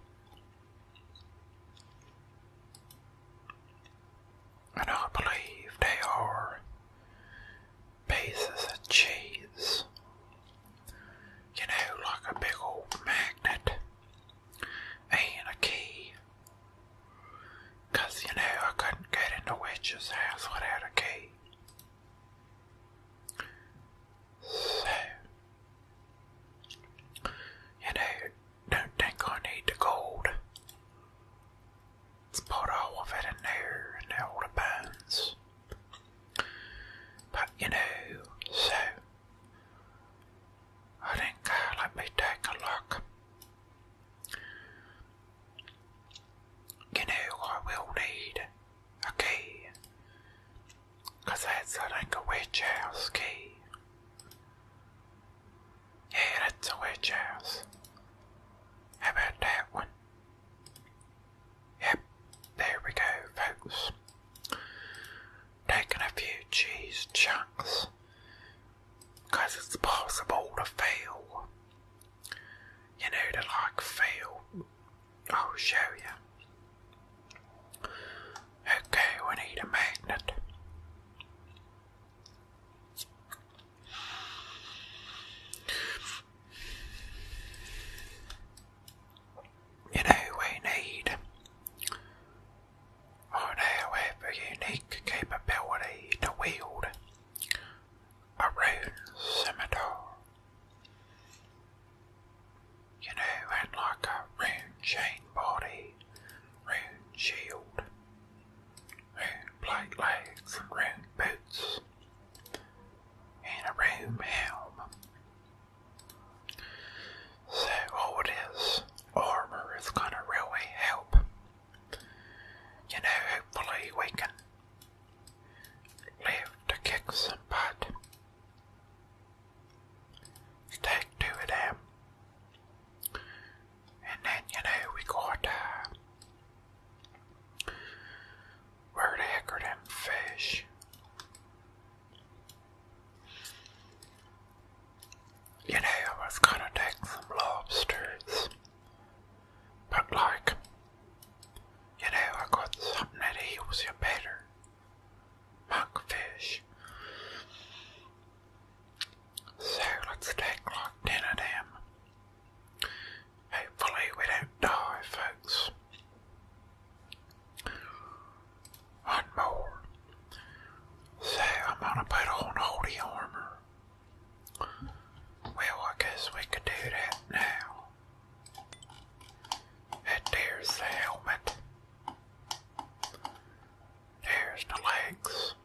S1: And I believe they are pieces of cheese. You know, like a big old magnet and a key. Because, you know, I couldn't get into Witch's house without a key. So, you know, don't think I need the gold. Let's of it in there and all the bones. But you know, so I think uh, let me take a look. You know, I will need a key Cause that's a, like a witch house key. Yeah, that's a witch house. How that one? Yep, there we go, folks. Taking a few cheese chunks. it's possible to fail. You know, to like fail I'll show you. Okay, we need a magnet. You know, we need. Oh, now have a unique capability to wield a rune scimitar. You know, and like a rune chain body, rune shield, rune plate legs, and boots, and a rune helm. So all this armor is gonna really help. You know, hopefully we can live to kick some butt. Stick to them. And then, you know, we got, uh, where the heck them fish? You know, I was gonna take some lobsters, but like, you know, I got something that heals you better monkfish. So let's take like right ten Hopefully we don't die, folks. One more. So I'm gonna put on all armor. Well, I guess we could do that now. And there's the helmet. There's the legs.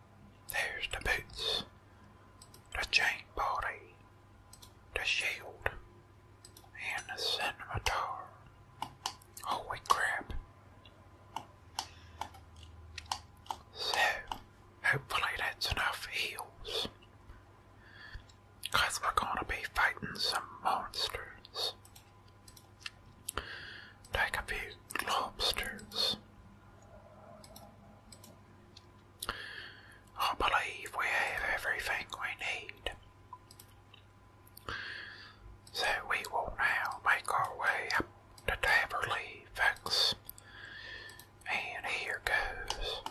S1: There's the boots. The chain body. The shield. And the scimitar. Holy crap. So, hopefully that's enough heals. we're going to be fighting some monsters. Like a big lobsters. I believe we have everything we need. So we will now make our way up to Taverly Vex. And here goes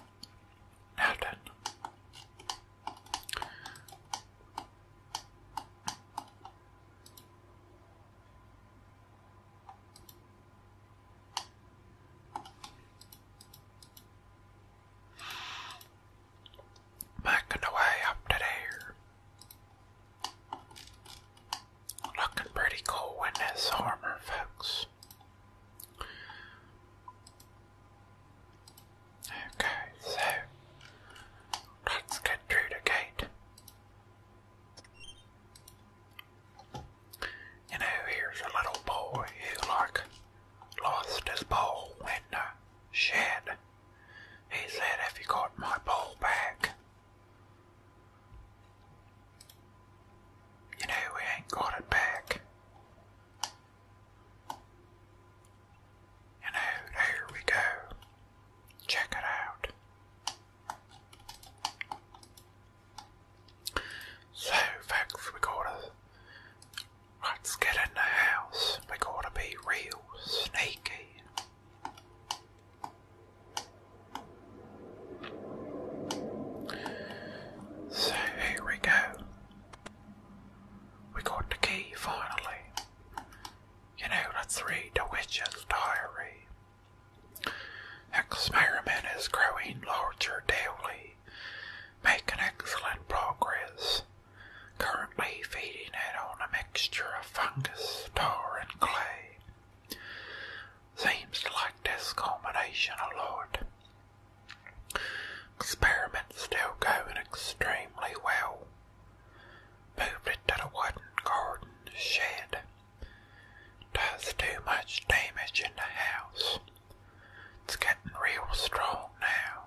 S1: nothing. Making the way up to there. Looking pretty cool in this armor, folks. Okay, so let's get through the gate. You know, here's a little boy who, like, lost his ball in the shed. He said, Have you got my ball back? You know, we ain't got it back.
S2: And oh, there we go. Check it out. So, folks, we gotta let's get
S1: in the house. We gotta be real sneaky. So here we go. We got the key finally. You know, let's read The Witch's Diary. Experiment is growing larger daily, making excellent progress. Currently feeding it on a mixture of fungus, tar, and clay. Seems like this a lot. Experiments still going extremely well. Moved it to the wooden garden shed. Does too much damage in the house. It's getting real strong now,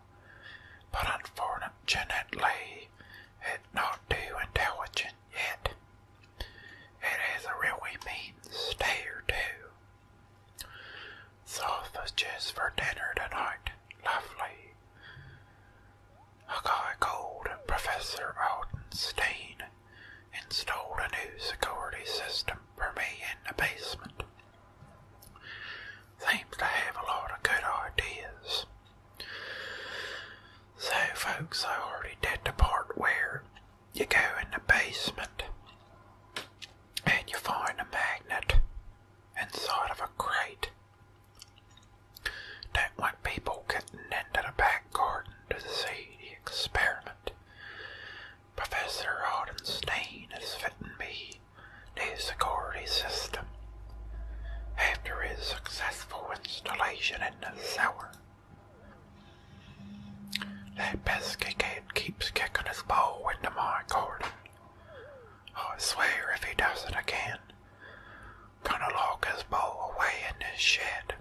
S1: but unfortunately, it's not too intelligent yet. has a really mean stare, too. was just for dinner tonight lovely. A called Professor Aldenstein installed a new security system for me in the basement. Seems to have a lot of good ideas. So, folks, I already did the part where you go in the basement and you find a magnet inside of a crate that when people getting into the back garden to see the experiment, Professor Hardenstein is fitting me the security system after his successful installation in the cellar. That pesky kid keeps kicking his ball into my garden. I swear if he does it again, Gonna lock his bow away in his shed.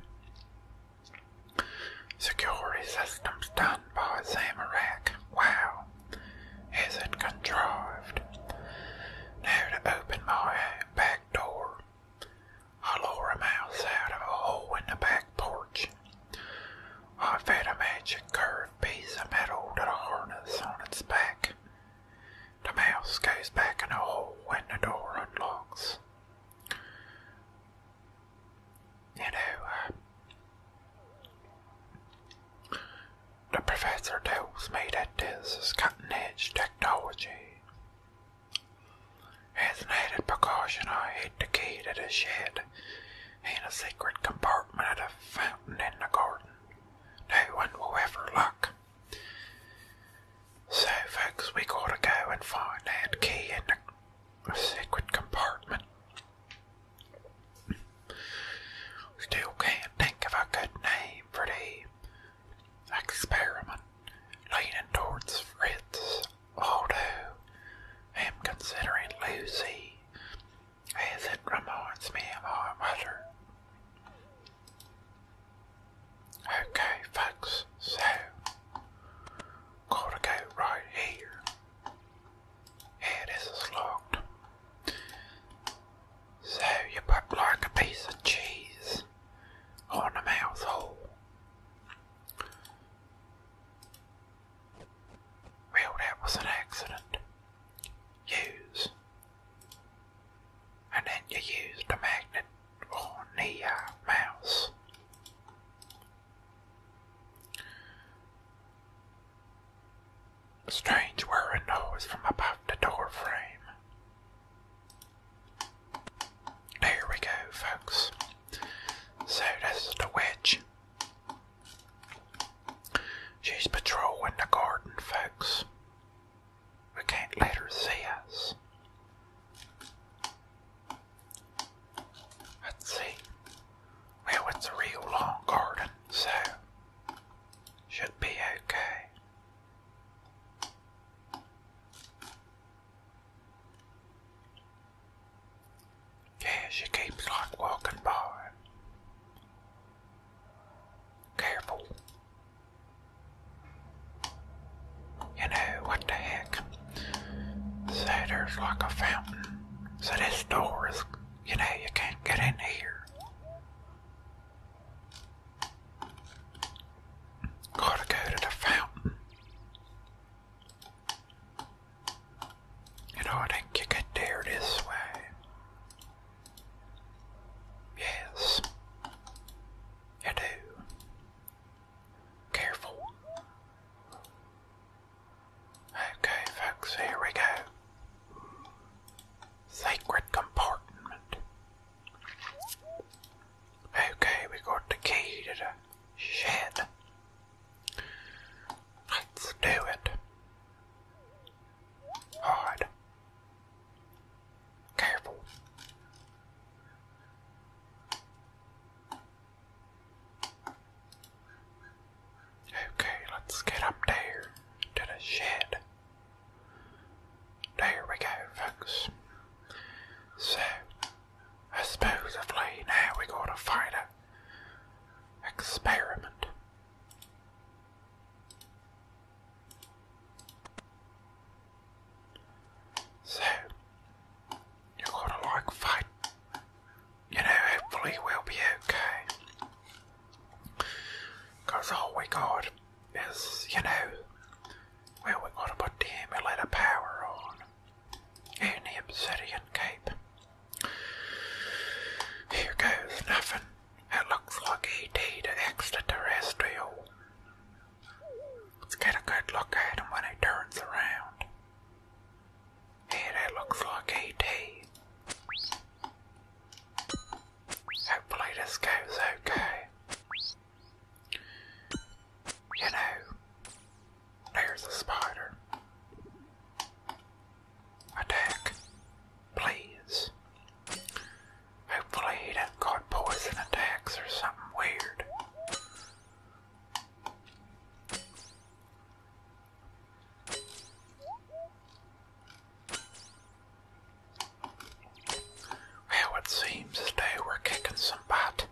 S1: Security systems done by Zamorak. Wow. Isn't contrived. Now to open my back door. I lure a mouse out of a hole in the back porch. I fed a magic curved piece of metal to the harness on its back. The mouse goes back in the hole when the door unlocks. You know, uh, the professor tells me that this is cutting edge technology. As an added precaution, I hid the key to the shed in a secret compartment at a fountain in the garden. No one will ever look. So, folks, we gotta go and find that key in the secret compartment. Still can't think of a good name for the experiment leaning towards Fritz, although I'm considering Lucy, as it reminds me of my mother. Okay, folks, so gotta go right here. Yeah, this is locked. So you put like a piece of cheese on the mouth hole. Well, that was an accident. Use and then you use the magnet or the mouse. A strange whirring noise from above the door frame. There we go, folks. So this is the witch. She's patrolling the garden, folks.
S2: We can't let her see us. Let's see. Well, it's a real long garden, so should be okay.
S1: Yeah, she keeps like walking by. Careful. You know, what the heck? So there's like a fountain. So this door is, you know, you can't get in here. Gotta go to the fountain. You know, I think you get there this way. Yes. You do. Careful. Okay, folks, here we go. Sacred compartment. Okay, we got the key to the shed. Let's do it. Hard. Careful. Okay, let's get up there to the shed. There we go, folks. So, supposedly now we gotta find a experiment. So, you've got to like fight. You know, hopefully we'll be okay. all we got is, you know, well, we got to put the emulator power on. And the obsidian cape. Here goes nothing. It looks like E.T. the extraterrestrial. Let's get a good look at him when he turns around. Hey, that looks like E.T. Hopefully this goes okay. You know, there's a spider. Attack, please. Hopefully he doesn't got poison attacks or something weird. Well, it seems as though we're kicking some butt.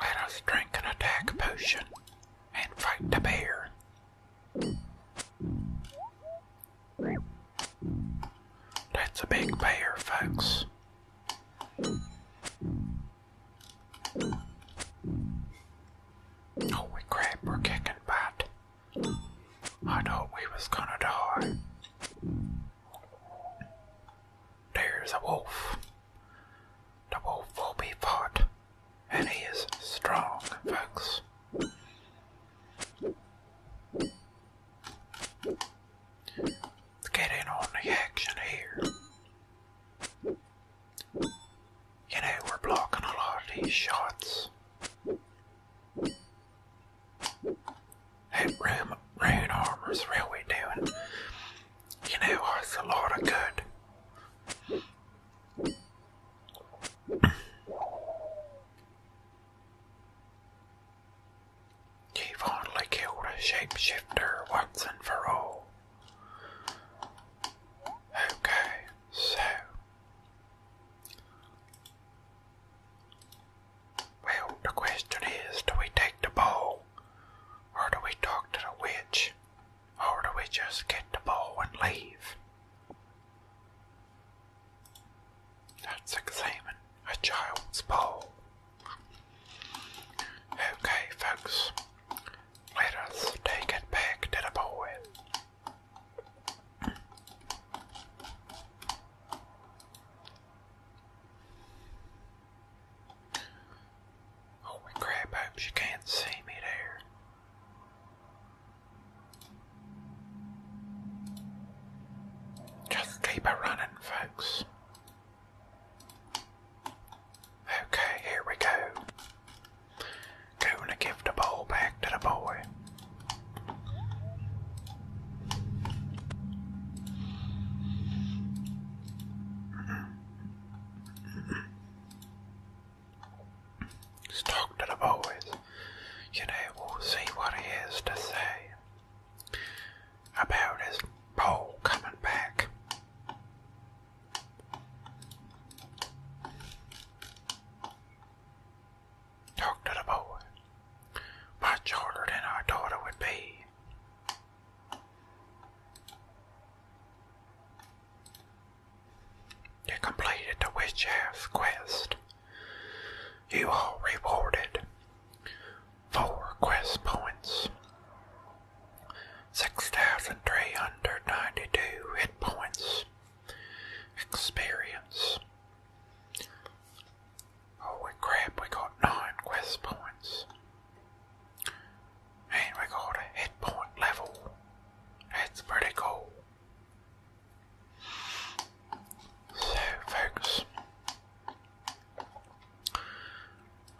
S1: Let us drink an attack potion and fight the bear. That's a big bear, folks. Holy crap, we're kicking butt. I thought we was gonna die. There's a wolf. The wolf will be fought and he is strong, folks. get in on the action here. You know, we're blocking a lot of these shots. That room, rune armor's really doing, you know, us a lot of good. He finally killed a shapeshifter once and for all. Okay, so well, the question is, do we take the bow, or do we talk to the witch? Or do we just get the ball and leave? Let's a child's ball. Okay, folks, let us take it back to the boy. Holy oh, crap, hope she can't see me there. Just keep it running, folks. Okay, here we go. Gonna give the ball back to the boy let talk to the boys, you know, we'll see what he has to say about his pole coming back. Talk to the boy. Much harder than I thought it would be. You completed the Witch's quest. You are rewarded four quest points, 6,392 hit points, experience. Holy crap, we got nine quest points. And we got a hit point level it's pretty cool. So, folks,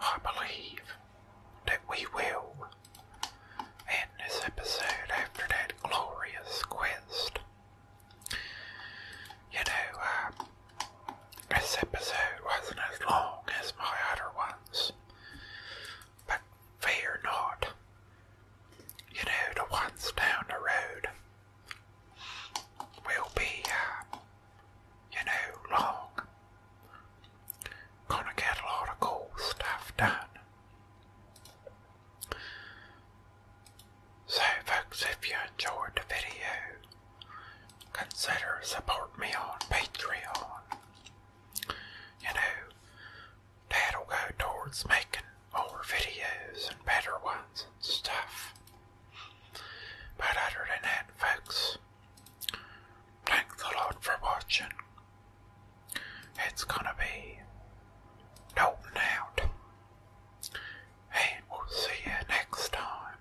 S1: I believe that we will end this episode after that glorious quest. You know, um, this episode wasn't as long as my other ones, but Fear not. You know, the ones down the road will be, uh, you know, long. Gonna get a lot of cool stuff done. So, folks, if you enjoyed the video, consider support me on Patreon. You know, That'll go towards making more videos and better ones and stuff. But other than that, folks, thanks a lot for watching. It's gonna be Dalton out. And we'll see you next
S2: time.